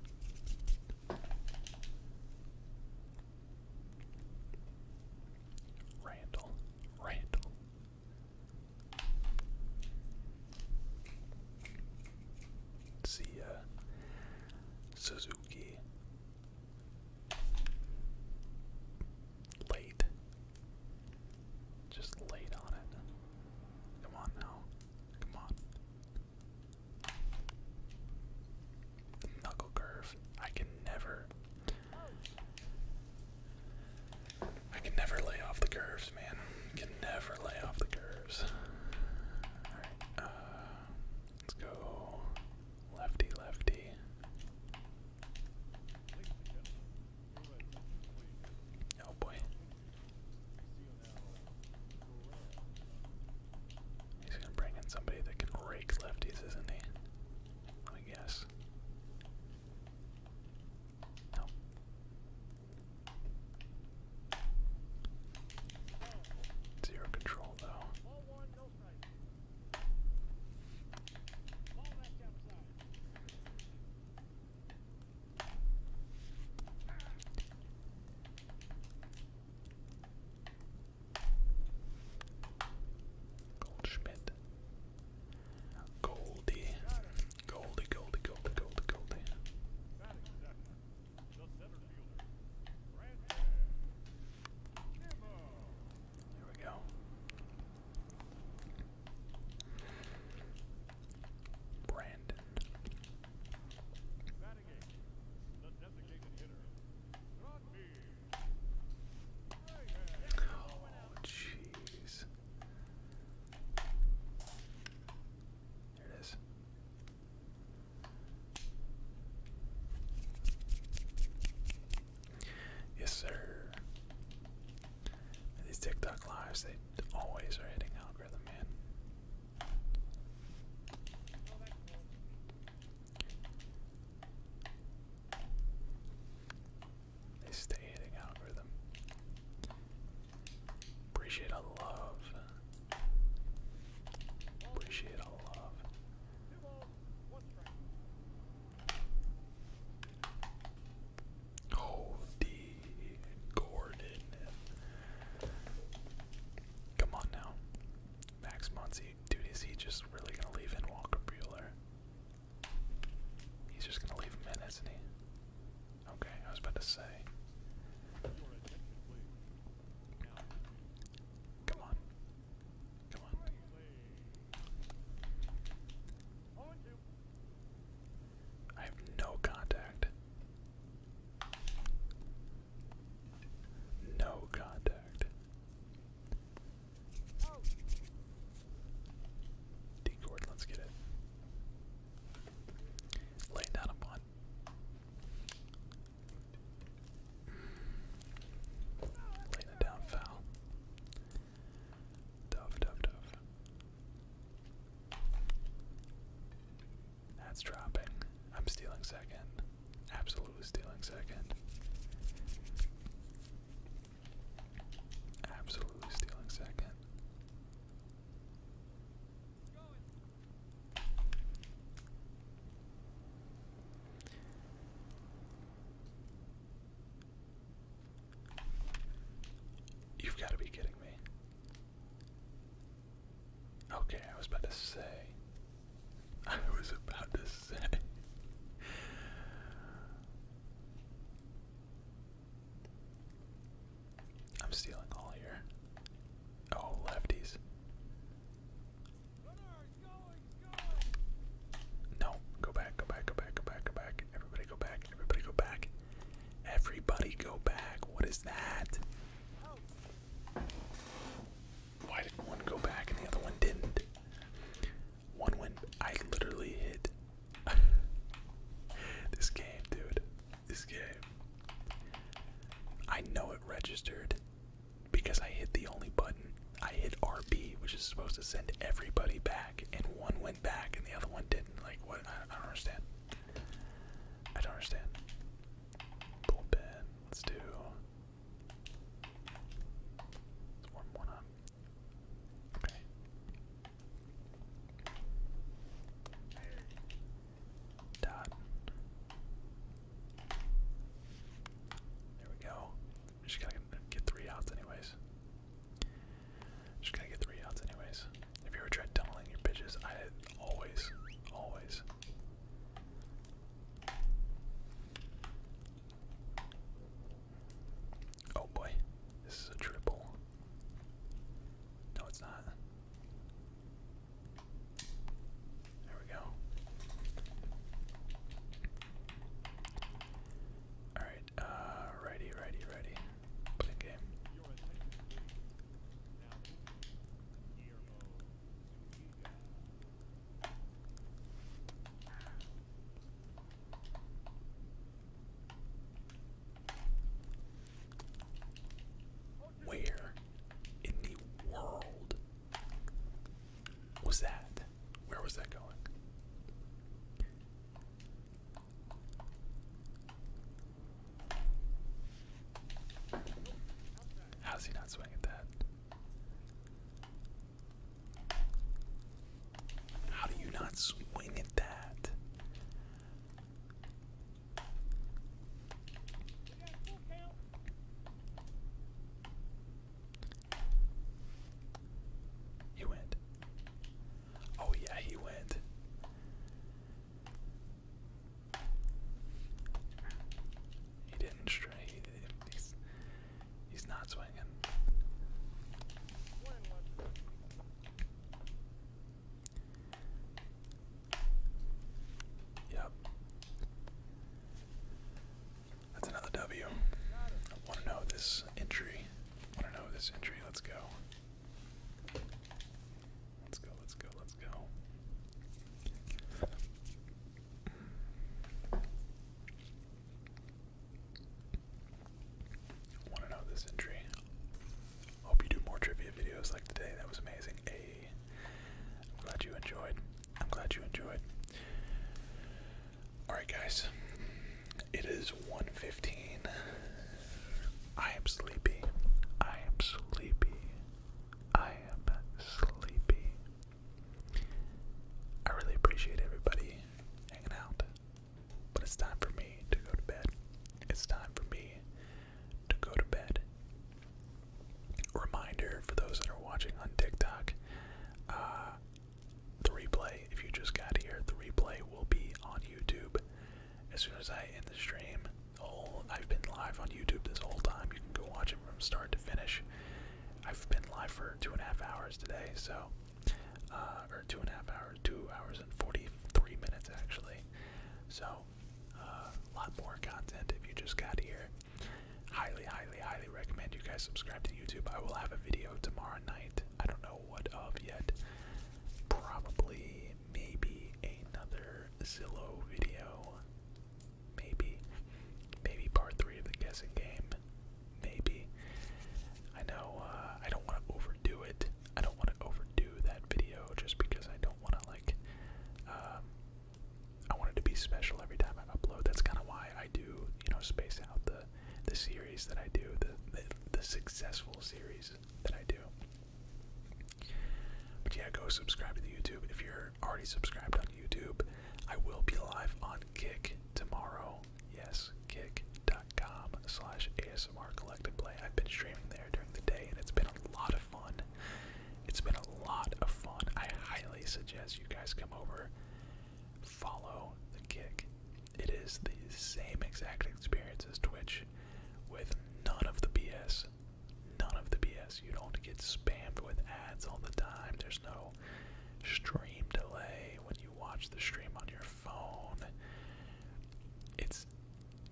Randall. Randall. See ya. Suzuki late. Just late on it. Come on now. Come on. Knuckle curve. I can never. I can never lay off the curves, man. can never lay off the curves. Alright, uh, let's go lefty, lefty. Oh boy. He's gonna bring in somebody that can rake lefties, isn't he? Let me guess. No. Zero control though. Goldschmidt. Goldie. Goldie, Goldie, Goldie, Goldie, Goldie. Here we go. Brandon. Oh, jeez. Here it is. Yes, sir these TikTok lives, they always are hitting algorithm, man. They stay hitting algorithm. Appreciate all the love. Appreciate all the love. Oh, D. Gordon. Come on now. Max Muncy. Dude, is he just really going to leave in Walker Bueller? He's just going to leave him in, isn't he? Okay, I was about to say. Come on. Come on. I have no contact. No contact. D let's get it. Laying down a one. Laying it down foul. Dove, dove, dove. That's dropping. I'm stealing second. Absolutely stealing second. Absolutely stealing second. You've got to be kidding me. Okay, I was about to say. I was about to say. I'm stealing all here. Oh, lefties. No, go back, go back, go back, go back, go back. Everybody go back. Everybody go back. Everybody go back. What is that? Why did one go back and the other one didn't? One went. I literally hit. this game, dude. This game. I know it registered because I hit the only button. I hit RB, which is supposed to send everybody back, and one went went back and the other one didn't. Like, what? I, I don't understand. I don't understand. Bullpen. Let's do. Let's warm one up. Okay. Dot. There we go. We just gotta get three outs, anyways. Just going to get three outs, anyways. If you ever tried tunneling your pitches, I always, always. Oh boy, this is a triple. No, it's not. There we go. Alright, uh, righty, righty, righty. Put in game. Where in the world was that? Where was that going? How's he not swing at that? How do you not swing at that? He went. Oh yeah, he went. He didn't stray. he's, he's not swinging. Yep. That's another W. I want to know this entry. I want to know this entry. Let's go. Let's go, let's go, let's go. Want to know this entry? Hope you do more trivia videos like today. That was amazing. Hey, glad you enjoyed. I'm glad you enjoyed. All right, guys. It is 1.15. I am sleepy. I am sleepy. I am sleepy. I really appreciate everybody hanging out. But it's time for me to go to bed. It's time for me to go to bed. Reminder for those that are watching on TikTok, uh, the replay, if you just got here, the replay will be on YouTube as soon as I end the stream, I've been live on YouTube this whole time. You can go watch it from start to finish. I've been live for two and a half hours today, so uh, or two and a half hours, two hours and forty-three minutes actually. So a uh, lot more content if you just got here. Highly, highly, highly recommend you guys subscribe to YouTube. I will have a video tomorrow night I don't know what of yet. Probably, maybe another Zillow video. Maybe. Maybe part three of the guessing game. Maybe. I know uh, I don't want to overdo it. I don't want to overdo that video just because I don't want to, like, um, I want it to be special every time I upload. That's kind of why I do, you know, space out the the series that I do, the, the successful series but yeah, go subscribe to the YouTube. If you're already subscribed on YouTube, I will be live on Kick tomorrow. Yes, kick. dot com slash ASMR Collective Play. I've been streaming there during the day and it's been a lot of fun. It's been a lot of fun. I highly suggest you guys come over, follow the kick it is the same exact experience as Twitch with none of the BS. None of the BS. You don't get spammed with ads all the time. There's no stream delay when you watch the stream on your phone. It's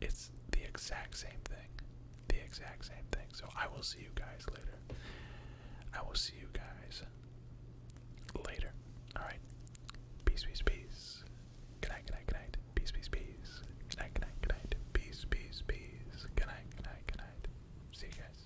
it's the exact same thing. The exact same thing. So I will see you guys later. I will see you guys later. Alright. Peace, peace, peace. Good night, good night, good night. Peace, peace, peace. Good night, good night, good night. Peace, peace, peace. Good night, good night, good night. See you guys.